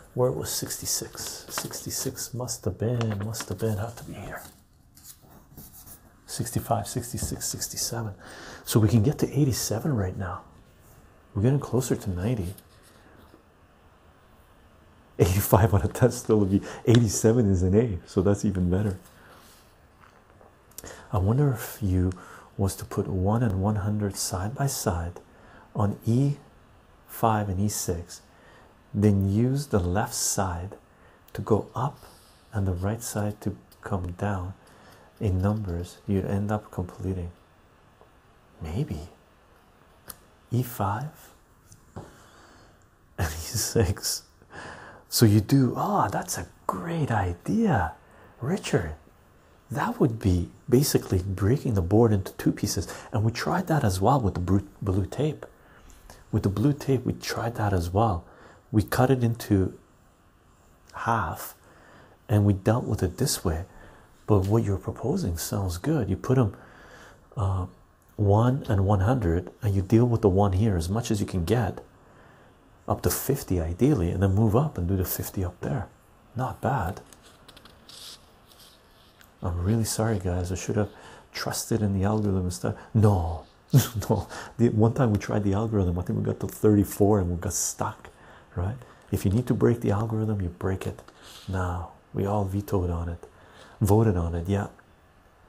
where it was 66 66 must have been must have been have to be here 65 66 67 so we can get to 87 right now we're getting closer to 90 85 on a still would be 87 is an A so that's even better I wonder if you was to put 1 and 100 side by side on E 5 and e6 then use the left side to go up and the right side to come down in numbers you end up completing maybe e5 <laughs> and e6 so you do ah that's a great idea richard that would be basically breaking the board into two pieces and we tried that as well with the blue tape with the blue tape we tried that as well we cut it into half and we dealt with it this way but what you're proposing sounds good you put them uh, 1 and 100 and you deal with the 1 here as much as you can get up to 50 ideally and then move up and do the 50 up there not bad. I'm really sorry, guys. I should have trusted in the algorithm and stuff. No, <laughs> no. The one time we tried the algorithm, I think we got to 34 and we got stuck, right? If you need to break the algorithm, you break it. Now we all vetoed on it, voted on it. Yeah,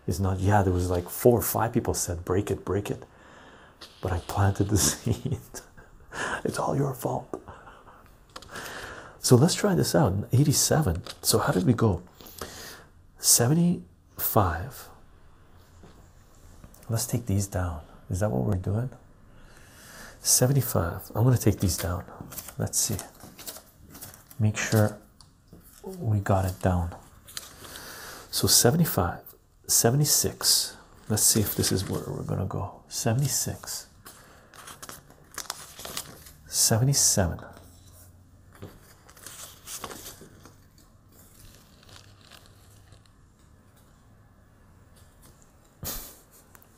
it's not. Yeah, there was like four or five people said break it, break it, but I planted the <laughs> seed. it's all your fault. So let's try this out. 87. So how did we go? 75. Let's take these down. Is that what we're doing? 75. I'm going to take these down. Let's see. Make sure we got it down. So 75, 76. Let's see if this is where we're going to go. 76, 77.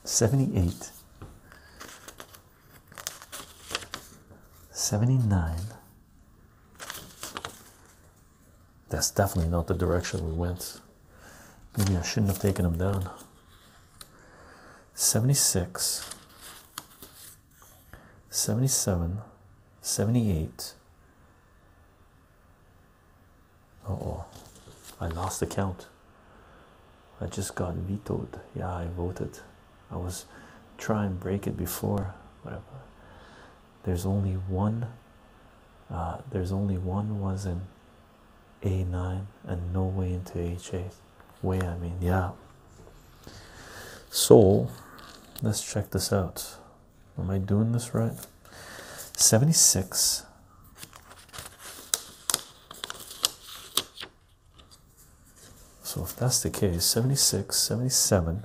Seventy eight, seventy nine. That's definitely not the direction we went. Maybe I shouldn't have taken him down. 76 77 78 oh i lost the count i just got vetoed yeah i voted i was trying to break it before whatever there's only one uh, there's only one was in a9 and no way into h8 way i mean yeah so let's check this out am i doing this right 76 so if that's the case 76 77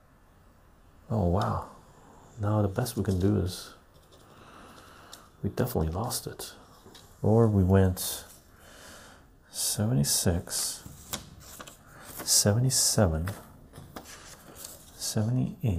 Oh wow. Now the best we can do is we definitely lost it. Or we went 76, 77, 78.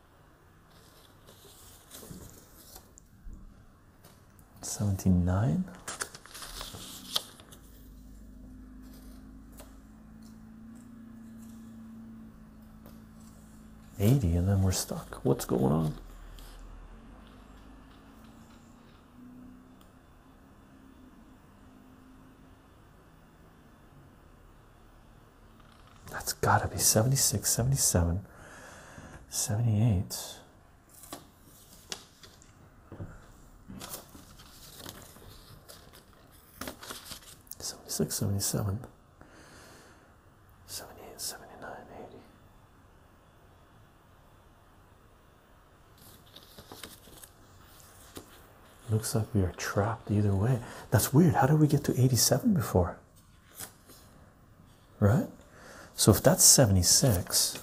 79 80 and then we're stuck what's going on that's gotta be 76, 77, 78. Seventy-six, seventy-seven, seventy-eight, seventy-nine, eighty. Looks like we are trapped either way. That's weird. How did we get to 87 before? right? So if that's 76,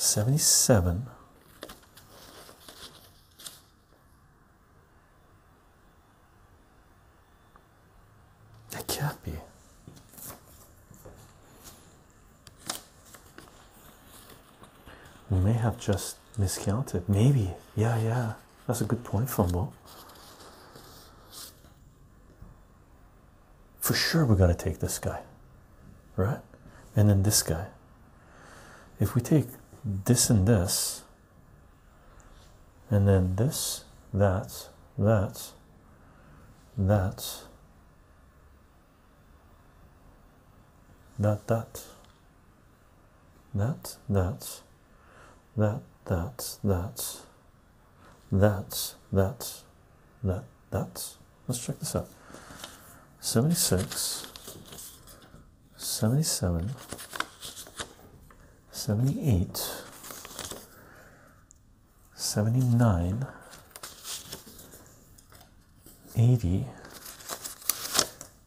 Seventy-seven It can't be. We may have just miscounted. Maybe. Yeah, yeah. That's a good point, Fumble. For sure, we're going to take this guy, right? And then this guy. If we take this and this, and then this, that, that, that, that, that, that, that, that, that, that, that, that, that, that. Let's check this out. 76, 77, 78, 79, 80,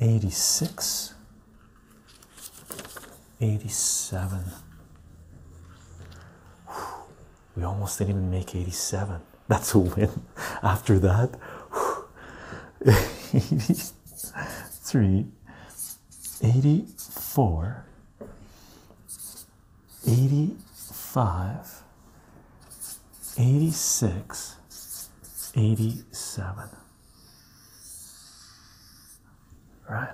86 87 we almost didn't even make 87 <laughs> that's a win after that <laughs> 83 84 85 86 87 right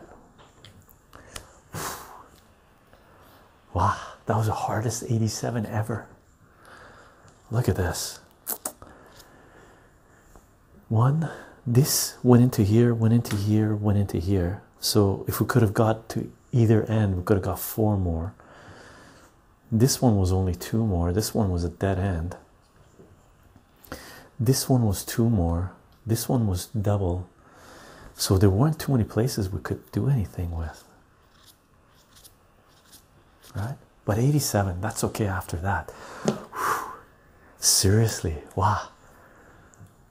wow that was the hardest 87 ever look at this one this went into here went into here went into here so if we could have got to either end we could have got four more this one was only two more. This one was a dead end. This one was two more. This one was double. So there weren't too many places we could do anything with. Right? But 87, that's okay after that. Seriously, wow.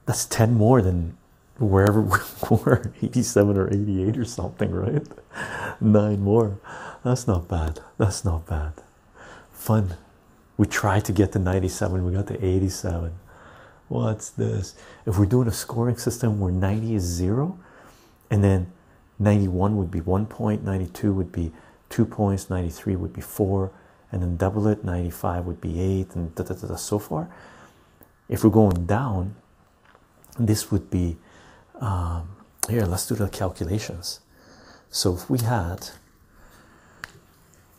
That's 10 more than wherever <laughs> we were 87 or 88 or something, right? <laughs> Nine more. That's not bad. That's not bad. Fun. We tried to get to 97, we got to 87. What's this? If we're doing a scoring system where 90 is zero, and then 91 would be one point, 92 would be two points, 93 would be four, and then double it, 95 would be eight, and da, da, da, da, so far. If we're going down, this would be um, here let's do the calculations so if we had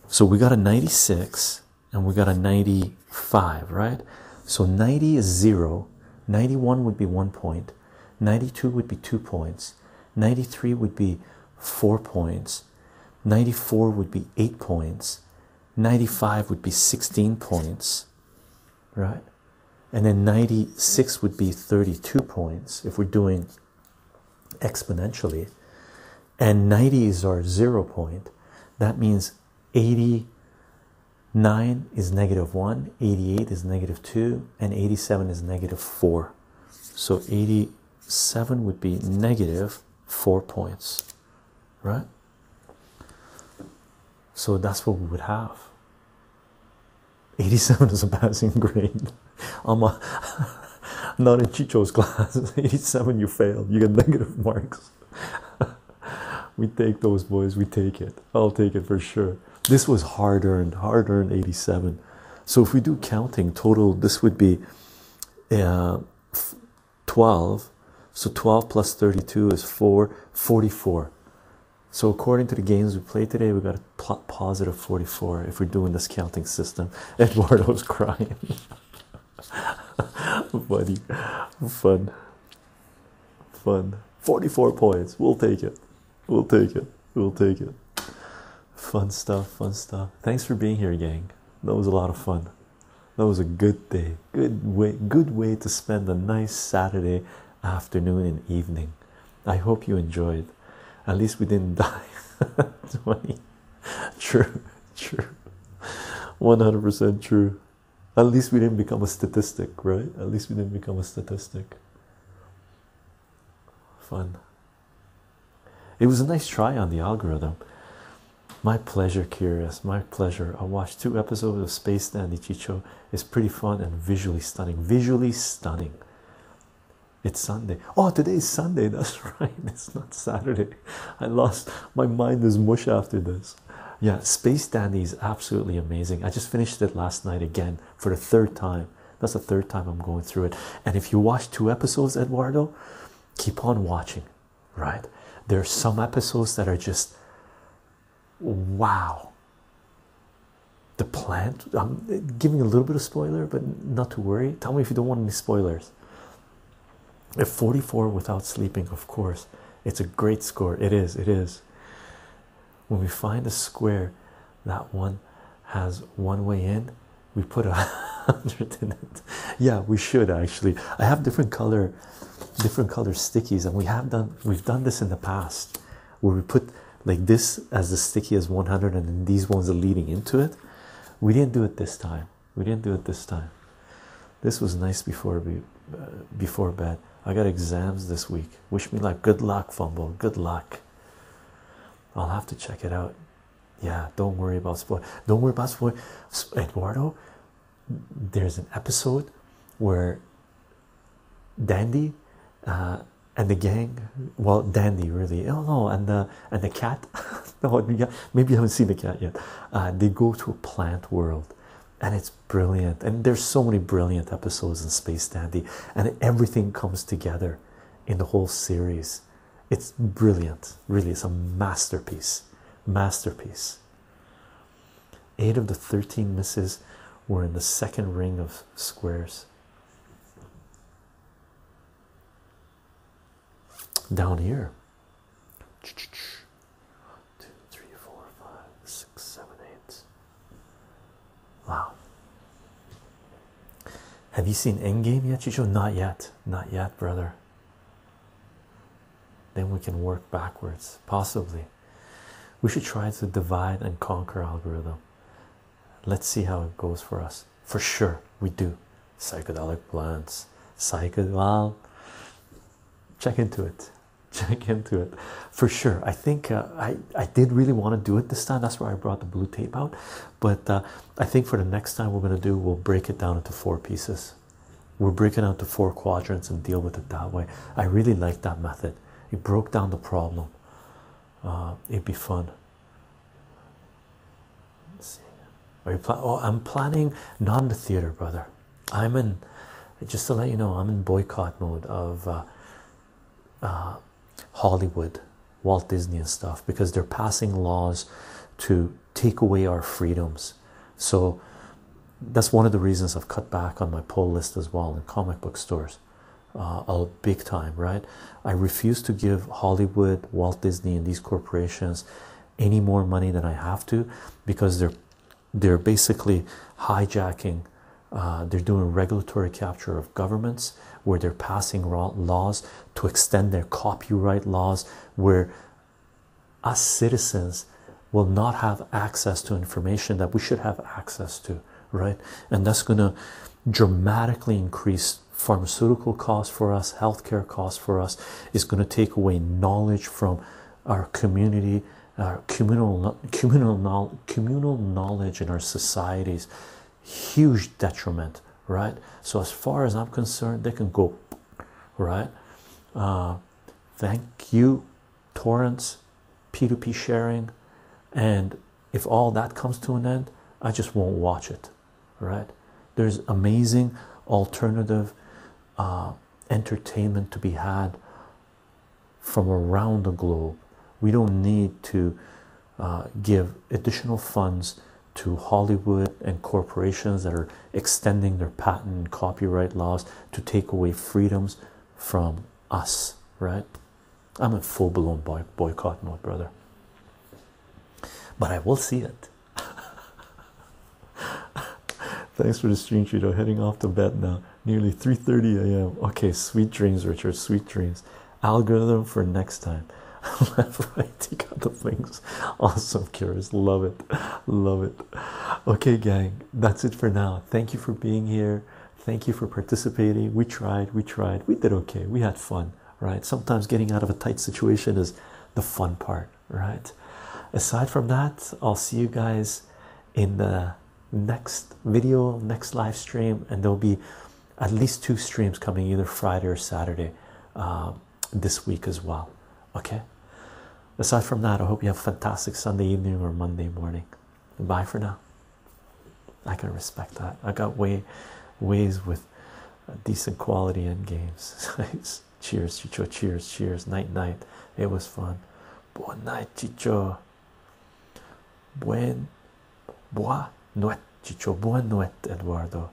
so we got a 96 and we got a 95 right so 90 is 0 91 would be 1 point 92 would be 2 points 93 would be 4 points 94 would be 8 points 95 would be 16 points right and then 96 would be 32 points if we're doing exponentially and 90s are zero point that means 89 is negative 1 88 is negative 2 and 87 is negative 4 so 87 would be negative 4 points right so that's what we would have 87 <laughs> is a passing grade. I'm, <laughs> not in Chicho's class. 87, <laughs> you fail. You get negative marks. we take those boys. We take it. I'll take it for sure. This was hard earned. Hard earned 87. So if we do counting total, this would be uh, 12. So 12 plus 32 is 4. 44. So according to the games we played today, we got a 44 if we're doing this counting system. <laughs> Eduardo's crying. Funny. <laughs> Fun. Fun. 44 points. We'll take it. We'll take it. We'll take it. Fun stuff. Fun stuff. Thanks for being here, gang. That was a lot of fun. That was a good day. Good way good way to spend a nice Saturday afternoon and evening. I hope you enjoyed. At least we didn't <laughs> die. 20. True, true. 100% true. At least we didn't become a statistic, right? At least we didn't become a statistic. Fun. It was a nice try on the algorithm. My pleasure, Curious. My pleasure. I watched two episodes of Space Dandy Chicho it's pretty fun and visually stunning. Visually stunning. It's Sunday. Oh, today is Sunday. <laughs> That's right. It's not Saturday. I lost my mind is mush after this. Yeah, Space Dandy is absolutely amazing. I just finished it last night again for the third time. That's the third time I'm going through it. And if you watch two episodes, Eduardo, keep on watching, right? There are some episodes that are just Wow. The plant. I'm giving a little bit of spoiler, but not to worry. Tell me if you don't want any spoilers. At 44 without sleeping, of course. It's a great score. It is, it is. When we find a square that one has one way in, we put a <laughs> hundred in it. Yeah, we should actually. I have different color different color stickies, and we have done we've done this in the past where we put like this as the sticky as 100 and then these ones are leading into it we didn't do it this time we didn't do it this time this was nice before uh, before bed i got exams this week wish me luck good luck fumble good luck i'll have to check it out yeah don't worry about sport. don't worry about sport, eduardo there's an episode where Dandy uh, and the gang. Well, Dandy really. Oh no, and the and the cat. <laughs> no, maybe you haven't seen the cat yet. Uh, they go to a plant world, and it's brilliant. And there's so many brilliant episodes in Space Dandy, and everything comes together in the whole series. It's brilliant, really. It's a masterpiece. Masterpiece. Eight of the 13 misses were in the second ring of squares. Down here. Two, three, four, five, six, seven, eight. Wow. Have you seen Endgame yet, Chicho? Not yet. Not yet, brother. Then we can work backwards, possibly. We should try to divide and conquer algorithm. Let's see how it goes for us. For sure, we do. Psychedelic plants, Psychedelic. Check into it. <laughs> Check into it. For sure. I think uh, I, I did really want to do it this time. That's why I brought the blue tape out. But uh, I think for the next time we're going to do, we'll break it down into four pieces. we are breaking out to four quadrants and deal with it that way. I really like that method it broke down the problem uh, it'd be fun Are you pl oh, I'm planning not the theater, brother. I'm in, just to let you know, I'm in boycott mode of uh, uh, Hollywood, Walt Disney, and stuff because they're passing laws to take away our freedoms. So that's one of the reasons I've cut back on my poll list as well in comic book stores. Uh, a big time right i refuse to give hollywood walt disney and these corporations any more money than i have to because they're they're basically hijacking uh, they're doing regulatory capture of governments where they're passing laws to extend their copyright laws where us citizens will not have access to information that we should have access to, right? And that's going to dramatically increase pharmaceutical costs for us, healthcare costs for us, is going to take away knowledge from our community, our communal, communal, communal knowledge in our societies. Huge detriment, right? So, as far as I'm concerned, they can go, right? Uh, thank you torrents, P2P sharing, and if all that comes to an end, I just won't watch it. Right? There's amazing alternative uh, entertainment to be had from around the globe. We don't need to uh, give additional funds to Hollywood and corporations that are extending their patent and copyright laws to take away freedoms from us, right? I'm a full blown boy boycott my brother. But I will see it. <laughs> Thanks for the stream, Cheeto. Heading off to bed now. Nearly 3:30 a.m. Okay, sweet dreams, Richard. Sweet dreams. Algorithm for next time. <laughs> Left, right, take out the things. Awesome, curious. Love it. <laughs> Love it. Okay, gang. That's it for now. Thank you for being here. Thank you for participating. We tried, we tried, we did okay, we had fun, right? Sometimes getting out of a tight situation is the fun part, right? Aside from that, I'll see you guys in the next video, next live stream, and there'll be at least two streams coming either Friday or Saturday um, this week as well. Okay, aside from that, I hope you have a fantastic Sunday evening or Monday morning. Bye for now. I can respect that. I got way ways with decent quality end games. <laughs> cheers, Chicho. Cheers, cheers. Night, night. It was fun. Buen night, Chicho. Buen, buon nuit, Chicho. Buon nuit, Eduardo.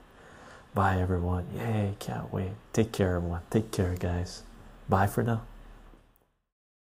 Bye, everyone. Yay, can't wait. Take care, everyone. Take care, guys. Bye for now.